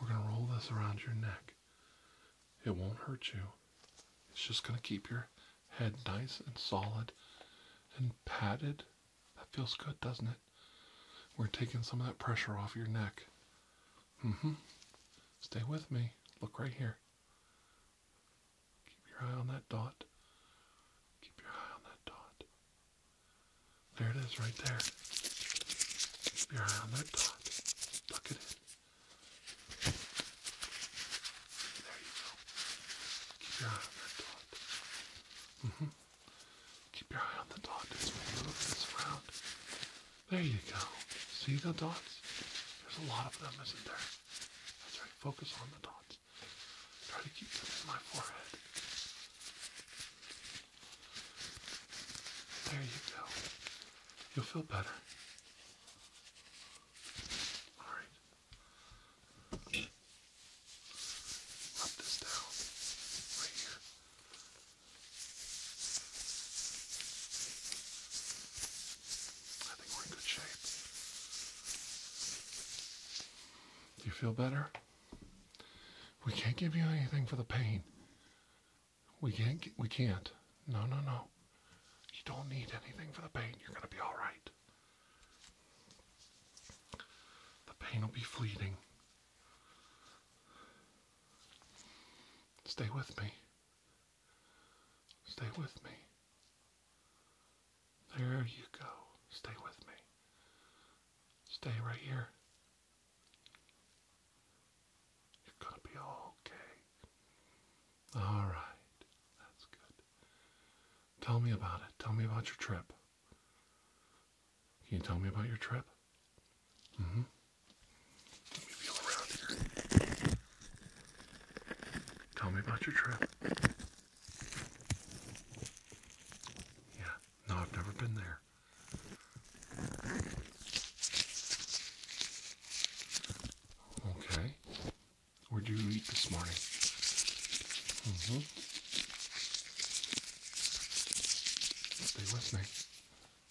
We're going to roll this around your neck. It won't hurt you. It's just going to keep your head nice and solid and padded. That feels good, doesn't it? We're taking some of that pressure off your neck. Mm-hmm. Stay with me. Look right here. Keep your eye on that dot. Keep your eye on that dot. There it is right there. Keep your eye on that dot. Look at it. There you go. Keep your eye on that dot. Mm -hmm. Keep your eye on the dot as move this around. There you go. See the dots? There's a lot of them, isn't there? That's right. Focus on the dots. Try to keep them in my forehead. There you go. You'll feel better. Alright. Rub this down I think we're in good shape. Do you feel better? We can't give you anything for the pain. We can't. we can't. No, no, no. You don't need anything for the pain. You're gonna be all right. The pain will be fleeting. Stay with me. Stay with me. There you go. Stay with me. Stay right here. You're gonna be okay. Alright. That's good. Tell me about it. Tell me about your trip. Can you tell me about your trip? Mm-hmm. Let me feel around here. Tell me about your trip. Yeah, no, I've never been there. Okay. Where'd you eat this morning? Mm -hmm. Stay with me.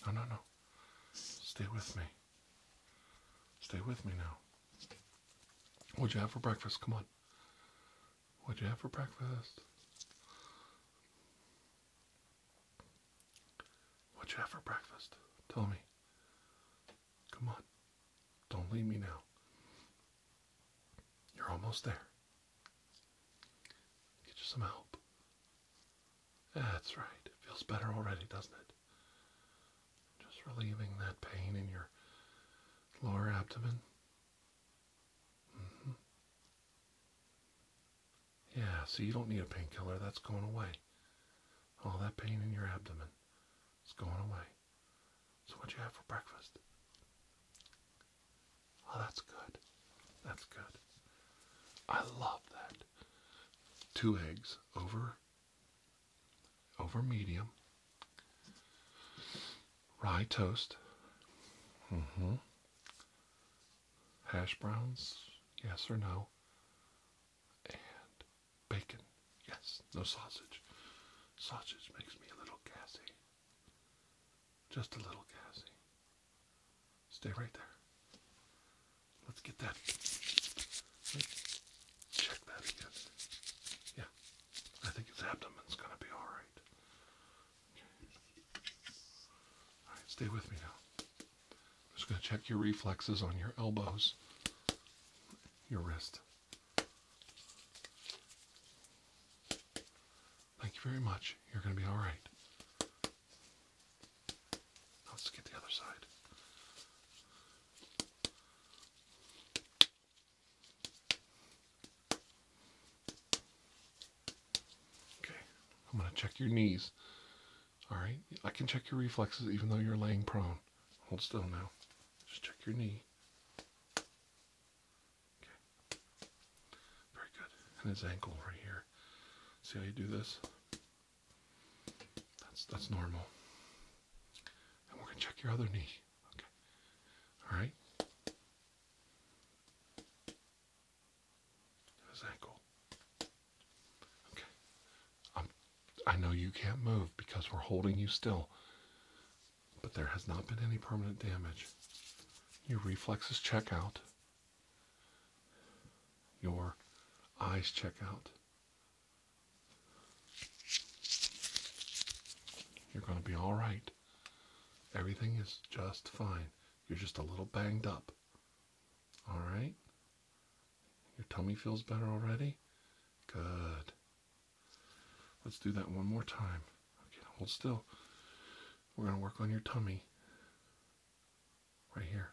No, no, no. Stay with me. Stay with me now. What'd you have for breakfast? Come on. What'd you have for breakfast? What'd you have for breakfast? Tell me. Come on. Don't leave me now. You're almost there. Get you some help. That's right. It feels better already, doesn't it? Just relieving that pain in your lower abdomen. Mm-hmm. Yeah, so you don't need a painkiller. That's going away. All that pain in your abdomen is going away. So, what you have for breakfast? Oh, that's good. That's good. I love that. Two eggs over over medium Rye toast. Mm-hmm. Hash browns, yes or no. And bacon, yes, no sausage. Sausage makes me a little gassy. Just a little gassy. Stay right there. Let's get that. check that again. Yeah, I think his abdomen's gonna be alright stay with me now. I'm just going to check your reflexes on your elbows, your wrist. Thank you very much. You're going to be all right. let's get the other side. Okay, I'm going to check your knees. All right, I can check your reflexes even though you're laying prone. Hold still now. Just check your knee. Okay, very good. And his ankle right here. See how you do this? That's that's normal. And we're gonna check your other knee. Okay. All right. Is that Okay. I'm, I know you can't move because we're holding you still, but there has not been any permanent damage. Your reflexes check out. Your eyes check out. You're going to be all right. Everything is just fine. You're just a little banged up. All right? Your tummy feels better already? Good. Let's do that one more time. Okay, hold still. We're going to work on your tummy right here.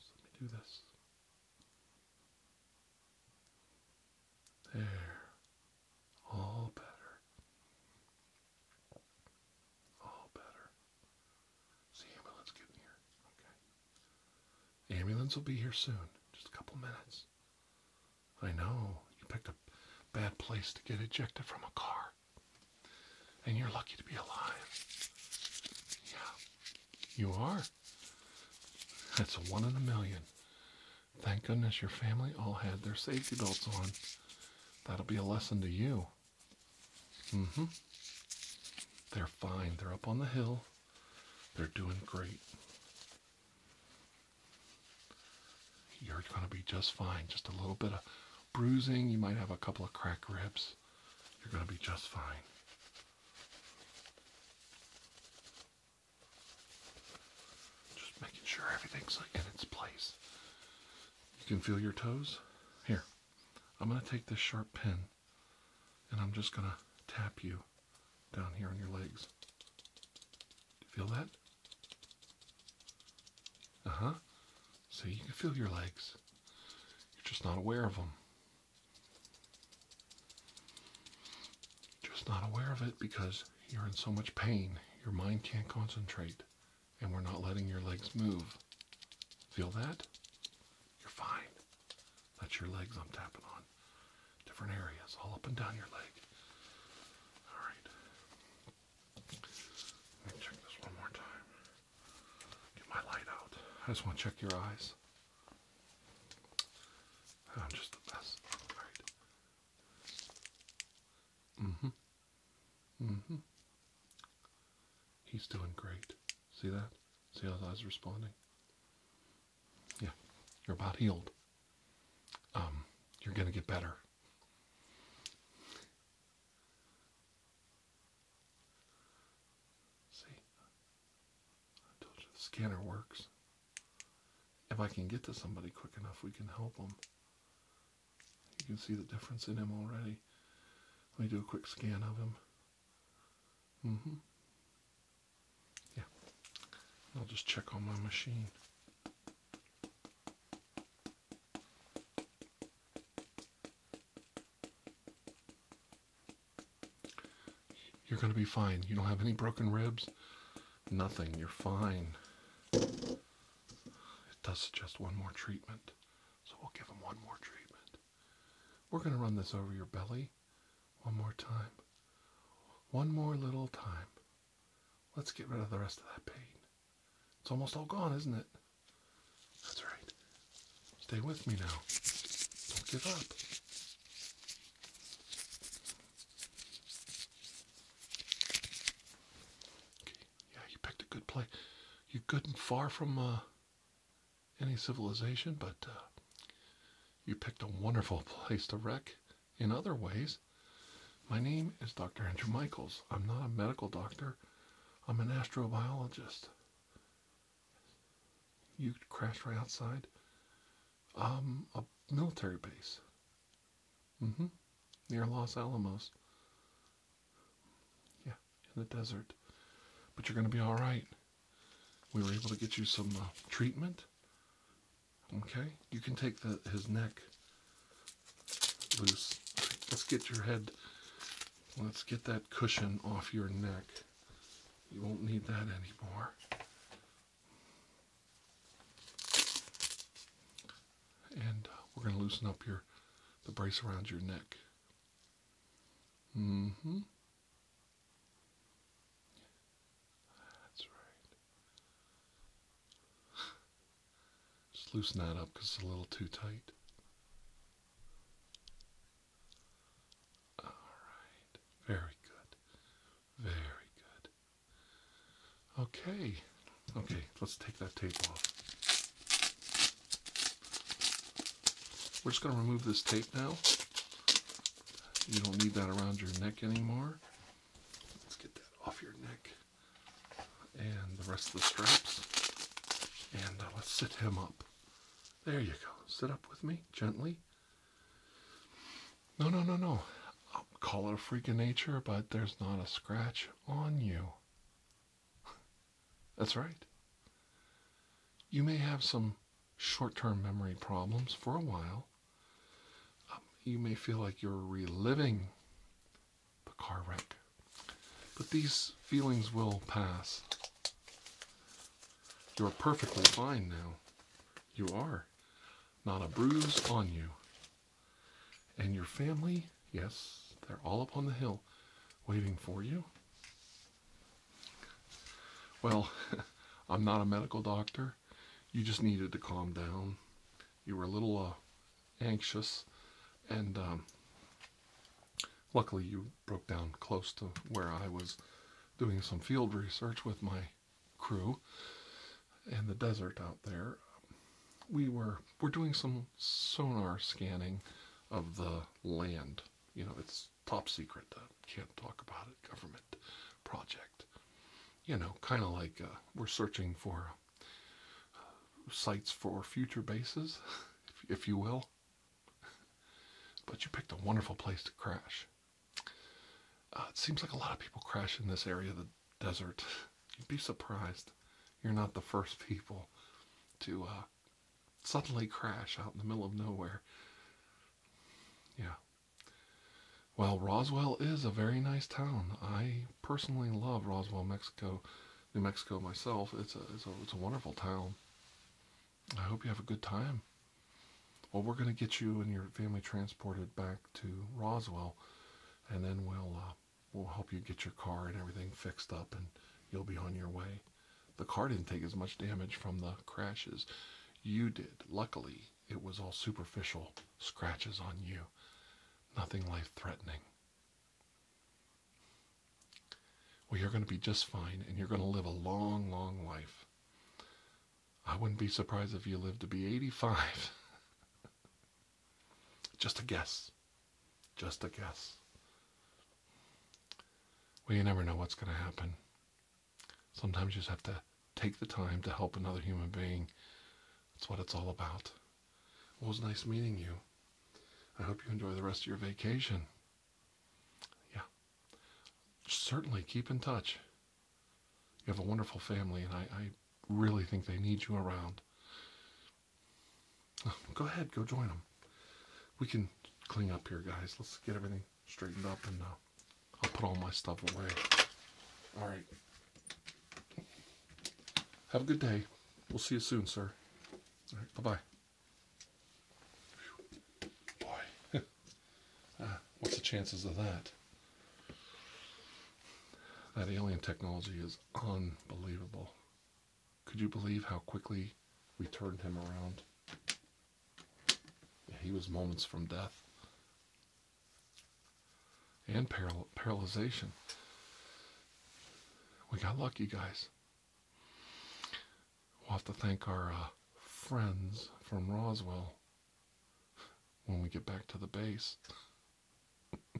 let me do this. There. All better. All better. Is the ambulance here? Okay. ambulance will be here soon. Just a couple minutes. I know. You picked a bad place to get ejected from a car. And you're lucky to be alive. Yeah. You are. That's one in a million. Thank goodness your family all had their safety belts on. That'll be a lesson to you. Mm-hmm. They're fine. They're up on the hill. They're doing great. You're going to be just fine. Just a little bit of bruising. You might have a couple of cracked ribs. You're going to be just fine. Just making sure everything's in its place. You can feel your toes. Here, I'm going to take this sharp pin and I'm just going to tap you down here on your legs. feel that? Uh huh. So you can feel your legs. You're just not aware of them just not aware of it because you're in so much pain, your mind can't concentrate, and we're not letting your legs move. Feel that? You're fine. That's your legs I'm tapping on. Different areas, all up and down your leg. Alright. Let me check this one more time. Get my light out. I just want to check your eyes. I'm just the best. Alright hmm hmm He's doing great. See that? See how his eyes responding? Yeah. You're about healed. Um, you're gonna get better. See? I told you the scanner works. If I can get to somebody quick enough, we can help them. You can see the difference in him already. Let me do a quick scan of him. hmm Yeah. I'll just check on my machine. You're going to be fine. You don't have any broken ribs. Nothing. You're fine. It does suggest one more treatment. So we'll give him one more treatment. We're going to run this over your belly one more time. One more little time. Let's get rid of the rest of that pain. It's almost all gone, isn't it? That's right. Stay with me now. Don't give up. Yeah, you picked a good place. You're good and far from uh, any civilization, but uh, you picked a wonderful *laughs* place to wreck in other ways. My name is Dr. Andrew Michaels. I'm not a medical doctor, I'm an astrobiologist. You crashed right outside um, a military base hmm near los alamos yeah in the desert but you're gonna be all right we were able to get you some uh, treatment okay you can take the his neck loose let's get your head let's get that cushion off your neck you won't need that anymore and uh, we're going to loosen up your the brace around your neck. Mm-hmm. That's right. Just loosen that up because it's a little too tight. All right. Very good. Very good. Okay. Okay, let's take that tape off. We're just going to remove this tape now. You don't need that around your neck anymore. Let's get that off your neck and the rest of the straps. And uh, let's sit him up. There you go. Sit up with me gently. No, no, no, no. I'll call it a freak of nature, but there's not a scratch on you. *laughs* That's right. You may have some short term memory problems for a while. Um, you may feel like you're reliving the car wreck, but these feelings will pass. You're perfectly fine now. You are not a bruise on you. And your family, yes, they're all up on the hill waiting for you. Well, *laughs* I'm not a medical doctor. You just needed to calm down. You were a little uh, anxious, and um, luckily you broke down close to where I was doing some field research with my crew and the desert out there, we were we're doing some sonar scanning of the land. You know, it's top secret. can't talk about it. Government project. You know, kind of like uh, we're searching for uh, sites for future bases, *laughs* if you will. *laughs* but you picked a wonderful place to crash. Uh, it seems like a lot of people crash in this area of the desert. *laughs* You'd be surprised. You're not the first people to uh, suddenly crash out in the middle of nowhere. Yeah. Well, Roswell is a very nice town. I personally love Roswell, Mexico, New Mexico myself. it's a, it's a wonderful town. I hope you have a good time. Well, we're going to get you and your family transported back to Roswell, and then we'll uh, we'll help you get your car and everything fixed up, and you'll be on your way. The car didn't take as much damage from the crashes. You did. Luckily, it was all superficial scratches on you, nothing life threatening. Well, you're going to be just fine, and you're going to live a long, long life. I wouldn't be surprised if you lived to be 85. *laughs* Just a guess. Just a guess. Well, you never know what's going to happen. Sometimes you just have to take the time to help another human being. That's what it's all about. Well, it was nice meeting you. I hope you enjoy the rest of your vacation. Yeah. Certainly keep in touch. You have a wonderful family, and I, really think they need you around. Oh, go ahead, go join them. We can clean up here, guys. Let's get everything straightened up, and uh, I'll put all my stuff away. All right. Have a good day. We'll see you soon, sir. right, bye-bye. Boy, *laughs* Ah, what's the chances of that? That alien technology is unbelievable. Could you believe how quickly we turned him around? he was moments from death and paral We got lucky, guys. We'll have to thank our uh, friends from Roswell when we get back to the base. *laughs*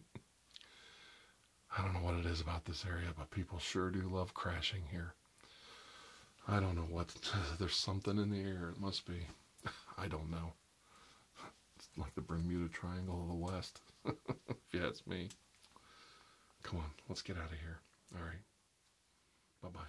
I don't know what it is about this area, but people sure do love crashing here. I don't know what, *laughs* there's something in the air, it must be. *laughs* I don't know. like the Bermuda Triangle of the West, if you ask me. Come on, let's get out of here. All right. Bye-bye.